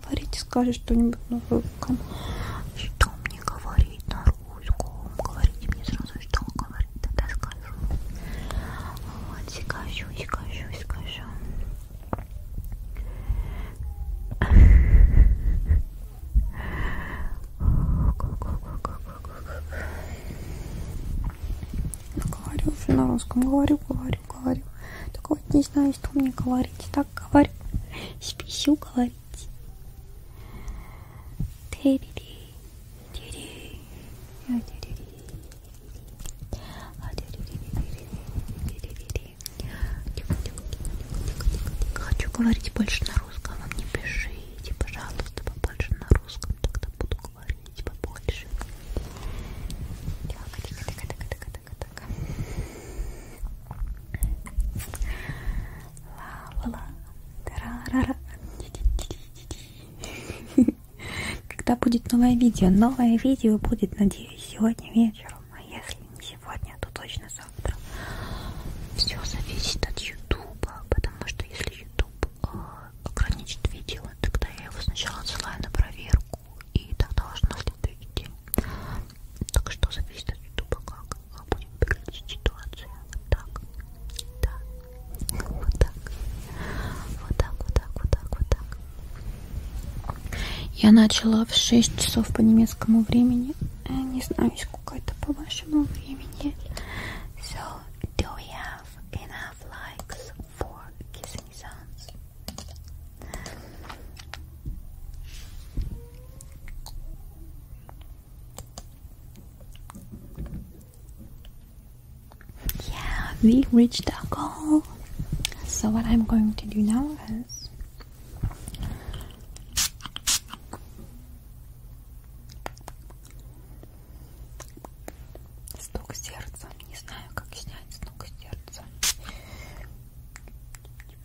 говорить и скажет что-нибудь на русском. Что мне говорить на русском? Говорите мне сразу, что говорить, тогда скажу. Вот, скажу, скажу, скажу. Говорю уже на русском, говорю, говорю, говорю. Только вот не знаю знаю, что мне говорить. Так говорю. Спесю говорить. А Хочу говорить больше на русском, а мне пишите, пожалуйста, побольше на русском, тогда буду говорить побольше так, так. Ла-ла-ла. Тарарара. Когда будет новое видео? Новое видео будет, надеюсь, сегодня вечером. А если не сегодня, то точно завтра. Все зависит от Ютуба, потому что если Ютуб э, ограничит видео, тогда я его сначала отсылаю на проверку и тогда уже на следующий день. Так что зависит от ютуба, как будет выглядеть ситуация. Вот так. Да. Вот так. Вот так, вот так, вот так, вот так. Я начала в 6 часов по немецкому времени. Э, не знаю, сколько это по вашему времени. So, do we have enough likes for kissing sounds? Yeah, we reached our goal. So, what I'm going to do now is стук сердца. Не знаю, как снять стук сердца.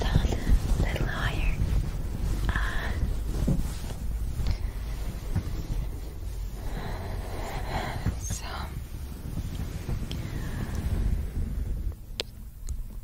Down a little higher. Ah. So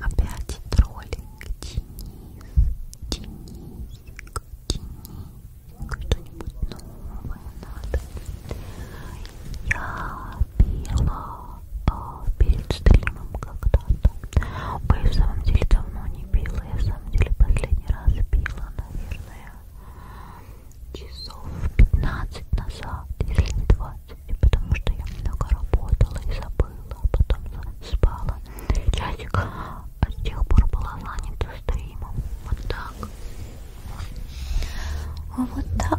Опять троллинг, Денис, Денисик, Денисик, что-нибудь новое надо. Я пила а, перед стримом когда-то. Ой, в самом деле давно не пила, я в самом деле последний раз пила было, наверное, часов 15 назад, если не 20, потому что я много работала и забыла, а потом спала. Часик а с тех пор была занята стримом. Вот так. А вот так.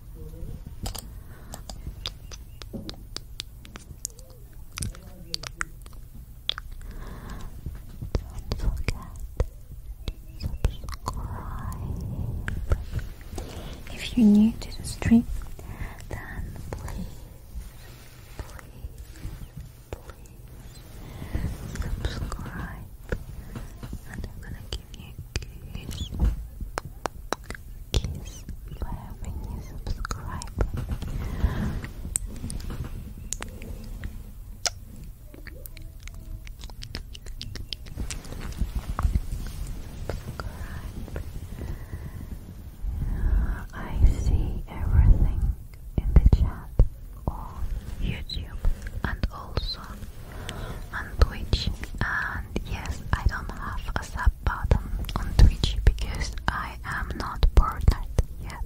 subscribe. If you're new to the stream, then please, please, please subscribe. And I'm gonna give you a kiss kiss for every new subscriber. I see everything in the chat on YouTube and also on Twitch. And yes, I don't have a sub sub on Twitch because I am not partnered yet.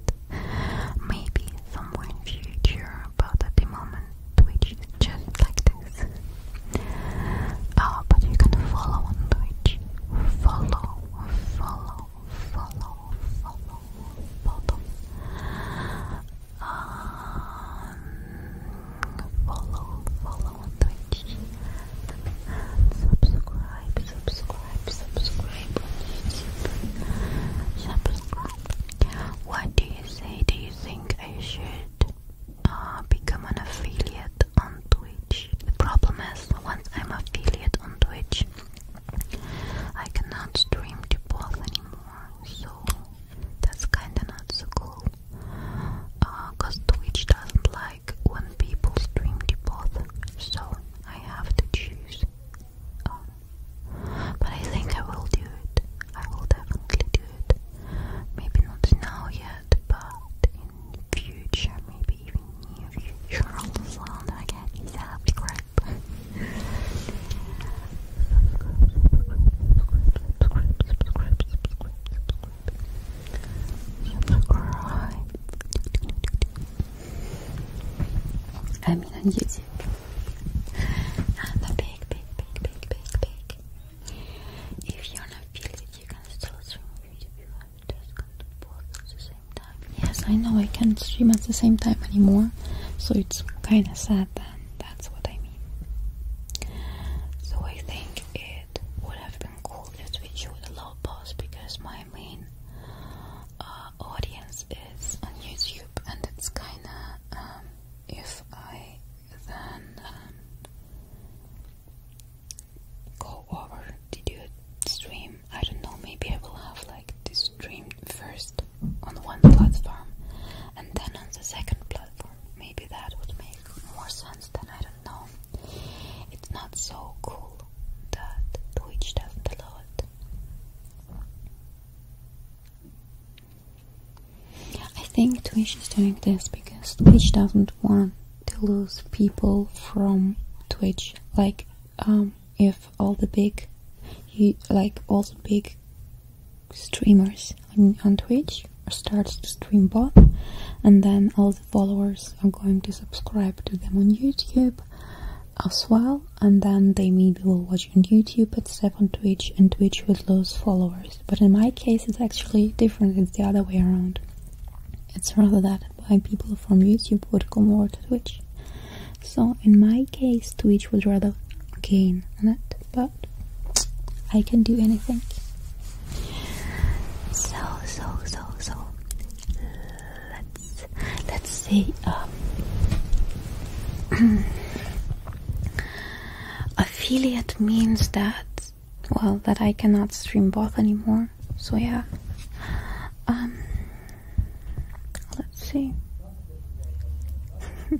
Maybe somewhere in future, but at the moment Twitch just like this. Uh, but you can follow on Twitch. Follow, follow, follow, follow, follow. Um, follow, follow on Twitch subscribe, subscribe, subscribe subscribe what do you say, do you think I should uh, become an affiliate on Twitch? The problem is, once I'm affiliate on Twitch I cannot stream to both anymore, so that's kinda not so cool because Twitch doesn't like when people stream both, so I have to choose. but I think I will do it. I will definitely do it. Maybe not now yet, but in future, maybe even near future. Also, I can subscribe. subscribe, I mean on YouTube. I'm a big, big, big, big, big, big. If you're not feeling it, you can still stream YouTube. You have just got to both at the same time. Yes, I know I can't stream at the same time anymore, so it's kind of sad. that that's what I mean. So I think it would have been cool if Twitch would allow pause because my main uh, audience is on YouTube and it's kinda um, if I then um, go over to do a stream, I don't know, maybe I will have like this stream first on one platform and then on the second platform Maybe that would make more sense than I don't know. It's not so cool that Twitch doesn't allow I think Twitch is doing this because Twitch doesn't want to lose people from Twitch. Like, um, if all the big, like all the big streamers on Twitch starts to stream both and then all the followers are going to subscribe to them on YouTube as well and then they maybe will watch on YouTube but instead on Twitch and Twitch will lose followers. But in my case it's actually different, it's the other way around. It's rather that why people from YouTube would come over to Twitch. So in my case Twitch would rather gain on it, but I can do anything. So so so so let's let's see um, [clears throat] affiliate means that well that I cannot stream both anymore. So yeah. Um, let's see. [laughs]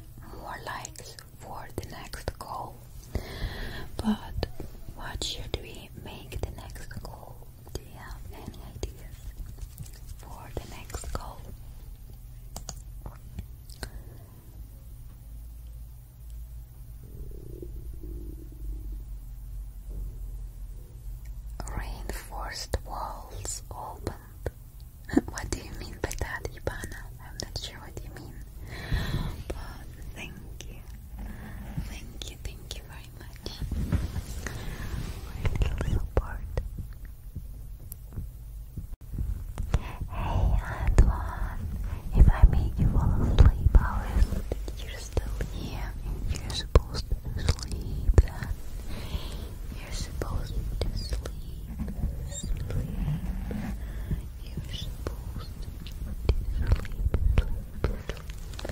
more likes for the next goal. But what should we make the next goal? Do you have any ideas for the next goal? Reinforced walls opened. [laughs] what do you mean by that, Ivana? I'm not sure what you mean. But thank you. Thank you, thank you very much for your support. Hey Antoine, if I make you fall asleep, how is you're still here? you're supposed to sleep, you're supposed to sleep sleep. You're supposed to sleep, Oops. Sleep, sleep,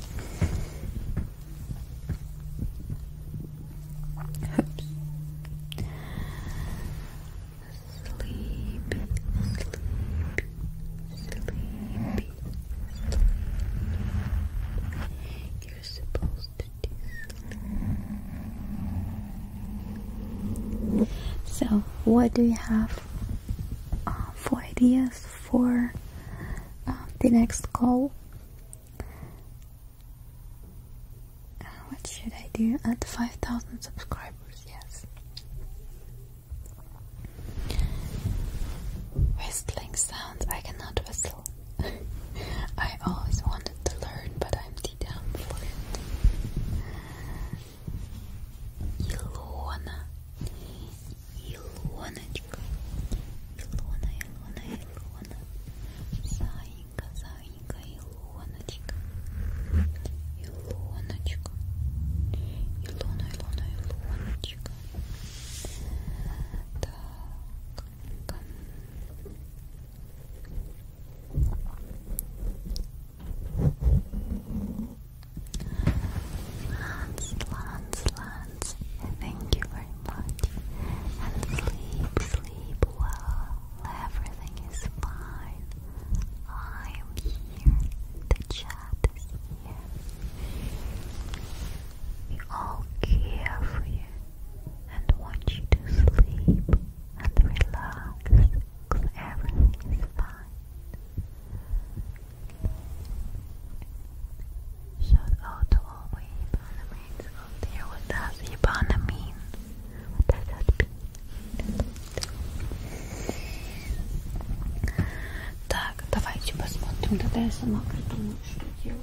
sleep, You're supposed so, what do you have uh, for ideas for uh, the next call? what should I do at 5,000 subscribers? Yes. Whistling sounds. I cannot whistle. [laughs] I always wanted to learn, but I'm too dumb for it. Ilona, Ilonachka, Ilona, Ilona, Ilona, Zainka, Zainka, Ilonachka, Ilonachka, Ilona, Ilona, Ilonachka. Так, Lance, Lance, Lance, thank you very much. And sleep, sleep well. Everything is fine. I am here. The chat is here. We all care for you and want you to sleep and relax everything is fine. Shout out all my Ibanamites out there. What does Ibana mean? What does that mean? Так, давайте посмотрим, тогда я сама придумаю, что делать.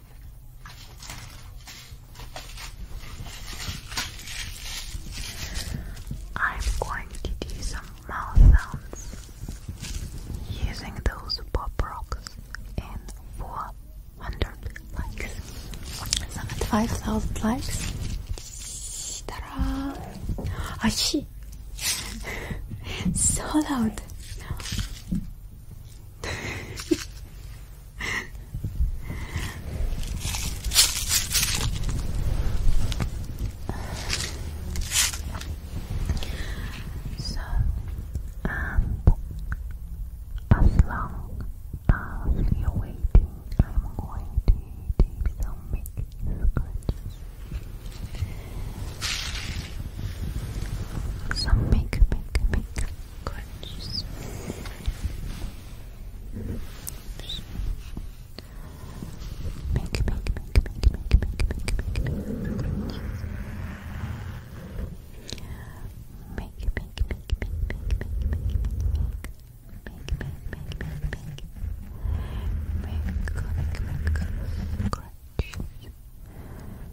I'm going to do some mouth sounds using those pop rocks in 400 likes. Some at 5000 likes. Ta-da! [laughs] so loud! so, um, as long as you waiting, I'm going to take some making scratches. Some make, make, make. Crunches. Make, make, make, make, make, make, make, make, crunches. Make, make, make, make, make, make, make, make. Make, make, make, make, make. Make, make, make, make, crunches. Make,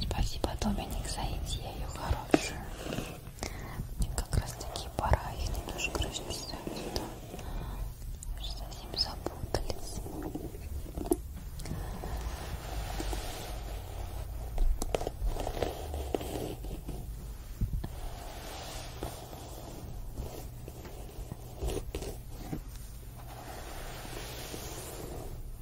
Спасибо, Доминик, за идею хорошую. Мне как раз таки пора, их не тоже короче ставить сюда. Совсем запутались. Ой,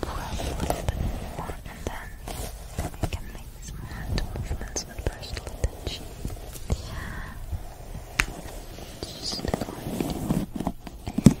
Brush a little bit more, and then we these more movements with personal attention. Just going to Just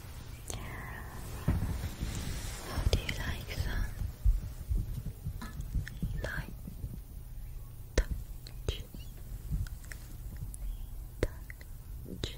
How do you like that? Light touch, touch, touch myself and you.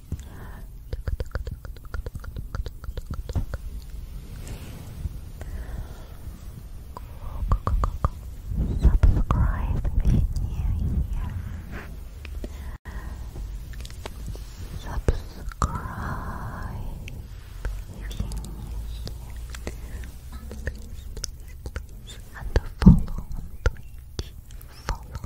Subscribe if you're new Subscribe if you're new Please, please, And follow on Follow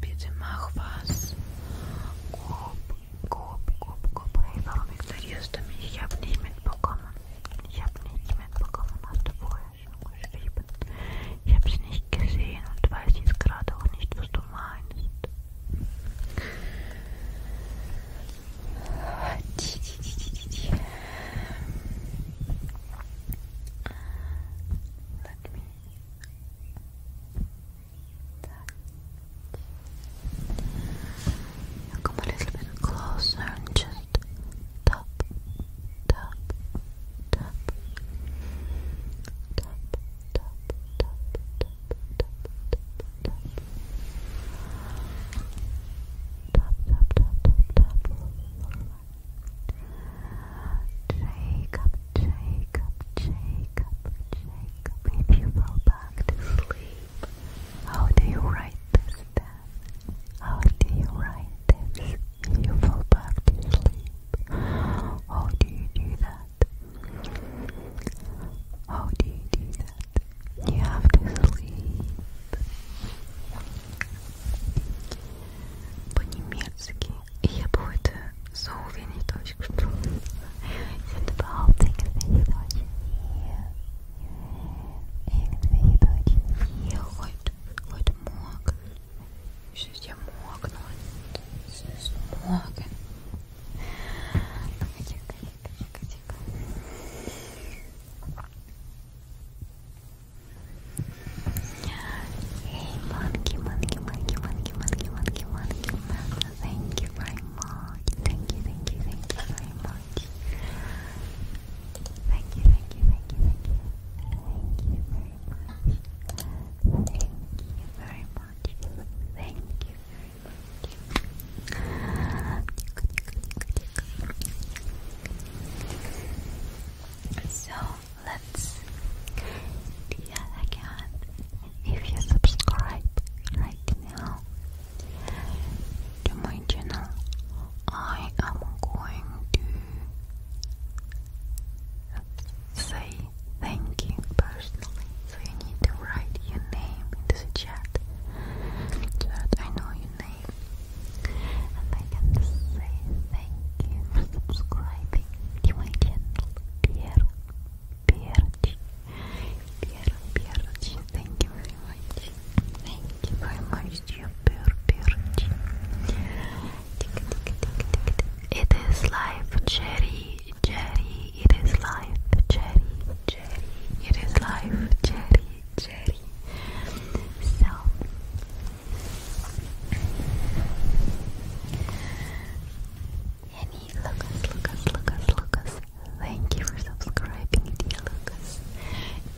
Bitte mach was. Gup, gup, gup, gup. Hey, warum ignorierst du mich? Ich habe nicht mitbekommen. Ich habe nicht mitbekommen, hast du vorher schon geschrieben. Ich habe es nicht gesehen und weiß jetzt gerade auch nicht, was du meinst. Let come a little bit closer and just tap, tap, tap, tap, tap, tap, tap. Jacob, Jacob, Jacob, Jacob. If you go back to sleep, how do you write this How do you write this? If you fall back to sleep, how do you do that? How do you do that? that you have to sleep. По-немецки. Ich habe heute so wenig Deutsch gesprochen. Ich finde überhaupt irgendwelche Deutschen hier. Irgendwelche Deutschen hier heute, heute Hey, monkey, monkey, monkey, monkey, monkey, monkey, monkey, monkey. Thank you very much. Thank you, thank you, thank you very much. Thank you, thank you, thank you, thank you. Thank you very much. Thank you very much. Thank you so let's again. If you subscribe right now to my channel, I am going to say thank you personally. So you need to write your name in the that I know your name and I can say thank you for subscribing to my channel Pierre Pierre Pierre Pierre thank you very much thank you very much dear Pierre Pierre It is life Jerry Jerry it is life Jerry Jerry. It is life, Jerry, Jerry. So Any Lucas, Lucas, Lucas, Lucas. Thank you for subscribing, dear Lucas.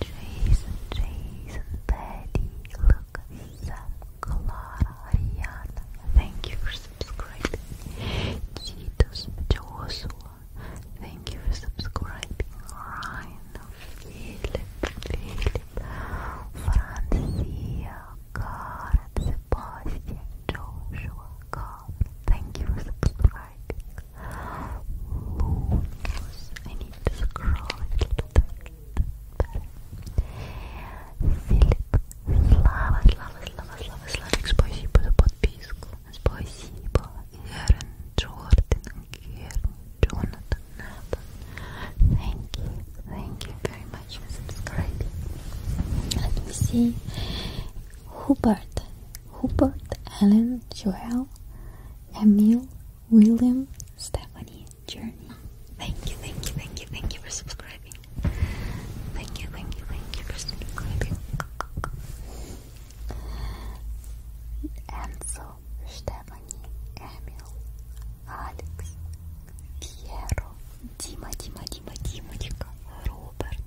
Jason, Jason, Betty, Lucas, Clara, Ariana. Thank you for subscribing. Cheetos, Joshua, Thank you for subscribing, Ryan, Philip, Philip, Francia, Karen, Joshua, God. Thank you for subscribing. I need to scroll a little bit. Филипп, слава, слава, слава, слава, слава, спасибо за подписку. Thank you, thank you very much for Let me see. Hubert, Hubert, Ellen, Joel, Emil, William, Stephanie, Journey. Thank you, thank you, thank you, thank you for subscribing. Thank you, thank you, thank you for subscribing. Enzo, Stephanie, Emil, Алекс, Пьеро, Дима, Дима, Дима, Димочка, Роберт,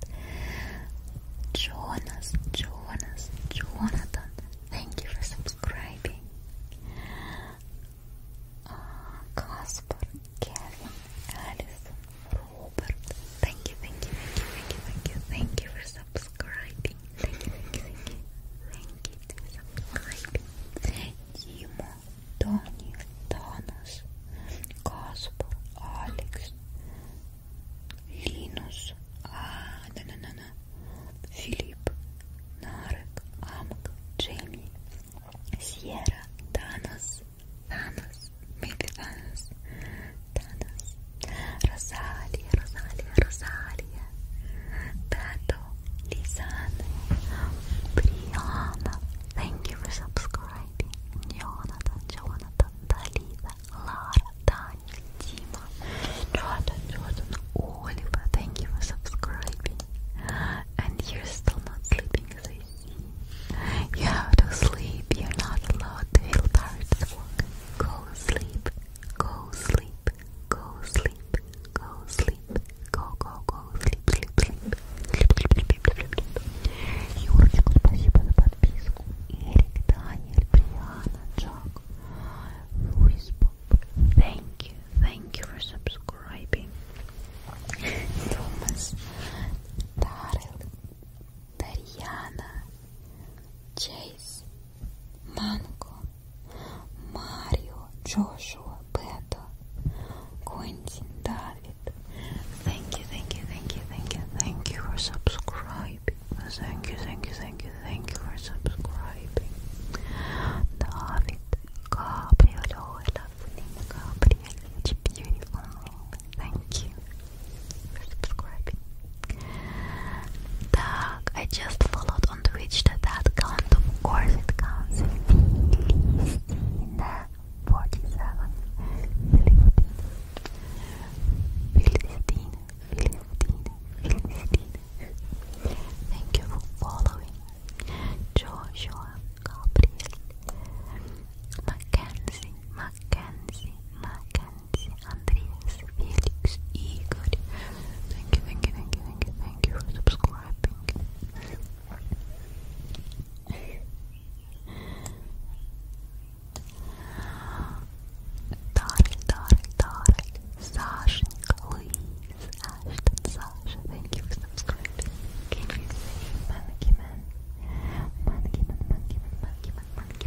Джонас, Джонас, Джонатан. Thank you for subscribing. Каспар, Кевин, Алисон, Robert. Thank you, thank you, thank you, thank you, thank you, thank you for subscribing. Thank you, thank you, thank you, thank you for subscribing. Daniel, Thanos, Gaspar, Alex, Linus, ah, no, no, no, no, Philip, Narek, Amk, Jamie, Sierra, Thanos, Thanos, maybe Thanos, Rosalia, Rosalia, Rosalia, Beto, Lisanne, Brianna, thank you for subscribing, Jonathan, Jonathan, Dalida, Lara, Dani, Dima, Jordan, Jordan, Oliver, thank you for subscribing, and you're still not sleeping as You have to sleep, you're not allowed to feel tired at sleep, go sleep, go sleep, go sleep, go go go sleep, sleep, sleep, sleep, sleep, sleep, sleep. Юрочку, спасибо за подписку. Эрик, Даниэль, Бриана, Джак, Луис, Thank you, thank you for subscribing. Thomas, Darrell, Дарьяна, Chase, Манго, Mario, Joshua, Бето, Quentin, David. Thank you, thank you, thank you, thank you, thank you for subscribing. Thank you, thank you, thank you, thank you for subscribing. David, Gabriel, Gabriel, beautiful Thank you. I just followed on Twitch. Does that count? Of course it counts. Filisteina 47. Filisteina. Filisteina. Filisteina. Thank you for following. Joshua Gabriel. Mackenzie. Mackenzie. Mackenzie. Nancy, Felix, Igor. Thank you, thank you, thank you, thank you, thank you for subscribing. Dark, dark, dark. Сашенька, Луис, Аштон, Саша. Thank you for subscribing. Can you see Monkeyman? Monkeyman, Monkeyman, Monkeyman, Monkeyman.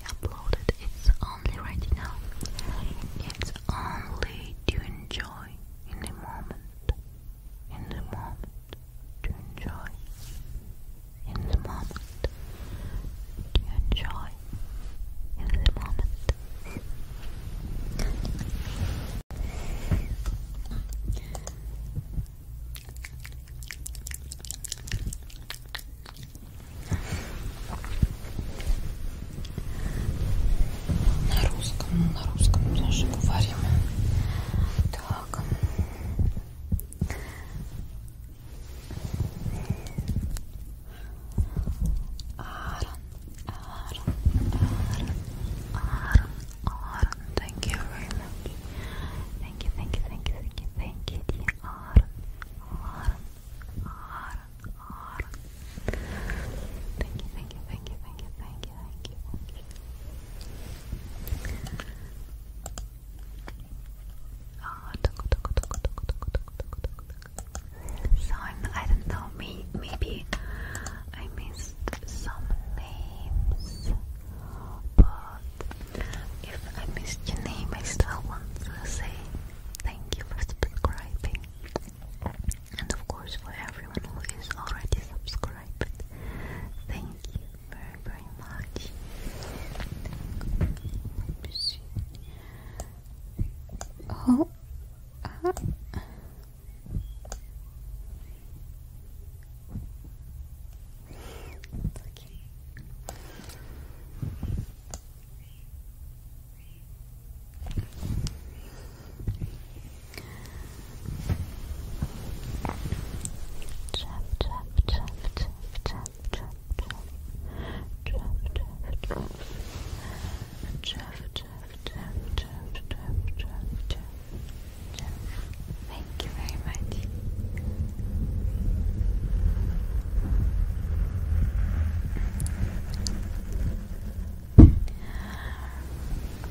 be uploaded. It's only right now. It's only to enjoy in the moment. In the moment. To enjoy. In the moment. To enjoy. In the moment. Thank you very much. Thank you, thank you, thank you, thank you, thank you, Thank you, thank you, thank you, thank you, thank you, thank you, thank you. Oh, tuck, tuck, tuck, tuck, tuck, tuck, tuck, So I'm, I do not know, maybe I missed some names, but if I missed your name, I still want to say Thank you for subscribing. And of course, for everyone who is already subscribed, thank you very, very much. Oh, uh. Chop, chop, chop, chop, chop, chop, chop. Chop, chop, chop. Chop, chop, chop, chop, chop, chop, chop. Thank you very much.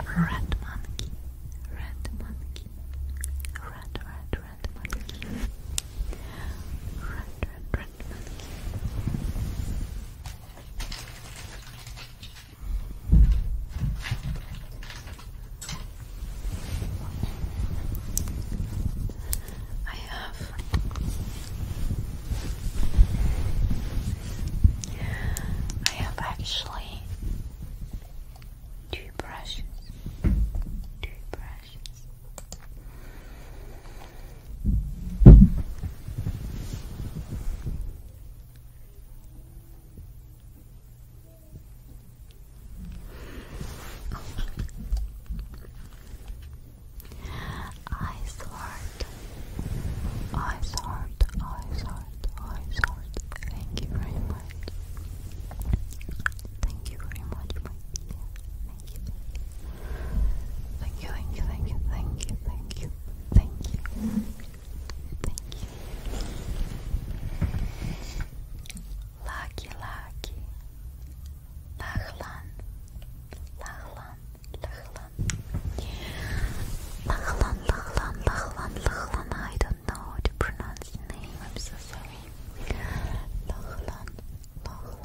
Red monkey, red monkey, red, red, red monkey, red, red, red monkey. I have I have actually two brushes. Two brushes. I sort, I sort, I sort, I sort. Thank you very much. Thank you very much, Thank you, thank you, thank you, thank you, thank you, thank you. Thank you. Lucky, lucky. Lachlan, Lachlan, Lachlan, Lachlan, Lachlan, Lachlan, Lachlan. I don't know how to pronounce the name. I'm so sorry. Lachlan, Lachlan, Lachlan,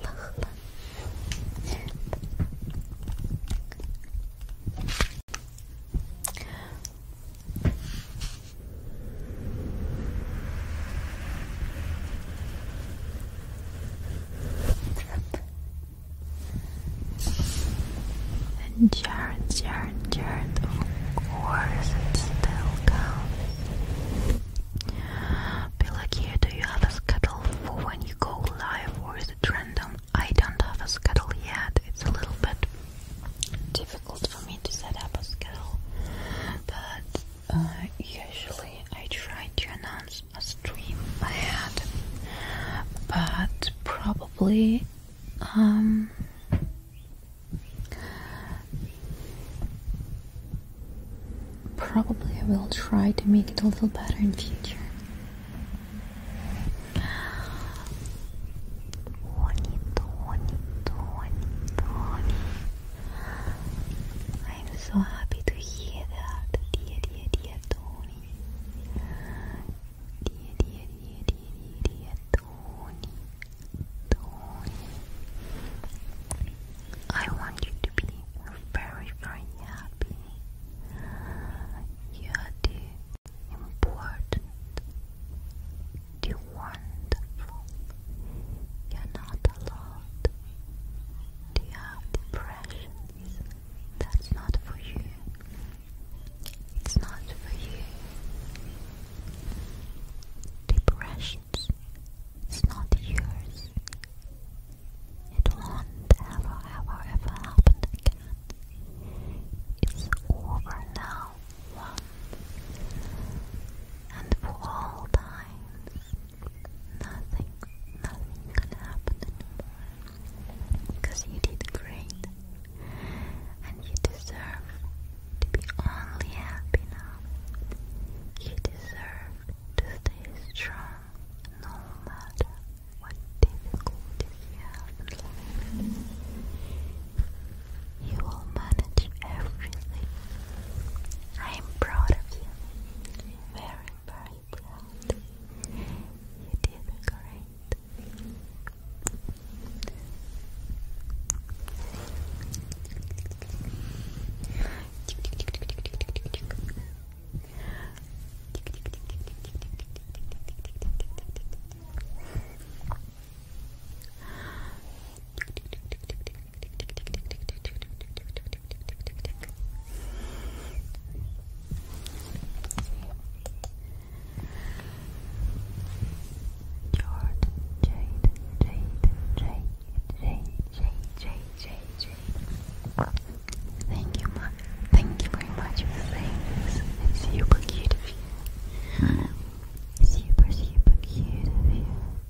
Lachlan. Jared, Jared, Jared, of course it still counts. Pelagia, do you have a schedule for when you go live or is it random? I don't have a schedule yet. It's a little bit difficult for me to set up a schedule, but uh, usually I try to announce a stream ahead, but probably um, probably I will try to make it a little better in future. I'm so happy to hear that, dear, dear, dear Tony. Dear, dear, dear, dear, dear, dear Tony. Tony. I want you to be very, very happy. You are the important, the wonderful, you're not alone. Do have depression? That's not for you. It's not for you. Depressions, it's not yours. It won't ever, ever, ever happen again. It's over now, once and for all times. Nothing, nothing can happen anymore. Because you did great. And you deserve to be only happy now. You deserve to stay strong no matter what difficulties you have You will manage everything. I am proud of you very, very proud. You did great. Thank you, mom. Thank you very much for saying this. super cute of you. Super, super cute of you.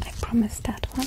I promise that one.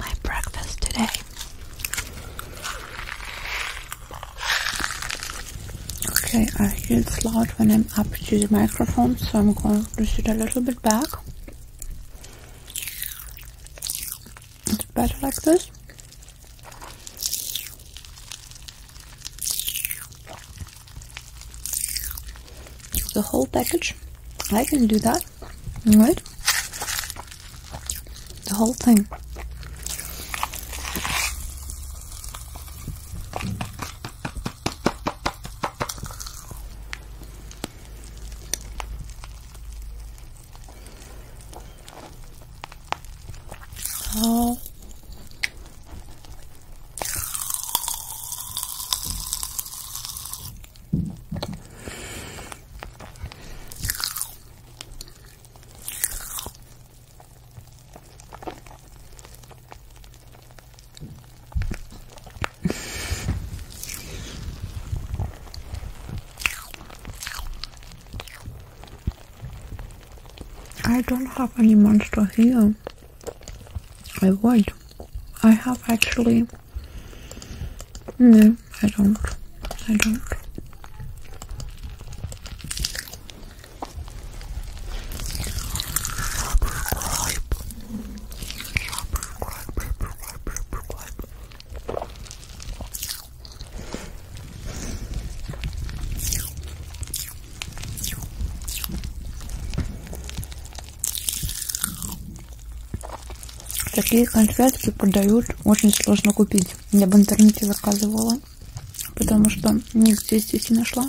my breakfast today. Okay, I feel it's loud when I'm up to the microphone, so I'm going to push it a little bit back. It's better like this the whole package. I can do that, right? The whole thing. Oh. I don't have any monster here. I would. I have actually. No, I don't. I don't. Такие конфетки продают, очень сложно купить. Я в интернете заказывала, потому что нигде здесь не нашла.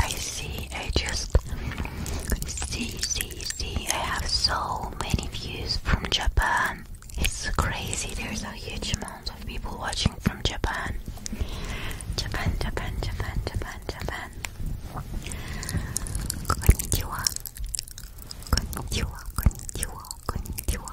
I see, I just see, see, see. I have so many views from Japan. It's crazy, there's a huge amount of people watching from Japan. Japan, Japan, Japan, Japan, Japan. Konnichiwa. Konnichiwa, konnichiwa, konnichiwa,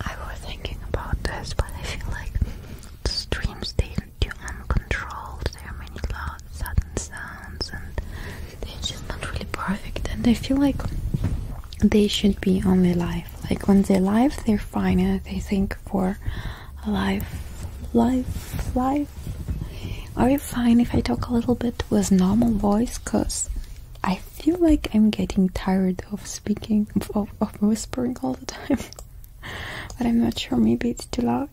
I was thinking about this, but I feel like the streams they too uncontrolled. There are many loud, sudden sounds, and they're just not really perfect. And I feel like they should be only live. Like when they're live, they're fine. And I think for live, live, live, are you fine if I talk a little bit with normal voice? Cause I feel like I'm getting tired of speaking, of, whispering all the time. [laughs] but I'm not sure, maybe it's too loud.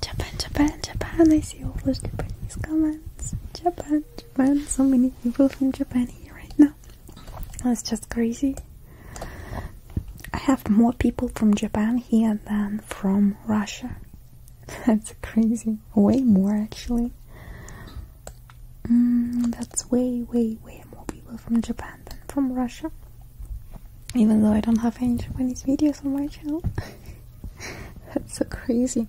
Japan, Japan, Japan, I see all those Japanese comments. Japan, Japan, so many people from Japan here right now. That's just crazy. I have more people from Japan here than from Russia. [laughs] That's crazy. Way more actually. Mm, that's way, way, way more people from Japan than from Russia. Even though I don't have any Japanese videos on my channel. [laughs] that's so crazy.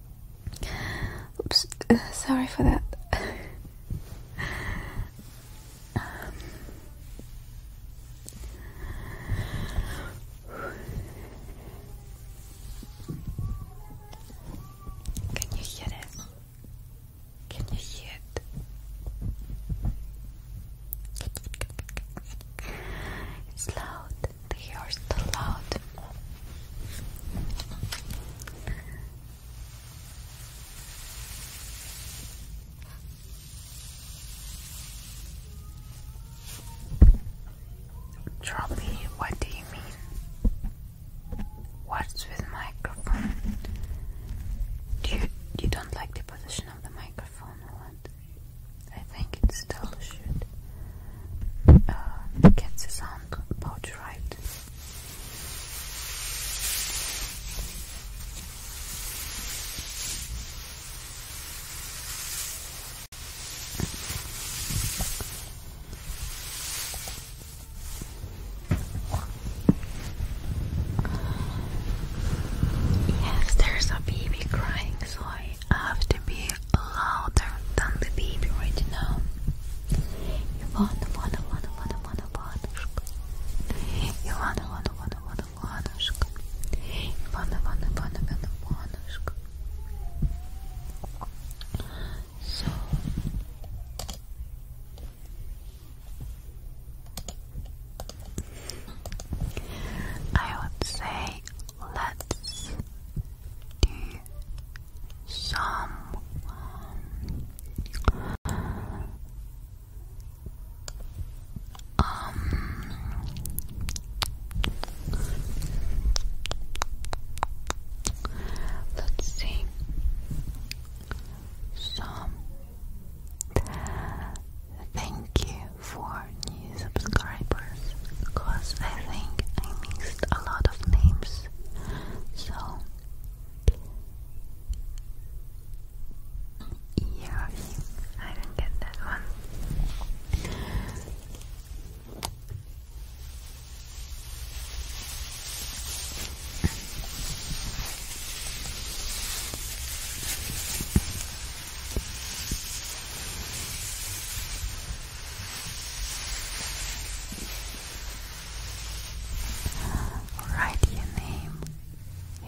Oops, uh, sorry for that. Can you hear this? Can you hear it? It's loud they the loud. Trolley, what do you mean? What's with microphone? Do you you don't like the position of the microphone or what? I think it still should uh, get the sound about right. Yes, there's a baby crying, so I have to be louder than the baby right now. Ivana, Ivana, Ivana, Ivana, Ivana, Ivanушка. Ivana, Ivana, Ivana, Ivana, Ivanушка. Ivana, Ivana, Ivana, Ivana, So. I would say let's someone. Um, let's see. So, thank you for for new subscribers because I think I mixed a lot of names. So, yeah, I didn't get that one. Write your name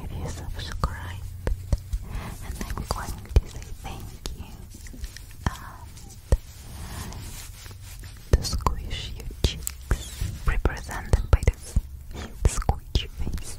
if you subscribe, and I'm going to thank you to squish your cheeks, represented by this squishy face.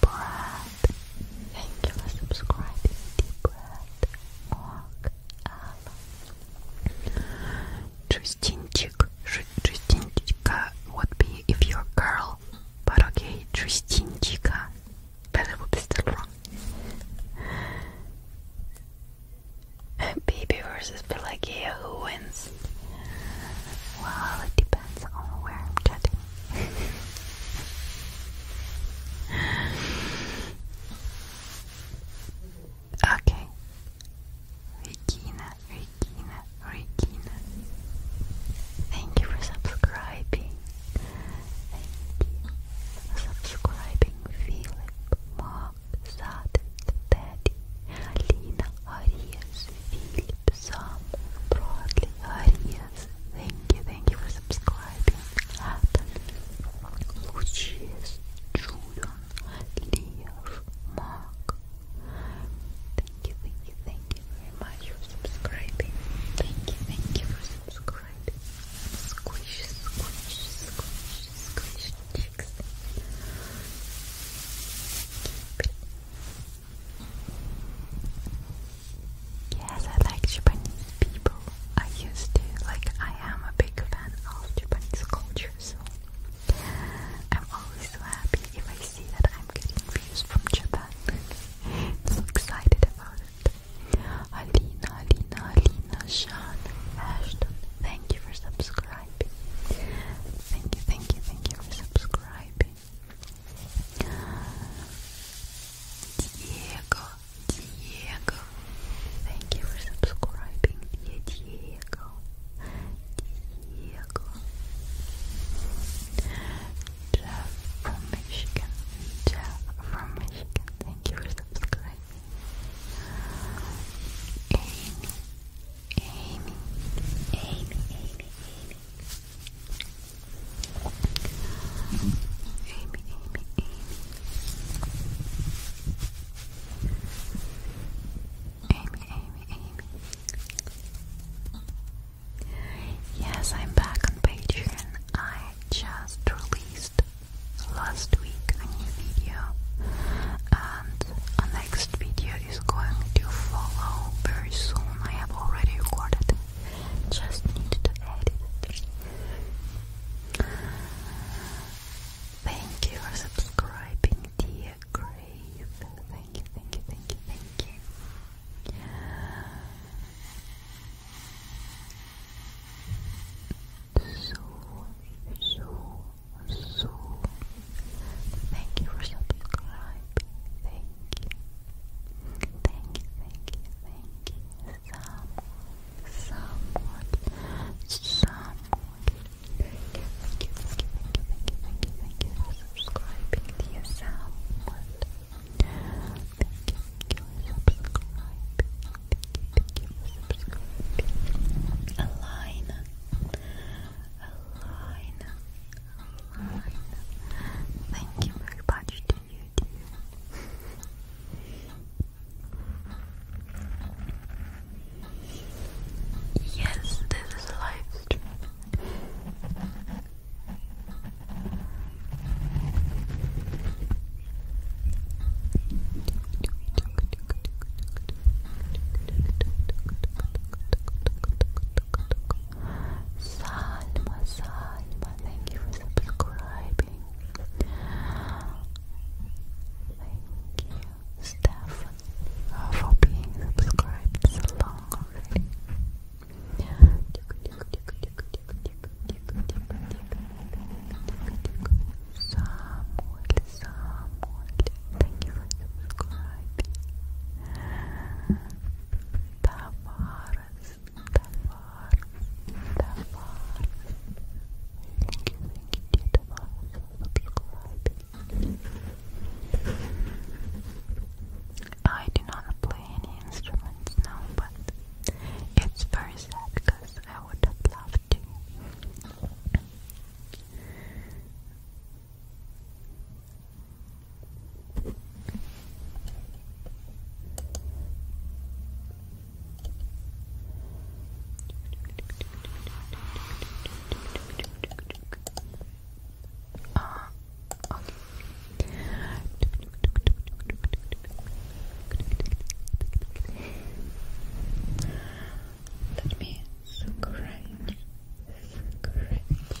breath. Thank you for subscribing. Deep breath. Mark Allen. Tristinchik. Tristinchika be if you girl, but okay, Tristinchika. Better would be still wrong. Baby versus Pelagia, who wins? Well, it okay. Regina, Regina, Regina. Thank you for subscribing. Thank you for subscribing, Philip, Mark, Sad, Daddy, Alina, Arias, Philipson, broadly Arias, thank you, thank you for subscribing, Adam, Lucius, Julian, Leah, Mark, thank you, thank you, thank you very much for subscribing, thank you, thank you for subscribing, squish, squish, squish, squish cheeks, Yes, I like Japanese people. I used to. Like, I am a big fan of Japanese culture, so I'm always so happy if I see that I'm getting views from Japan. [laughs] so excited about it. Alina, Alina, Alina, Sean, Ashton, thank you for subscribing. Thank you, thank you, thank you for subscribing. Diego, Diego, thank you for subscribing, Diego, Diego, Jeff from Michigan, Jeff from Michigan, thank you for subscribing, Amy, Amy, Amy, Amy, Amy. Amy, Amy, Amy. Amy, Amy, Amy. Yes, I'm back on Patreon. I just released last week a new video, and a next video is going to follow very soon. I have already recorded just need to edit Thank you for subscribing, dear Grave. Thank you, thank you, thank you, thank you. So, so, so. Thank you for subscribing thank you, thank you, thank you, thank you, someone, someone, someone, thank you, thank you, thank you, thank you, thank you, thank you for subscribing, dear someone, thank you, thank you for subscribing, thank you, thank you for subscribing, Alina, Alina, Thank you very much to you, dear. Yes, this is a live stream. Salma, Salma, thank you for subscribing. Thank you, Stefan, for being subscribed so long already. Samuel, Samuel, thank you for subscribing. Tamara, Thank you, I do not play any instruments now, but it's very sad because I would have loved to. Uh, okay. Let me scratch, scratch the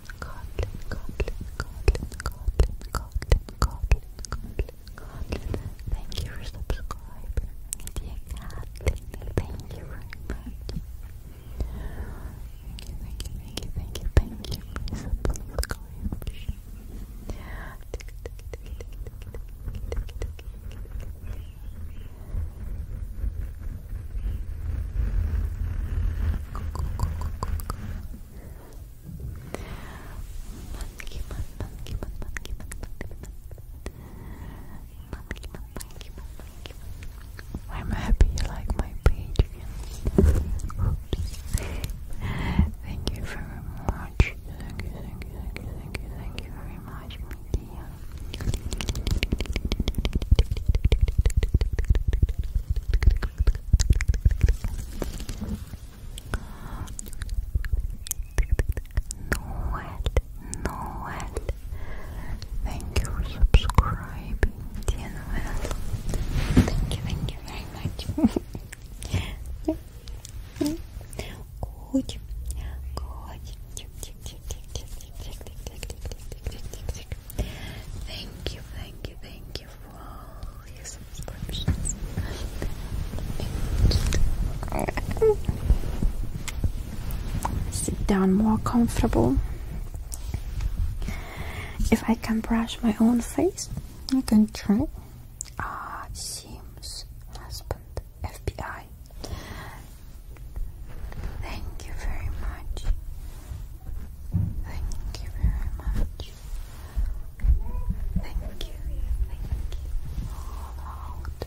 Kotlin, Kotlin, Kotlin, Kotlin, Kotlin, Kotlin, Kotlin, Kotlin. Thank you for subscribing, dear Kotlin. Thank you very much. Thank you, thank you, thank you, thank you, thank you for subscribing. I'm happy you like my page thank you very much. Thank you, thank you, thank you, thank you, thank you very much, my dear. Noel, Noel, thank you for subscribing, Thank you, thank you very much. good, good. tick, tick, tick, tick, tick, tick, tick, tick, tick, tick, tick, tick, tick, Thank you, thank you, thank you for all your subscriptions. Sit down more comfortable. If I can brush my own face, I can try. Ah, Sims, husband, FBI. Thank you very much. Thank you very much. Thank you. Thank you. All out.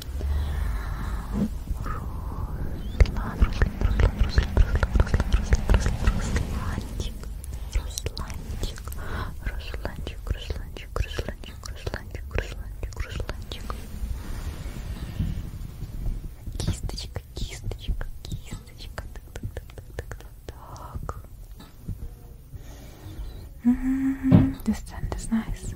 Руслан, Руслан, Руслан, Руслан, Руслан, Руслан, Русланчик, Русланчик, Русланчик, Русланчик, Русланчик, Русланчик, Русланчик, Русланчик. Кисточка, кисточка, кисточка. Так, так, так, так, так, так. This tent is nice.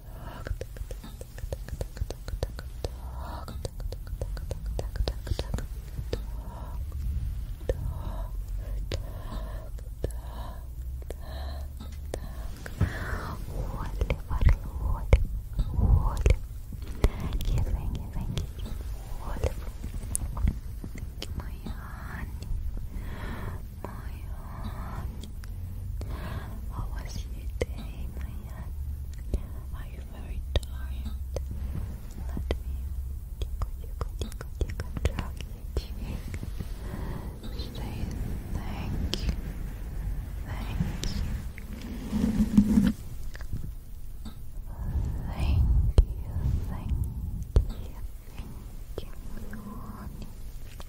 Моя Аня, моя Аня, how was your day, Maya? Are you very tired? Let me tickle, tickle, tickle, tickle, drag your cheek. Say thank you, thank you. Thank you, thank you, thank you,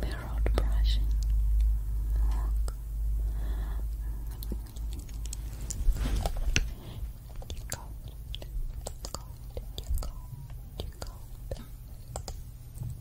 Mirrored brushing. Look. You go. You go. You go. You go.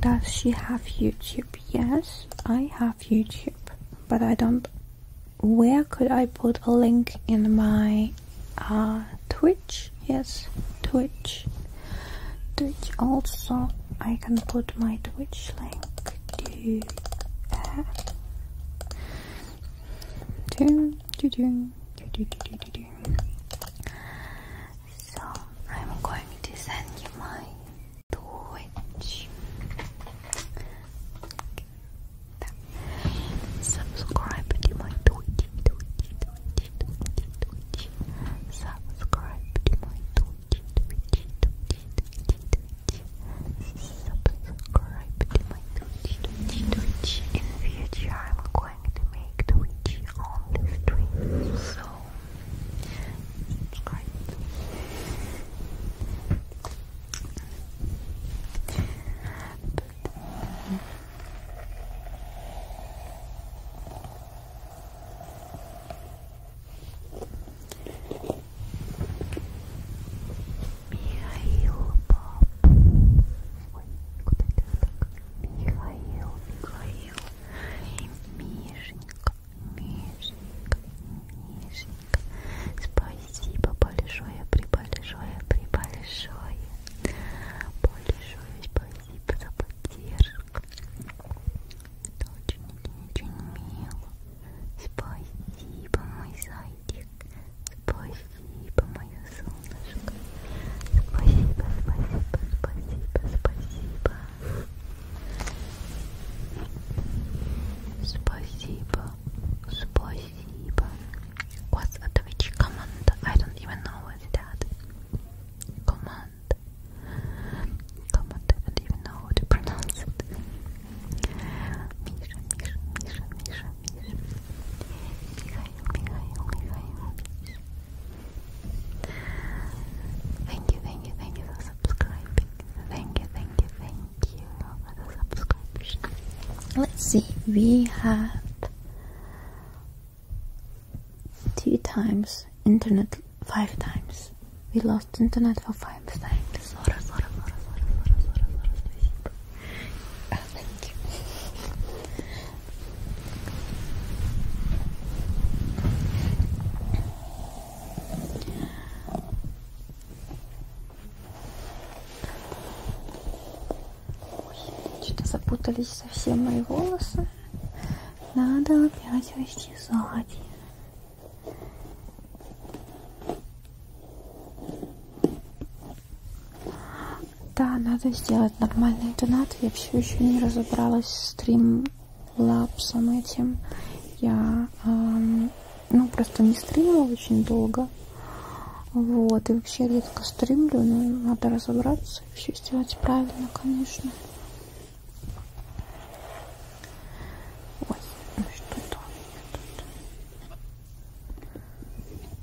Does she have YouTube? Yes, I have YouTube, but I don't. Where could I put a link in my uh, Twitch? Yes, Twitch. Twitch also. I can put my Twitch link to. Uh, do, do, do, do, do, do, do, do. So I'm going to send you my Twitch. Subscribe to my Twitch, Twitch, Twitch, Twitch, Subscribe to my Twitch, Twitch, Twitch, Twitch, Subscribe to my Twitch, Twitch, In future, I'm going to make the video on this stream, so subscribe. But, um, mm. Mihail Pop. Wait, could I do Михаил, Михаил, Мишенька, Мишенька, Мишенька. Спасибо большое, прибольшое, прибольшое. Большое спасибо за поддержку. Это очень, очень мило. Спасибо, мой зайчик. Спасибо. спасибо, мое солнышко. Спасибо, спасибо, спасибо, спасибо. Спасибо, спасибо. What's a Twitch command? I don't even know what that. Command. Command, I don't even know how to pronounce it. Misha, Misha, Misha, Misha, Misha. Mikhail, Mikhail, Mikhail, Misha. Thank you, thank you, thank you for subscribing. Thank you, thank you, thank you for the subscription. Let's see, we have two times internet five times. We lost internet for five times. thank you. Что-то запутались совсем мои волосы. Надо опять расчесать. Да, надо сделать нормальный донат. Я все еще не разобралась с стримлапсом этим. Я эм, ну просто не стримила очень долго. Вот, и вообще редко стримлю, но надо разобраться и все сделать правильно, конечно. Ой, ну что-то у меня тут.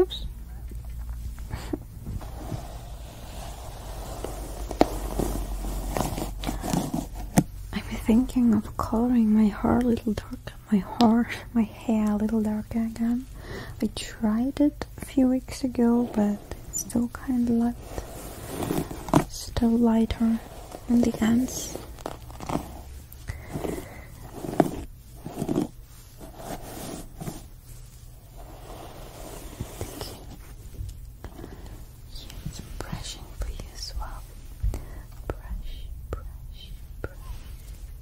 Oops. I'm thinking of coloring my hair a little darker, my hair, my hair a little darker again. I tried it a few weeks ago, but it's still kind of light, still lighter on the ends. Thank you. Here is brushing for you as well. Brush, brush, brush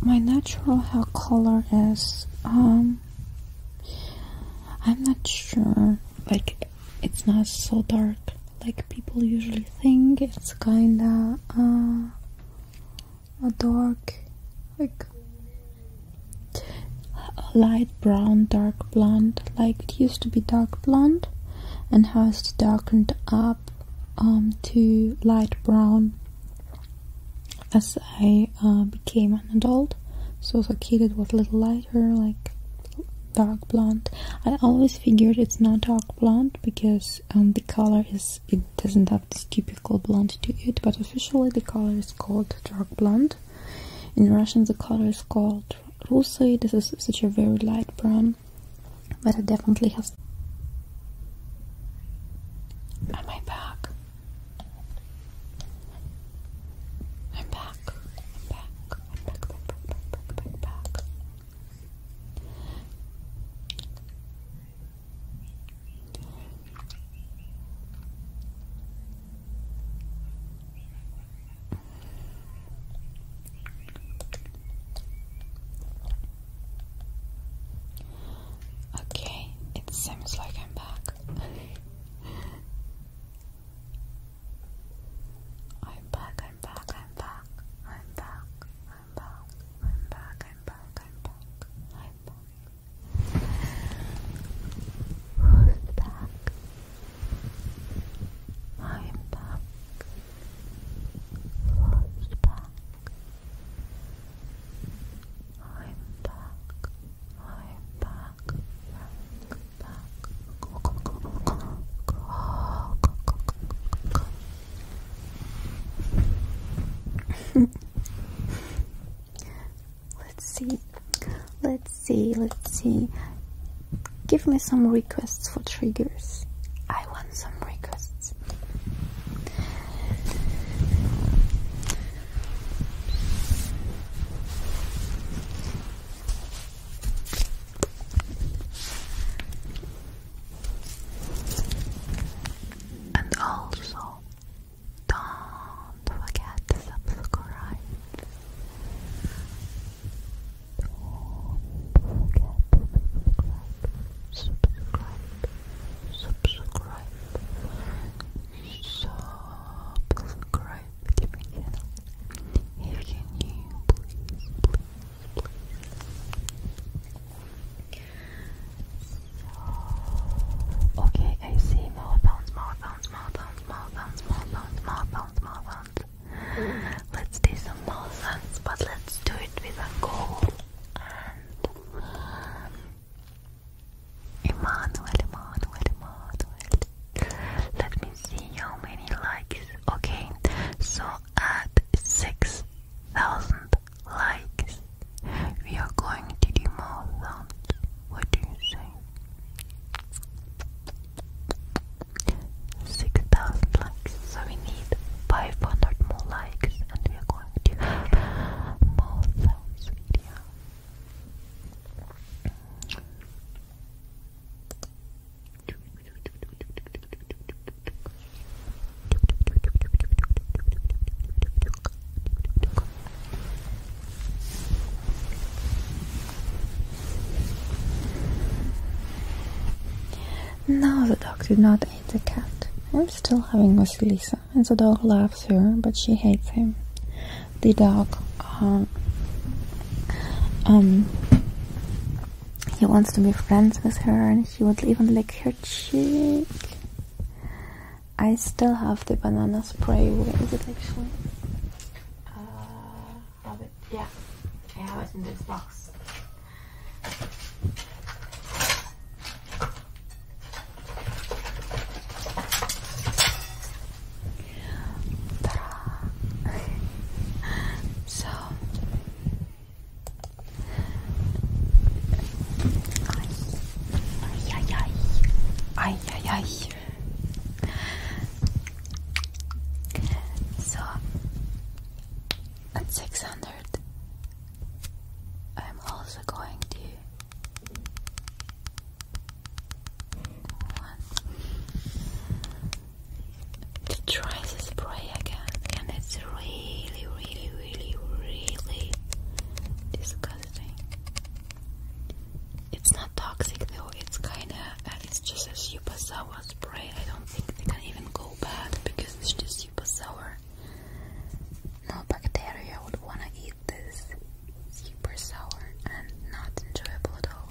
my natural hair color is um I'm not sure like it's not so dark like people usually think it's kinda uh, a dark like light brown, dark blonde, like it used to be dark blonde, and has darkened up um, to light brown as I uh, became an adult. So as a kid, it was a little lighter, like dark blonde. I always figured it's not dark blonde because um, the color is it doesn't have this typical blonde to it, but officially the color is called dark blonde. In Russian, the color is called Russi. This is such a very light brown, but it definitely has. Am back? I'm back. I'm back. I'm back. Back. Back. Back. Back. back. Okay, it seems like [laughs] I'm back. I'm back, I'm back, I'm back, I'm back, I'm back, I'm back, I'm back, Who's back? [sighs] I'm back. Love's back. I'm back. I'm back. Back. Back. Let's see. Let's see, let's see. Give me some requests for triggers. I want some requests. And also, don't forget to subscribe subscribe, subscribe, subscribe, subscribe to my channel. If you're please, okay, I see more sounds, more sounds, more sounds, more Let's do some more nonsense, but let's do it with a goal. And um, Emmanuel, Emmanuel, Emmanuel. Let me see how many likes. Okay, so at six thousand likes, we are going to do more sounds. What do you say? 6,000 likes, so we need 500 more likes, and we are going to more sounds video. Now the dog did not eat the cat. I'm still having Vasilisa, and the dog loves her, but she hates him. The dog, um, um, he wants to be friends with her, and he would even lick her cheek. I still have the banana spray with it actually. Uh, love it. Yeah, I have it in this box. so ay, ay, ay, ay, ay, so at 600, I'm also going to to try the spray again, and it's really, really, really, really disgusting. It's not toxic though. It's kind of, uh, it's just a super sour spray. I don't think they can even go bad because it's just super sour. No bacteria would wanna eat this. Super sour and not enjoyable at all.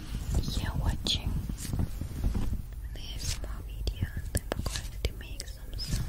you're watching this more video and I'm going to make some sound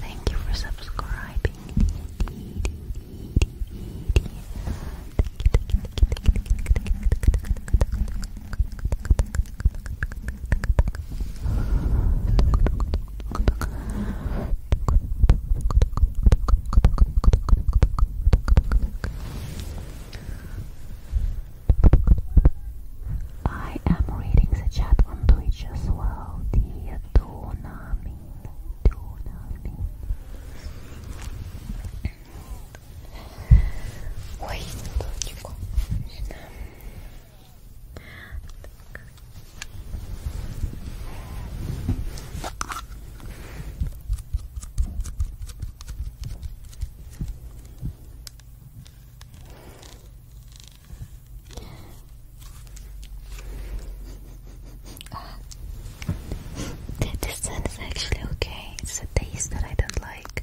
Thank you for subscribing. I am reading the chat on Twitch as well, dear Donamin. Donamin. Ой, Ah. [sighs] this is actually okay. It's a taste that I don't like.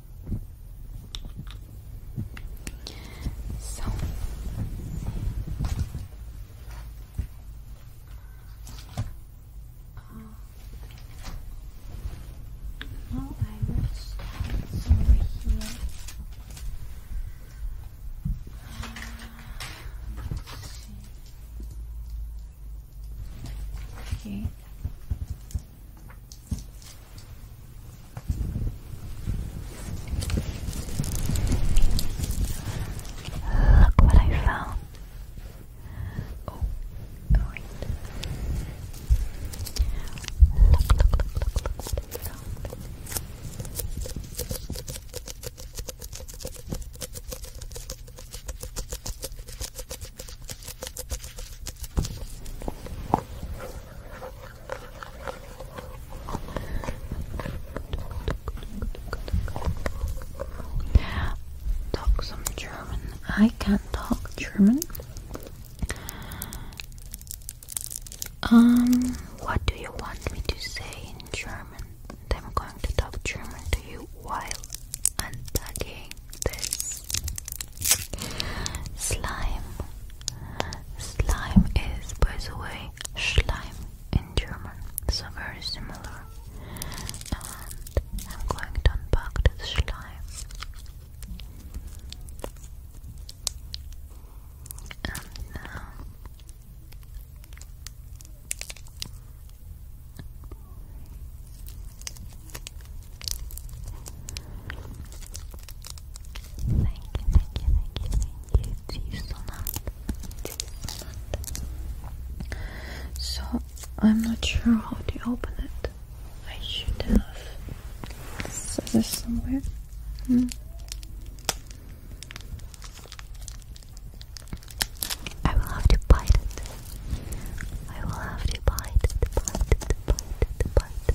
So uh, I will start somewhere here. Uh, let's see. Okay. Look what I found. Oh, Look, look, look, look, look Talk some German. I can't talk German. Um, what do you want me to say in German? I'm going to talk German to you while unpacking this slime. Slime is, by the way, slime in German, so very similar. And I'm going to unpack this slime. Thank you, thank you, thank you, thank you. See you so I'm not sure how to open it. I should have said this somewhere. Hmm. I will have to bite it. I will have to bite it, bite it, bite it, bite it,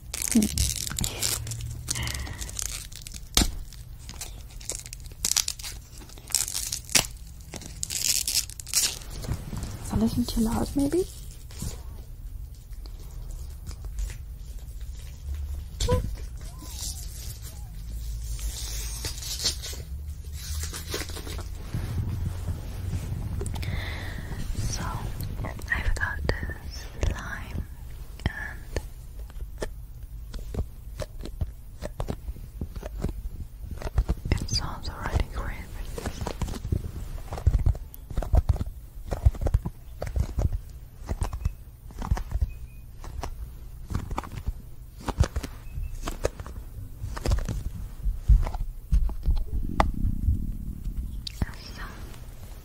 it's a listening too loud, maybe. So I've got slime and it sounds already great with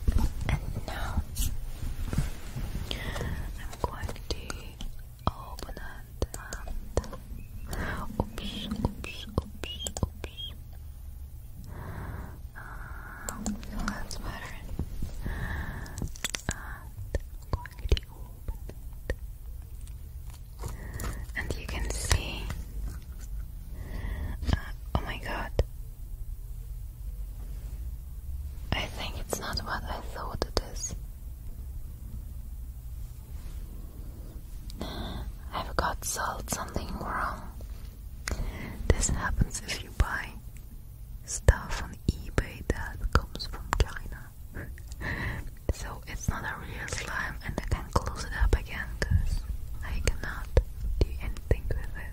and now I'm going to open it and oops, oops, oops, oops. Um, so that's And uh, I'm going to open it. And you can see uh, Oh my god. I think it's not what I thought it is. I've got sold something wrong. This happens if you buy stuff on eBay that comes from China. [laughs] so it's not a real slime close it up again because I cannot do anything with it.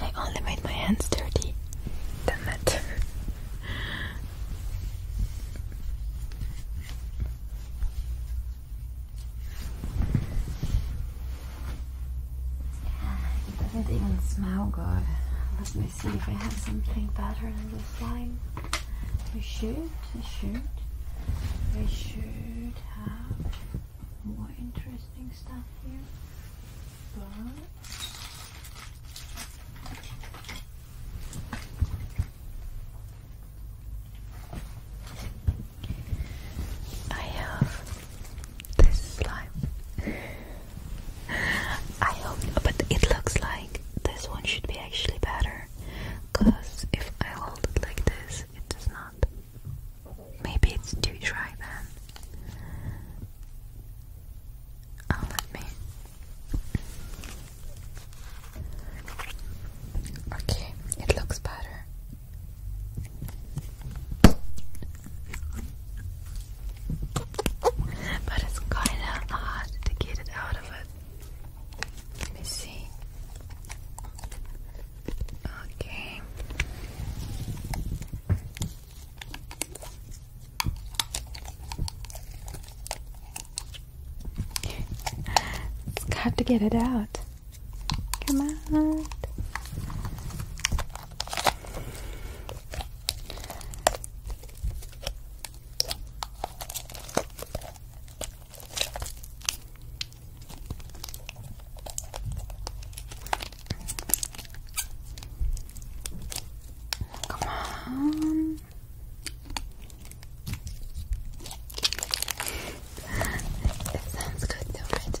I only made my hands dirty. Damn it. It doesn't even smell good see if I have something better than this slime. We should, we should, we should have more interesting stuff here. But I have this slime. I hope, but it looks like this one should be actually better because if I hold it like this, it does not. Maybe it's too dry then. Oh, let me. Okay, it looks better. But it's kinda hard to get it out let me see. Okay. it got to get it out. Come on. Come on. it sounds good though, right?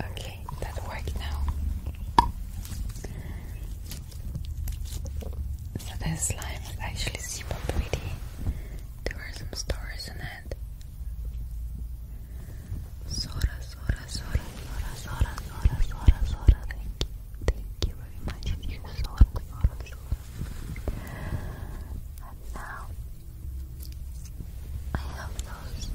Okay, that worked now. So this slime is actually super pretty. There are some stars in it. Sora, Sora, Sora, Sora, Sora, Sora, Sora, Sora. Thank you, imagine you softly out of And now I have those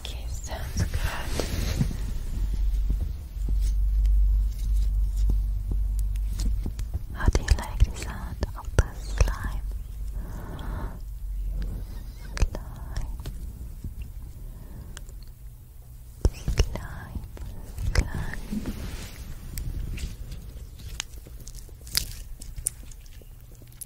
Okay, sounds good. How do you like the sound of the slime? Slime. Slime. Slime.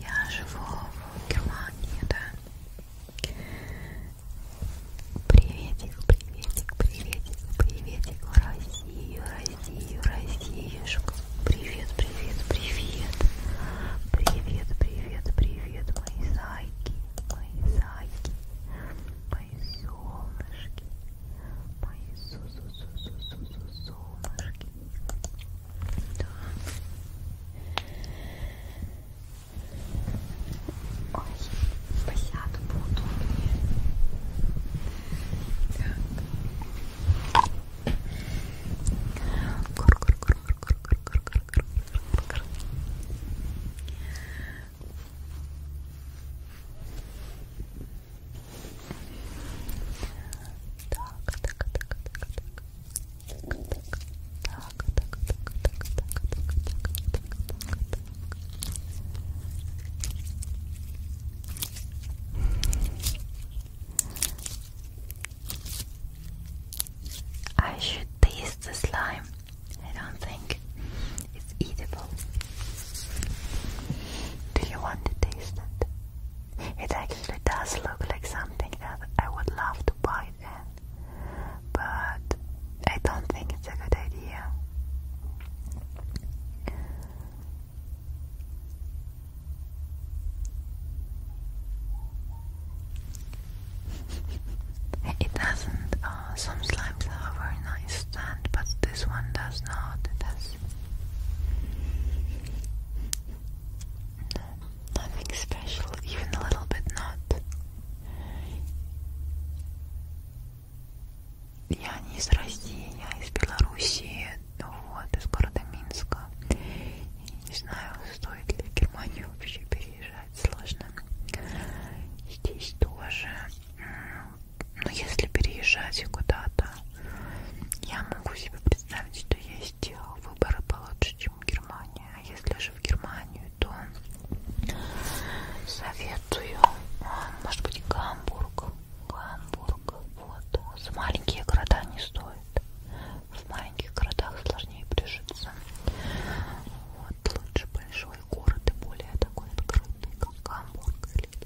Я живу в Германии, да. Приветик, приветик, приветик, приветик в Россию, Россию, Россиюшку. Привет, привет, привет. Привет, привет, привет, мои зайки, мои зайки, мои солнышки, мои су су су су су су солнышки. Да. Ой, посяду поудобнее. Так. Кур -кур -кур -кур -кур -кур -кур -кур -кур -кур. I should taste the slime. I don't think it's edible. Do you want to taste it? It actually does look like something that I would love to bite but I don't think it's a good idea. [laughs] it doesn't. Uh, some slimes have a very nice stand, but this one does not. It has No, nothing special, even a little bit not. Я не из России, я из Белоруссии, ну вот, из города Минска. И не знаю, стоит ли в Германию вообще переезжать, сложно. Здесь тоже ну, если переезжать куда-то, я могу себе представить, что есть э, выборы получше, чем Германия. А если же в Германию, то советую, а, может быть, Гамбург. Гамбург, вот. За маленькие города не стоит. В маленьких городах сложнее прижиться. Вот лучше большой город и более такой открытый, как Гамбург или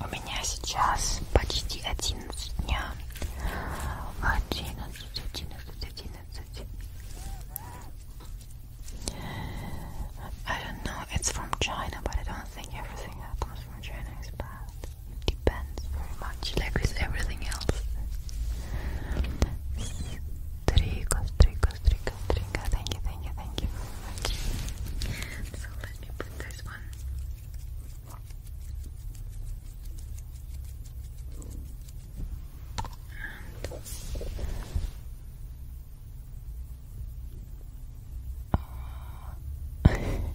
У меня сейчас почти 11 дня. I don't know, it's from China, but I don't think everything comes from China It depends very much, like with everything else. Strika, strika, Thank you, thank you, thank you very much. So let me put this one.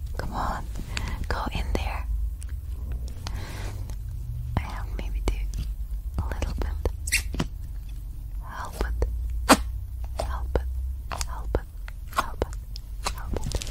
[laughs] Come on, go in there. I have maybe do a little bit. Help it. Help it. Help it. Help it. Help it. Help it.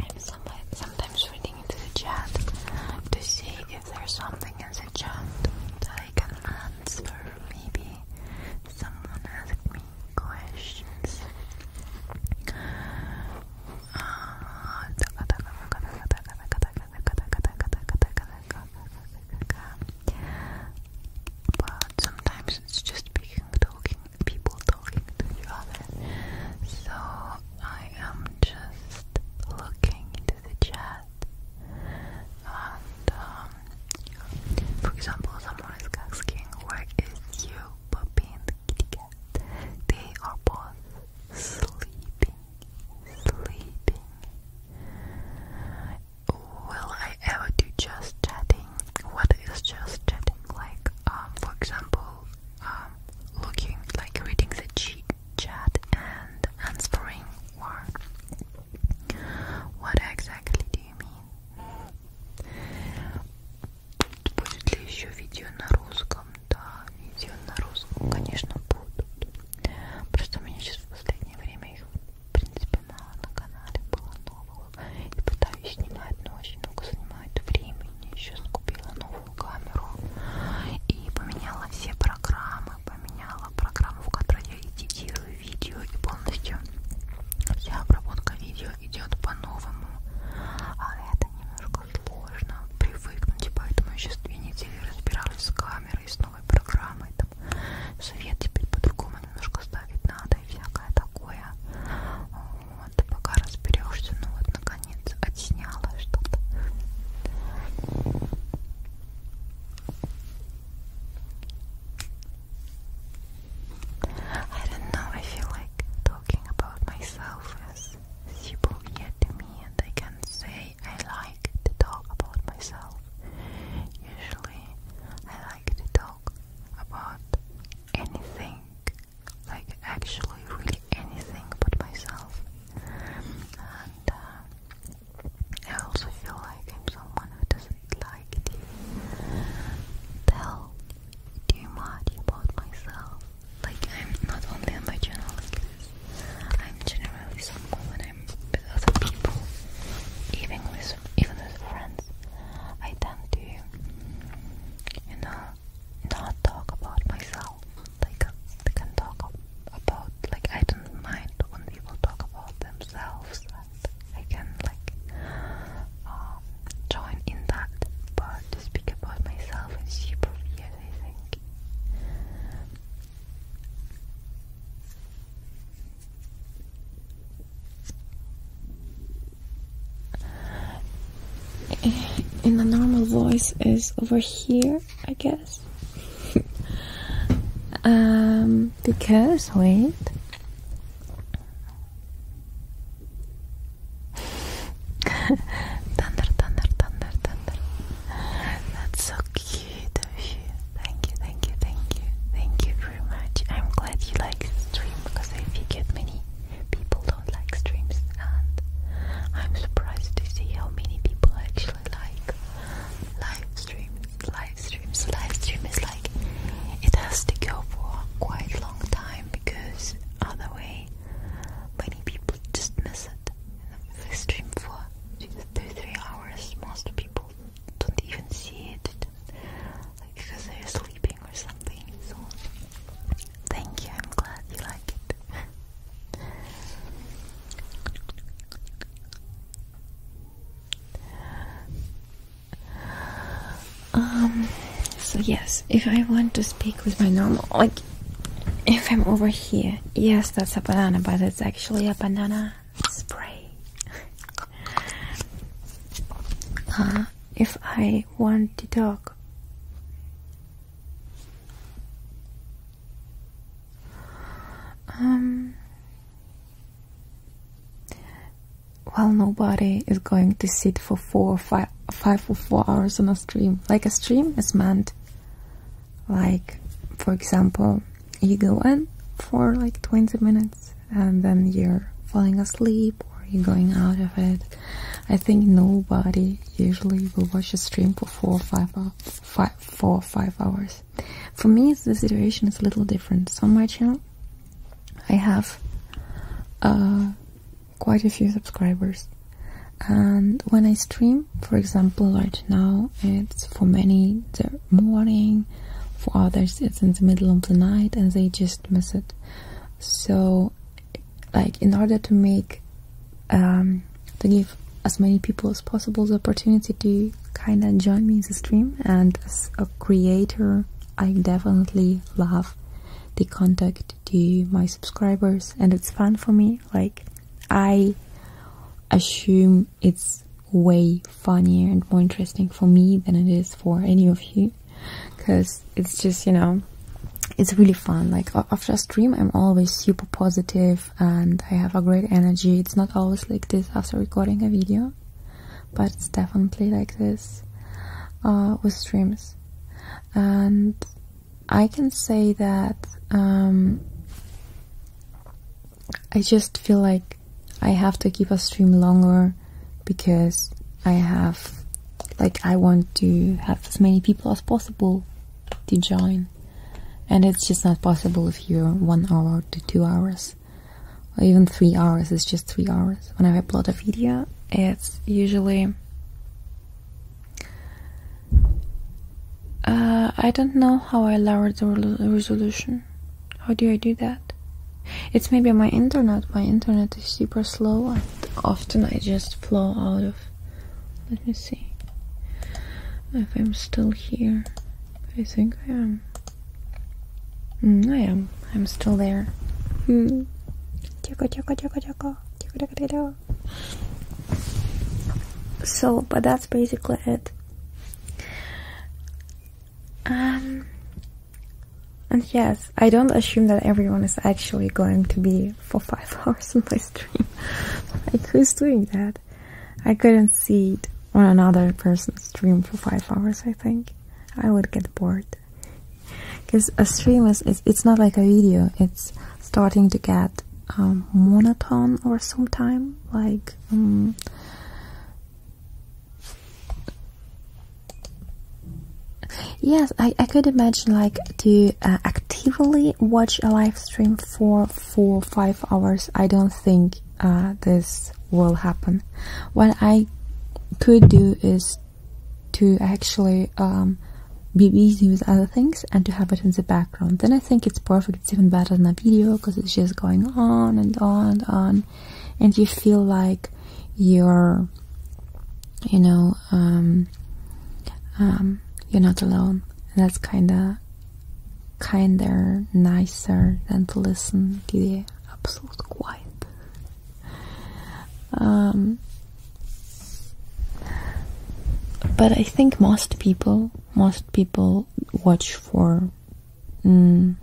I'm sometimes reading into the chat to see if there's something in the chat that I can answer. Maybe someone asked me questions. But sometimes it's just talking, people talking to each other. So I am just looking into the chat, and um, for example, someone is asking, "Where is you, puppy kitty cat?" They are both sleeping, sleeping. Will I ever do just chatting? What is just chatting like? Um, for example, um, looking like reading the cheat chat and answering war. What exactly do you mean? Будет ли еще видео на русском? Да, видео на русском, конечно, будут. Просто у меня сейчас в последнее время их, в принципе, мало на канале было нового. И пытаюсь снимать, но очень много занимает времени. Еще скупила новую заднюю камеру и поменяла все программы, поменяла программу, в которой я эдитирую видео и полностью вся обработка видео идет по-новому. А это немножко сложно привыкнуть, поэтому я сейчас две недели разбиралась с камерой, с новой программой, там свет теперь по-другому немножко ставить надо и всякое такое. Вот, пока разберешься, ну вот наконец I don't know, I feel like talking about myself as people hear to me and I can say I like to talk about myself. Usually I like to talk about anything, like actually really anything but myself and uh, I also feel like I'm someone who doesn't like to tell too much about myself. Like I'm not only on my channel I'm generally someone I'm with other people, even with even with friends, I tend to, you know, not talk about myself. Like they can talk about like I don't mind when people talk about themselves. I can like um, join in that, but speak about myself is super weird. I think. In the normal voice is over here I guess. um, because, wait. [laughs] thunder, thunder, thunder, thunder. That's so cute of you. Thank you, thank you, thank you, thank you very much. I'm glad you like stream because I figured many people don't like streams and I'm surprised to see how many people actually like live streams. Live streams, live stream like it has to go for quite long time because other many people just miss it. They stream for two, two, three hours. Most people don't even see it, like because they're sleeping or something. So, thank you. I'm glad you like it. [laughs] Um, so yes, if I want to speak with my normal, like, if I'm over here, yes, that's a banana, but it's actually a banana spray. [laughs] uh, if I want to talk, um, well, nobody is going to sit for four five, or four hours on a stream. Like a stream is meant, like, for example, you go in for like 20 minutes and then you're falling asleep or you're going out of it. I think nobody usually will watch a stream for four or five hours five, four, five hours. For me, the situation is a little different. So on my channel, I have uh, quite a few subscribers, and when I stream, for example, right now, it's for many the morning, for others it's in the middle of the night, and they just miss it. So, like in order to make um, to give as many people as possible the opportunity to kind of join me in the stream. And as a creator, I definitely love the contact to my subscribers, and it's fun for me. Like, I assume it's way funnier and more interesting for me than it is for any of you because it's just you know it's really fun like after a stream i'm always super positive and I have a great energy. It's not always like this after recording a video, but it's definitely like this uh, with streams. And I can say that um, I just feel like I have to keep a stream longer because I have, like, I want to have as many people as possible to join and it's just not possible if you're one hour to two hours or even three hours it's just three hours Whenever i upload a video it's usually uh, i don't know how i lower the resolution how do i do that it's maybe my internet my internet is super slow and often i just flow out of let me see if I'm still here. I think I am. Mm, I am. I'm still there. Hmm. So, but that's basically it. Um, and yes, I don't assume that everyone is actually going to be for five [laughs] hours in my stream. like, who's doing that? I couldn't see it on another person's stream for five hours, I think. I would get bored. Because a stream is, it's, not like a video, it's starting to get um, monotone or sometime, like. Um, yes, I, I could imagine like to uh, actively watch a live stream for four or five hours, I don't think uh, this will happen. What I could do is to actually um, be busy with other things and to have it in the background. Then I think it's perfect. It's even better than a video because it's just going on and on and on, and you feel like you're, you know, um, um, you're not alone. And that's kind of kinder, nicer than to listen to the absolute quiet. Um, but I think most people, most people watch for mm,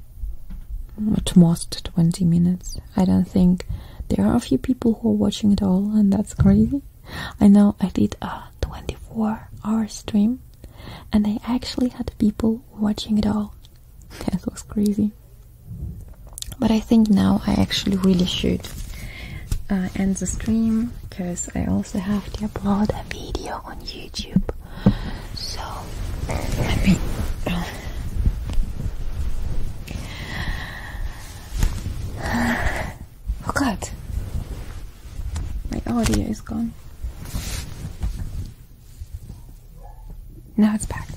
at most 20 minutes. I don't think there are a few people who are watching it all, and that's crazy. I know I did. Uh, 24 hour stream and I actually had people watching it all. [laughs] that was crazy. But I think now I actually really should uh, end the stream because I also have to upload a video on YouTube. So let me. [sighs] Oh god, my audio oh, is gone. Now it's back.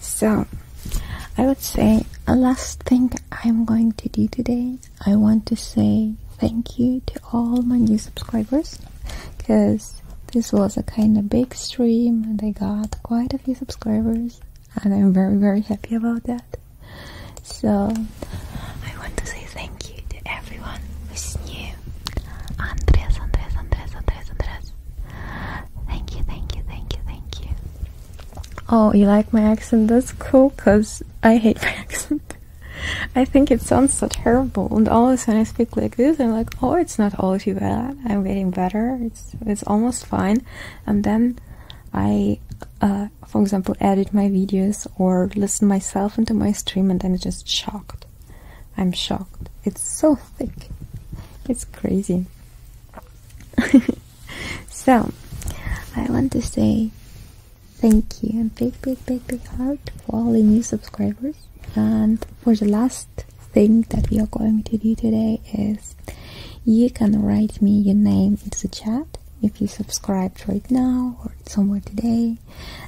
So, I would say a last thing I'm going to do today. I want to say thank you to all my new subscribers because this was a kind of big stream and I got quite a few subscribers and I'm very very happy about that. So I want to say thank you to everyone who's new. Andres, Andres, Andres, Andres, Andres. Thank you, thank you, thank you, thank you. Oh, you like my accent? That's cool, cause I hate my [laughs] accent. I think it sounds so terrible, and all of a sudden I speak like this, I'm like, oh, it's not all too bad. I'm getting better. It's it's almost fine. And then I uh, for example, edit my videos or listen myself into my stream, and I'm just shocked. I'm shocked. It's so thick. It's crazy. [laughs] so, I want to say thank you and big, big, big, big heart for all the new subscribers. And for the last thing that we are going to do today is you can write me your name in the chat if you subscribed right now or somewhere today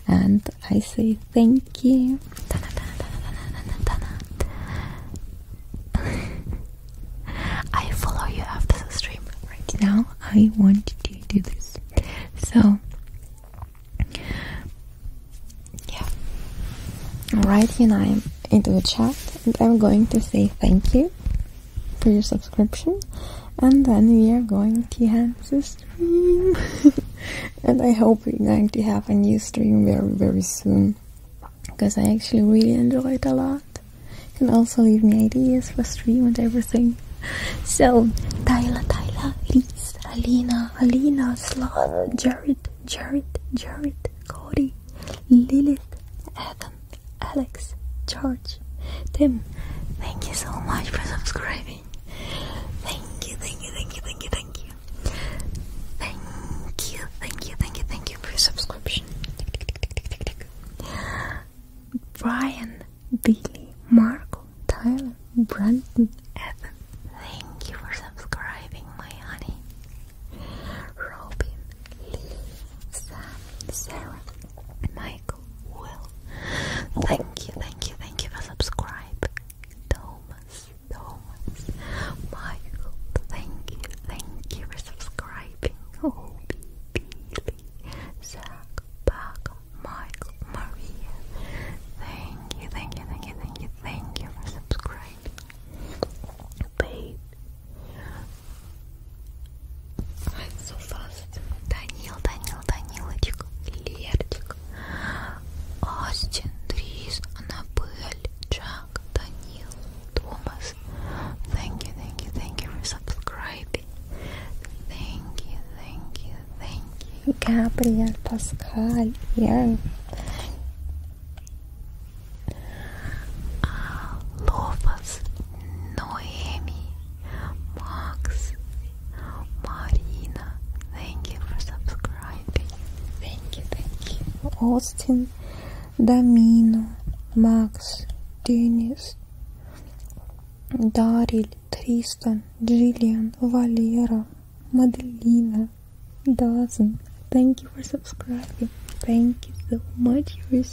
and I say thank you [laughs] I follow you after the stream right now I want to do this so yeah right here I'm into the chat and I'm going to say thank you for your subscription. And then we are going to have the stream. [laughs] and I hope we're going to have a new stream very, very soon. Because I actually really enjoy it a lot. You can also leave me ideas for stream and everything. [laughs] So, Tyler, Tyler, Liz, Alina, Alina, Slav, Jared, Jared, Jared, Cody, Lilith, Adam. Alex, George, Tim. Thank you so much for subscribing. Thank you, thank you, thank you, thank you, thank you. Thank you, thank you, thank you, thank you for subscription. Brian, Billy, Marco, Tyler, Brandon, Evan. Thank you for subscribing, my honey. Robin, Lee, Sam, Sarah, my like Thank you, thank you, thank you for subscribing. Thomas, Thomas, Michael, thank you, thank you for subscribing. Oh, Zach, Parker, Michael, Maria. Thank you, thank you, thank you, thank you, thank you for subscribing. Babe, it's so fast. Данил, Данил, Данилочек, Лерчик, Остин, Дрис, Анабель, Джак, Данил, Томас. Thank you, thank you, thank you for subscribing. Thank you, thank you, thank you. Gabriel, Pascal, yeah. Lofas, Noemi, Max, Marina, thank you for subscribing. Thank you, thank you. Austin, Damino, Max, Dennis, Daryl, Tristan, Jillian, Valera, Madelina, Dawson. Thank you for subscribing. Thank you so much for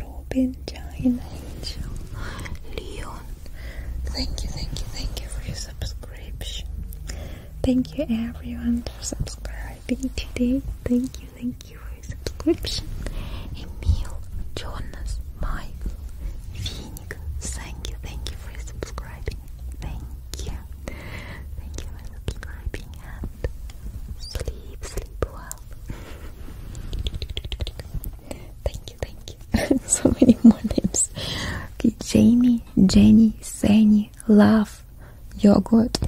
Robin, Giant Angel, Leon. Thank you, thank you, thank you for your subscription. Thank you everyone for subscribing today. Thank you, thank you for your subscription. Emil, Jonas, Michael, Phoenix, thank you, thank you for subscribing. Thank you. Thank you for subscribing and sleep, sleep well thank you, thank you. [laughs] so many more names. Okay, Jamie, Jenny, Sani, Love, Yogurt,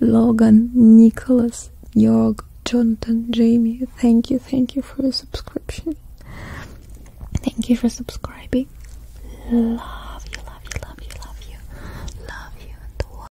Logan, Nicholas, Yorg, Jonathan, Jamie. Thank you, thank you for your subscription. Thank you for subscribing. Love you, love you, love you, love you, love you, and